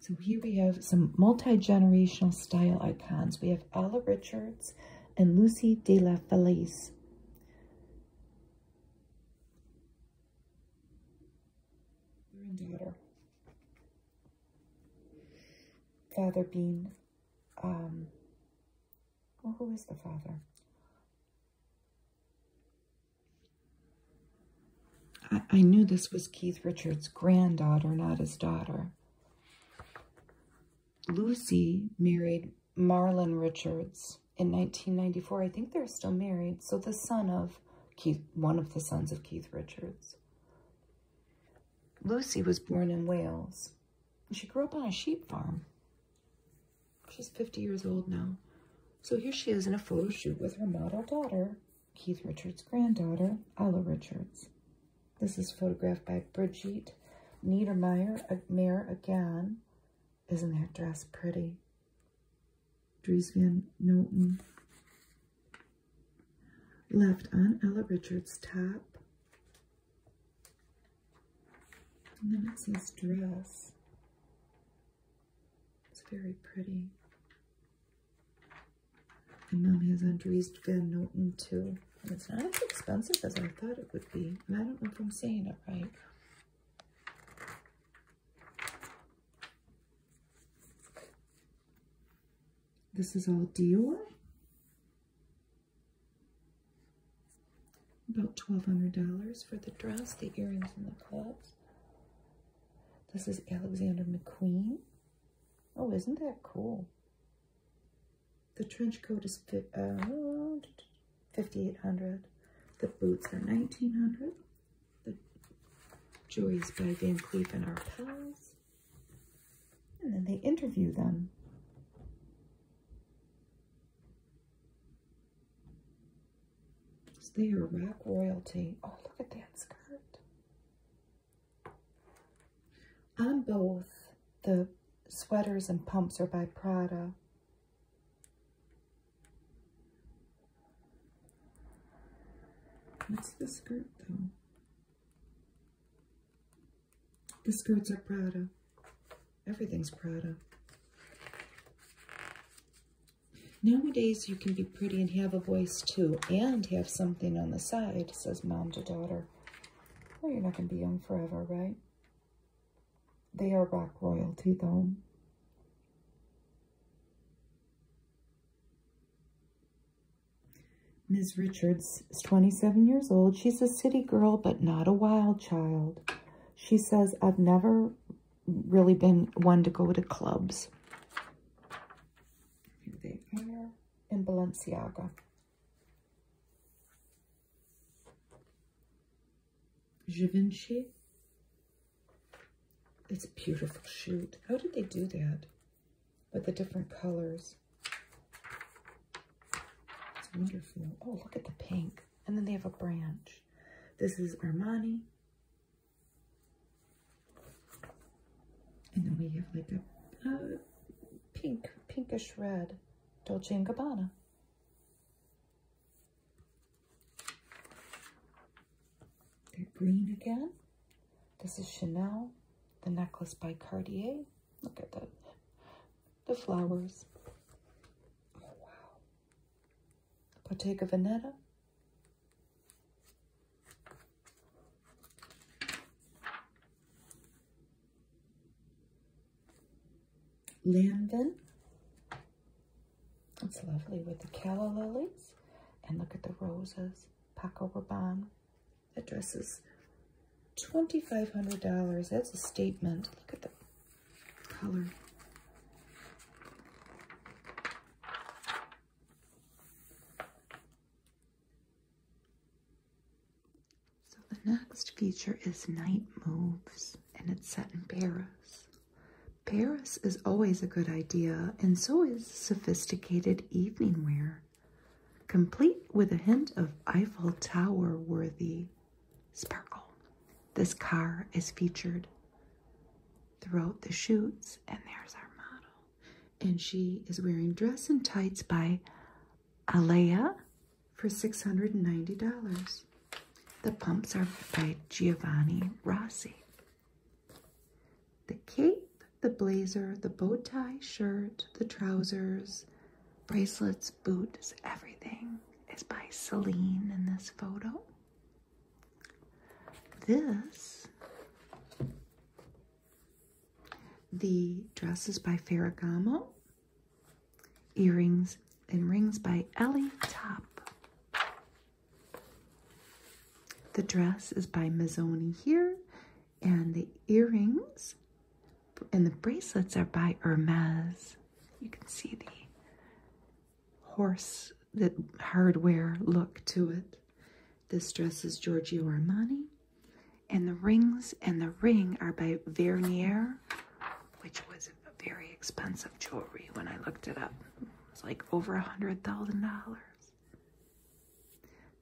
So here we have some multi-generational style icons. We have Ella Richards and Lucy de la Felice. Daughter. Father Bean. Um, well, who is the father? I, knew this was Keith Richards' granddaughter, not his daughter. Lucy married Marlon Richards in 1994. I think they're still married. So the son of Keith, one of the sons of Keith Richards. Lucy was born in Wales. She grew up on a sheep farm. She's 50 years old now. So here she is in a photo shoot with her model daughter, Keith Richards' granddaughter, Ella Richards. This is photographed by Brigitte Niedermeyer, Mayor again. Isn't that dress pretty? Dries Van Noten. Left on Ella Richards' top. And then it says dress. It's very pretty. And mom has Andries Van Noten too. It's not as expensive as I thought it would be. And I don't know if I'm saying it right. This is all Dior. About $1,200 for the dress, the earrings, and the gloves. This is Alexander McQueen. Oh, isn't that cool? The trench coat is fit, uh, 5800 The boots are 1900 The is by Van Cleef and Arpels. And then they interview them. So they are rack royalty. Oh, look at that
skirt.
I'm both, the sweaters and pumps are by Prada. What's the skirt, though? The skirts are Prada. Everything's Prada. Nowadays, you can be pretty and have a voice too, and have something on the side, says mom to daughter. Well, you're not going to be young forever, right? They are rock royalty, though. Ms. Richards is 27 years old. She's a city girl, but not a wild child. She says, I've never really been one to go to clubs. they are in Balenciaga. Givenchy. It's a beautiful shoot. How did they do that? With the different colors. It's wonderful. Oh, look at the pink. And then they have a branch. This is Armani. And then we have like a, pink, pinkish red Dolce & Gabbana. They're green again. This is Chanel, the necklace by Cartier. Look at that. The flowers. Oh, wow. Bottega Veneta, Linden. It's lovely with the calla lilies. And look at the roses. Paco Rabanne. That dress is $2,500. That's a statement. Look at the color. So the next feature is Night Moves, and it's set in Paris. Paris is always a good idea, and so is sophisticated evening wear, complete with a hint of Eiffel Tower worthy sparkle. This car is featured throughout the shoots, and there's our model. And she is wearing dress and tights by Alea for $690. The pumps are by Giovanni Rossi. The cape, the blazer, the bow tie shirt, the trousers, bracelets, boots, everything is by Celine in this photo. This, the dress is by Ferragamo, earrings and rings by Ellie Top. The dress is by Mazzoni here, and the earrings and the bracelets are by Hermes. You can see the horse that hardware look to it. This dress is Giorgio Armani. And the rings and the ring are by Vernier, which was very expensive jewelry when I looked it up. It was like over a hundred thousand dollars.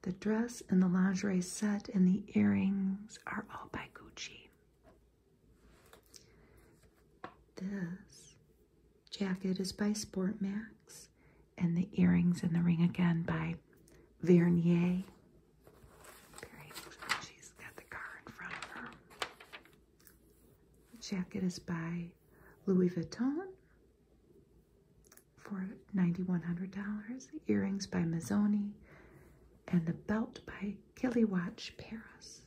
The dress and the lingerie set and the earrings are all by Gucci. This jacket is by Sport Max, and the earrings and the ring again by Vernier. she's got the car in front of her. jacket is by Louis Vuitton for $9,100. Earrings by Mazzoni, and the belt by Kiliwatch Paris.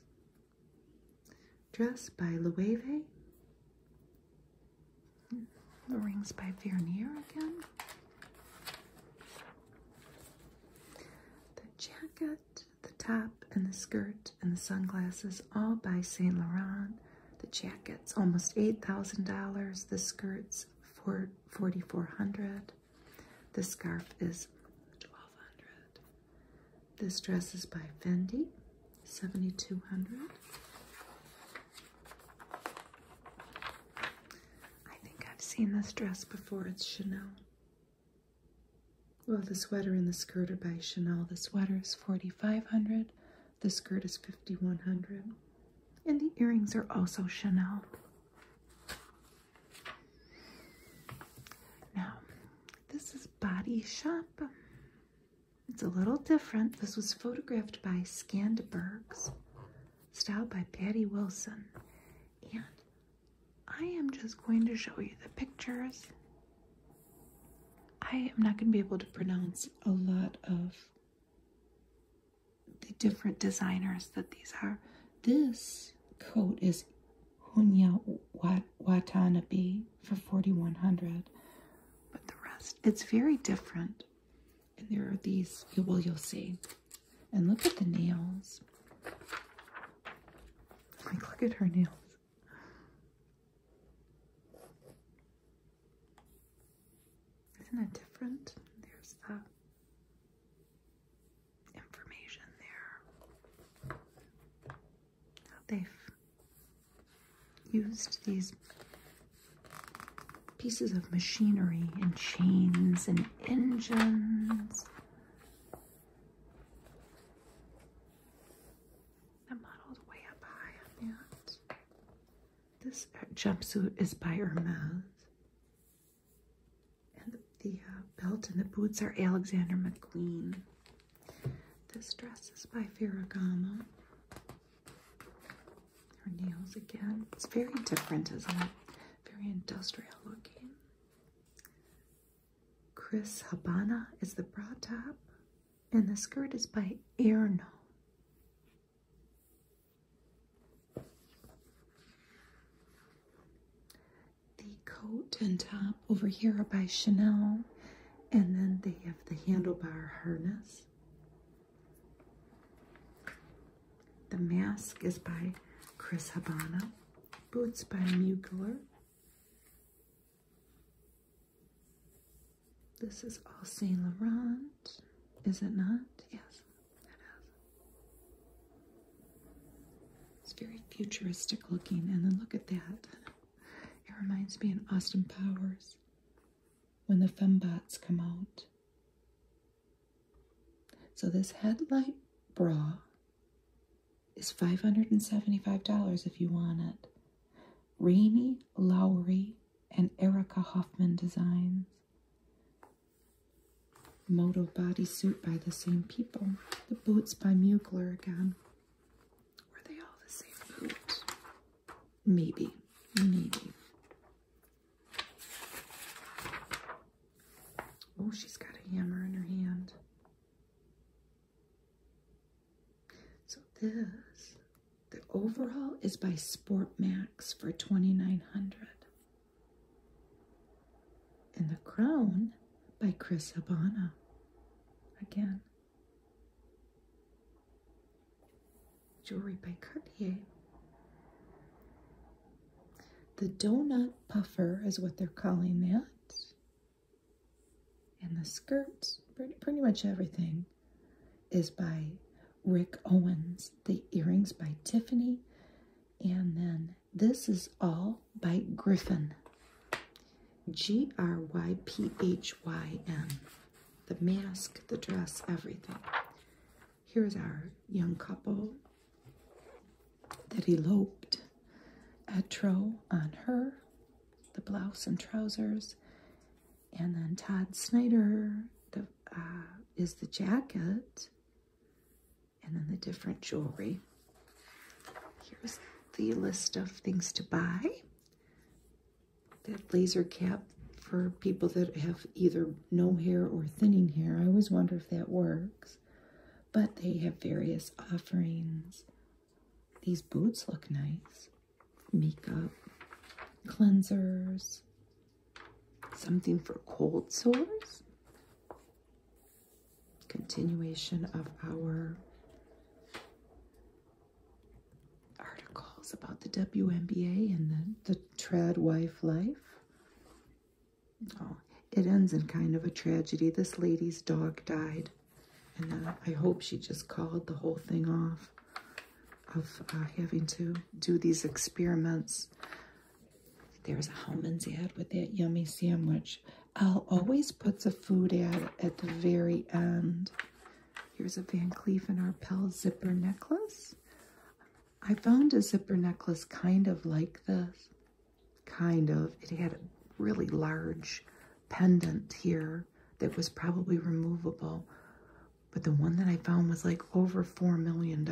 Dress by Loewe. The rings by Vernier again. The jacket, the top, and the skirt, and the sunglasses, all by Saint Laurent. The jackets, almost eight thousand dollars. The skirts, for forty-four hundred. The scarf is twelve hundred. This dress is by Fendi. 7200 I think I've seen this dress before. It's Chanel. Well, the sweater and the skirt are by Chanel. The sweater is 4500 The skirt is 5100 And the earrings are also Chanel. Now, this is Body Shop. It's a little different. This was photographed by Scandbergs, styled by Patty Wilson. And I am just going to show you the pictures. I am not going to be able to pronounce a lot of the different designers that these are. This coat is Hunya Watanabe for 4100 but the rest it's very different and there are these well you'll see and look at the nails like look at her nails isn't it different there's the information there how used these pieces of machinery and chains and engines. The model's way up high on that. This jumpsuit is by Hermes. And the, uh, belt and the boots are Alexander McQueen. This dress is by Ferragamo. Her nails again. It's very different, isn't it? Very industrial looking. Chris Habana is the bra top. And the skirt is by Erno. The coat and top over here are by Chanel. And then they have the handlebar harness. The mask is by Chris Habana. Boots by Mugler. This is all Saint Laurent, is it not? Yes, it is. It's very futuristic looking, and then look at that. It reminds me of Austin Powers when the fembots come out. So this headlight bra is $575 if you want it. Rainy Lowry and Erica Hoffman designs. Moto bodysuit by the same people. The boots by Mugler again. Were they all the same Maybe. Maybe. Oh, she's got a hammer in her hand. So this, the overall is by Sport Max for 2900 And the crown by Chris Habana. Again, Jewelry by Cartier. The donut puffer is what they're calling that. And the skirts, pretty, much everything, is by Rick Owens. The earrings by Tiffany. And then this is all by Griffin. G r y p h y m the mask, the dress, everything. Here's our young couple that eloped. A Etro on her, the blouse and trousers, and then Todd Snyder uh, is the jacket, and then the different jewelry. Here's the list of things to buy that laser cap for people that have either no hair or thinning hair. I always wonder if that works. But they have various offerings. These boots look nice. Makeup, cleansers, something for cold sores. Continuation of our articles about the WNBA and the, the trad wife life. Oh, it ends in kind of a tragedy. This lady's dog died. And uh, I hope she just called the whole thing off of uh, having to do these experiments. There's a Hellman's ad with that yummy sandwich. Al always puts a food ad at the very end. Here's a Van Cleef and Arpels zipper necklace. I found a zipper necklace kind of like this. Kind of. It had a really large pendant here that was probably removable. But the one that I found was like over $4 million.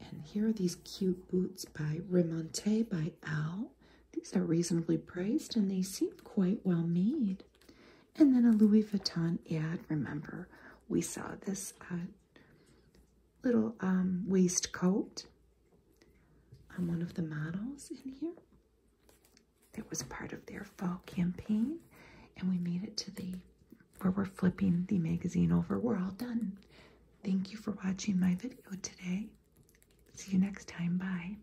And here are these cute boots by Remonte by Al. These are reasonably priced and they seem quite well made. And then a Louis Vuitton ad. Remember, we saw this uh, little um, waistcoat on one of the models in here. That was part of their fall campaign. And we made it to the where we're flipping the magazine over. We're all done. Thank you for watching my video today. See you next time. Bye.